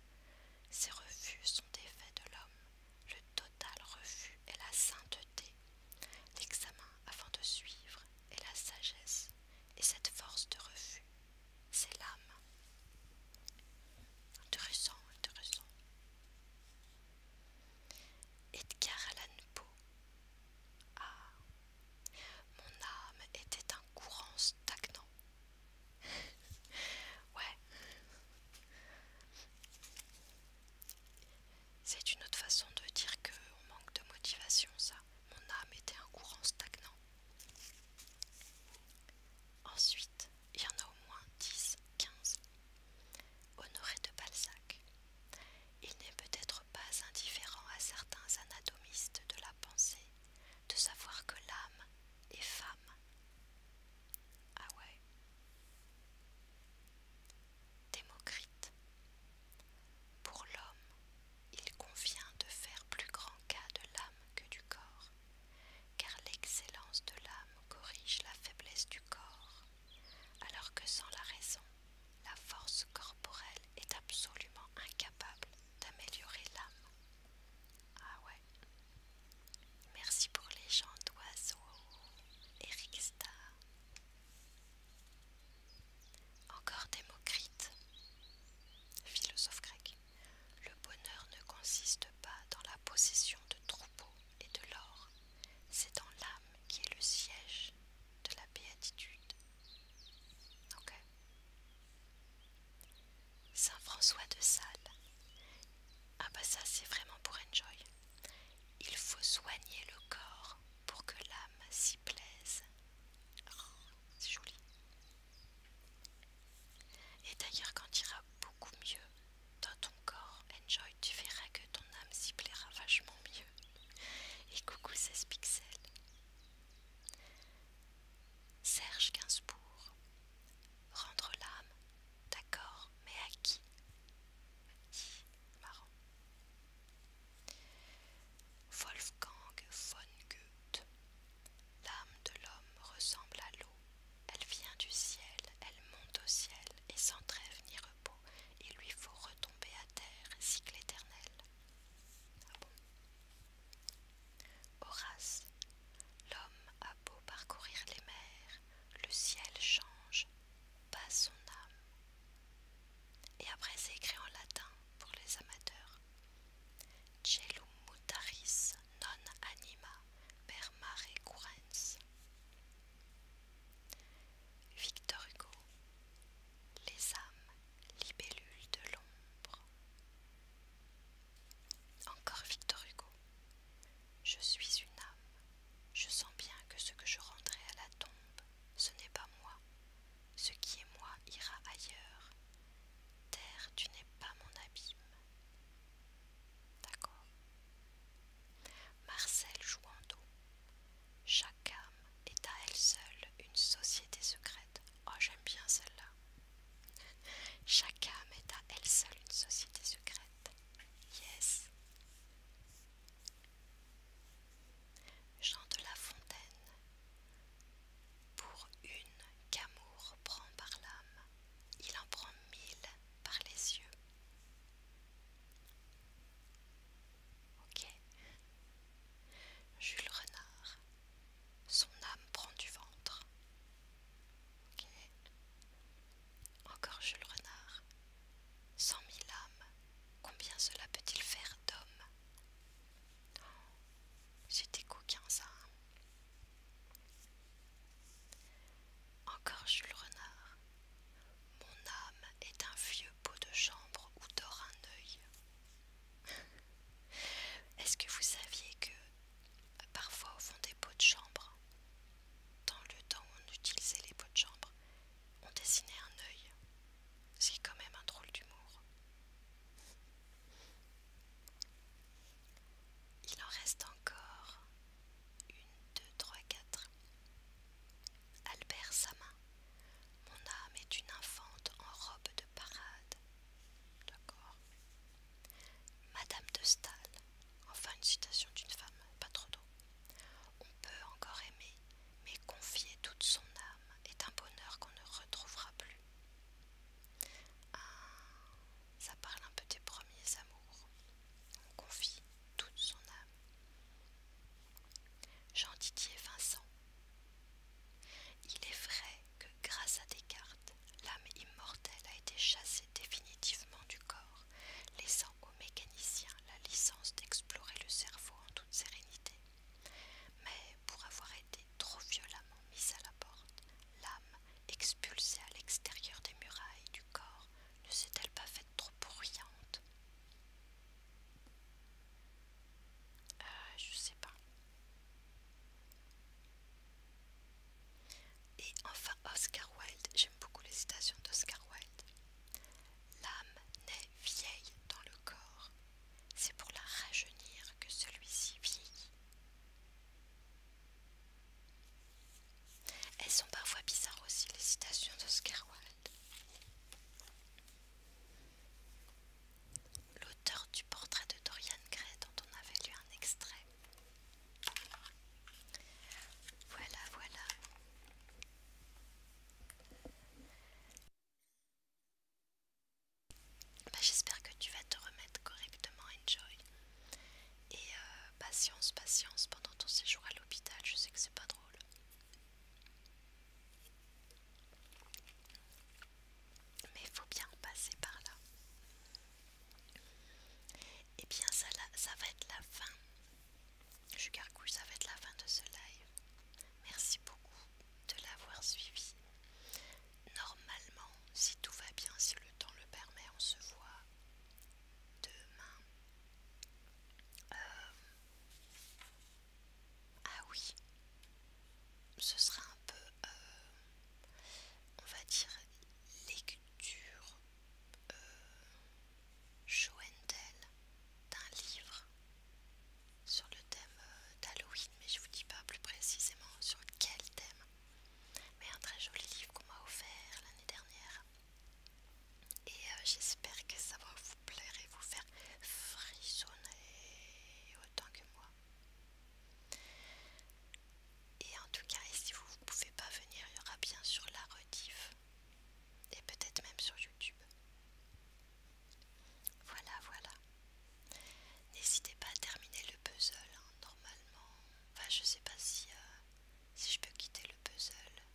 Ces refus sont des faits de l'homme, le total refus est la sainteté, l'examen avant de suivre est la sagesse, et cette force de refus, c'est l'âme. Intéressant, intéressant. Edgar Allan Poe. Ah, mon âme était un courant stagnant. [laughs] ouais. C'est une autre façon de dire qu'on manque de motivation, ça. Mon âme était un courant stagnant. Ensuite, il y en a au moins 10, 15. Honoré de Balzac. Il n'est peut-être pas indifférent à certains anatomistes de la pensée de savoir que l'âme est femme. Ah ouais. Démocrite. Pour l'homme, il convient de faire plus grand cas de l'âme que du corps car l'excellence de l'âme corrige la faiblesse du corps, alors que sans la raison, la force corporelle est absolument incapable d'améliorer l'âme. Ah ouais. Merci pour les chants d'oiseaux, Eric Star. Encore Démocrite, philosophe grec. Le bonheur ne consiste pas dans la possession de troupeaux, et de l'or, c'est dans l'âme qui est le siège de la béatitude. Saint François de Sales. Ah bah ça c'est vraiment pour enjoy. Il faut soigner le corps pour que l'âme s'y plaise. c'est joli. Et d'ailleurs quand il ira beaucoup mieux, dans ton corps, enjoy, tu verras que ton âme s'y plaira vachement mieux. Et coucou 16 pixels. Serge Gainsbourg. Rendre l'âme, d'accord, mais à qui Marrant. Wolfgang von Goethe. L'âme de l'homme ressemble à l'eau elle vient du ciel, elle monte au ciel, et sans trêve ni repos, il lui faut retomber à terre, cycle éternel. Ah Horace, l'homme a beau parcourir les mers, le ciel change, pas son âme. Et après c'est écrit en latin pour les amateurs. mutaris non anima per mare currens. Victor Hugo Les âmes libellules de l'ombre. Encore Victor Hugo Je suis une âme. Je sens bien que ce que je rendrai à la tombe, ce n'est pas moi. Ce qui est moi ira ailleurs. Terre, tu n'es pas mon abîme. D'accord. Marcel Jouando. Chaque âme est à elle seule une société secrète. Oh, j'aime bien celle-là. Chaque âme est à elle seule une société secrète. Yes. Jean de La Fontaine. Pour une qu'amour prend par l'âme, il en prend mille par les yeux. Jules Renard. Son âme prend du ventre. Encore Jules Renard. Cent mille âmes. Combien cela peut-il faire d'hommes oh, C'était coquin ça. Hein. Encore Jules Renard. Mon âme est un vieux pot de chambre où dort un œil. [laughs] Est-ce que vous saviez que parfois au fond des pots de chambre, dans le temps où on utilisait les pots de chambre, on dessinait un œil C'est quand même un drôle d'humour. Il en reste encore une, deux, trois, quatre. Albert Samin. Mon âme est une infante en robe de parade. D'accord. Madame de Stahl. Enfin une citation d'une femme, pas trop d'eau On peut encore aimer, mais confier toute son âme est un bonheur qu'on ne retrouvera plus. Ça parle un peu des premiers amours. On confie toute son âme. Jean Didier Vincent. Il est vrai que grâce à Descartes, l'âme immortelle a été chassée définitivement du corps, laissant aux mécaniciens la licence d'explorer le cerveau en toute sérénité. Mais pour avoir été trop violemment mise à la porte, l'âme expulsée à l'extérieur des murailles du corps ne s'est-elle pas faite trop bruyante Je euh, Je sais pas. Et enfin, Oscar Wilde. J'aime beaucoup les citations d'Oscar Wilde. L'âme naît vieille dans le corps. C'est pour la rajeunir que celui-ci vieillit. Elles sont parfois bizarres aussi, les citations d'Oscar Wilde. L'auteur du portrait de Dorian Gray dont on avait lu un extrait. Voilà, voilà. Bah, j'espère que tu vas te remettre correctement, Enjoy. Et euh, patience, patience pendant ton séjour à l'hôpital, je sais que c'est pas drôle. Mais il faut bien passer par là. Eh bien ça, ça va être la fin. Je gargouille, ça va être la fin de ce live. Merci beaucoup de l'avoir suivi. Normalement, si tout va bien, si le temps le permet, on se voit demain. Euh, ah oui, ce sera un peu, euh, on va dire, lecture euh, d'un livre sur le thème euh, d'Halloween, mais je vous dis pas plus précisément sur quel thème. Mais un très joli livre qu'on m'a offert l'année dernière et euh, j'espère que ça va vous plaire et vous faire frissonner autant que moi. Et en tout cas, si vous ne pouvez pas venir, il y aura bien sur la rediff. Et peut-être même sur YouTube. Voilà, voilà. N'hésitez pas à terminer le puzzle. Hein, normalement, enfin, je sais pas si euh, si je peux quitter le puzzle.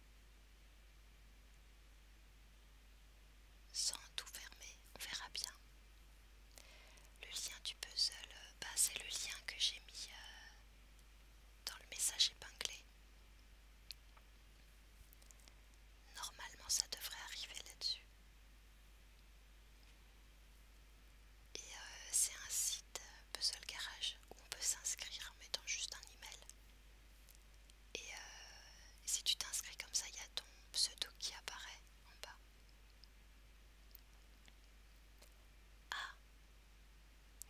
Sans tout fermer, on verra bien. Le lien du puzzle, bah c'est le lien que j'ai mis euh, dans le message épinglé. Normalement ça devrait arriver là-dessus. Et euh, c'est un site euh, Puzzle Garage on peut s'inscrire en mettant juste un email. Euh, et si tu t'inscris comme ça, il y a ton pseudo qui apparaît en bas. Ah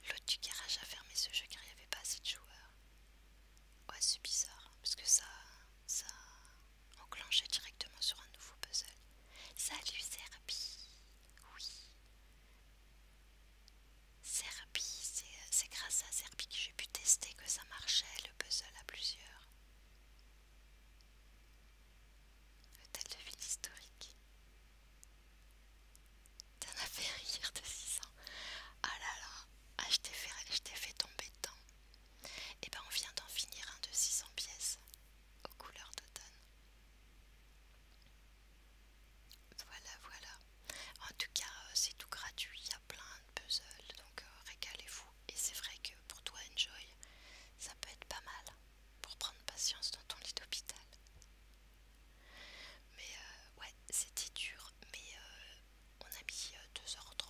L'autre du garage a fermé ce jeu car il n'y avait pas assez de joueurs. Ouais, c'est bizarre, hein, parce que ça, ça enclenchait directement sur un nouveau puzzle. Salut Serbi Oui Serbi, euh, c'est grâce à Serbi que j'ai pu tester que ça marchait le puzzle à plusieurs. Hôtel de ville historique. T'en as fait rire de 600. Ah là là, ah, je t'ai fait, fait tomber dedans. Et eh ben on vient d'en finir un de 600 pièces aux couleurs d'automne. Voilà, voilà. En tout cas, euh, c'est tout gratuit, il y a plein de puzzles, donc euh, régalez-vous. Et c'est vrai que pour toi, Enjoy, ça peut être pas mal pour prendre patience dans ton lit d'hôpital. Mais euh, ouais, c'était dur, mais on a mis 2h30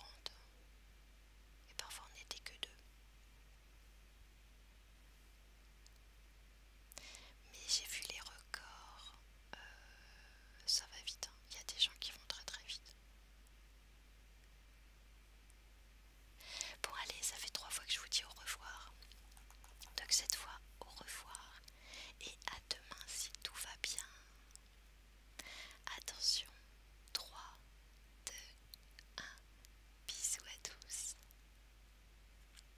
et parfois on n'était que deux. Mais j'ai vu les records, euh, ça va vite, hein. il y a des gens qui vont très très vite. Bon allez, ça fait trois fois que je vous dis au revoir. Donc cette fois, au revoir et à demain si tout va bien. Attention, 3, 2, 1, bisous à tous.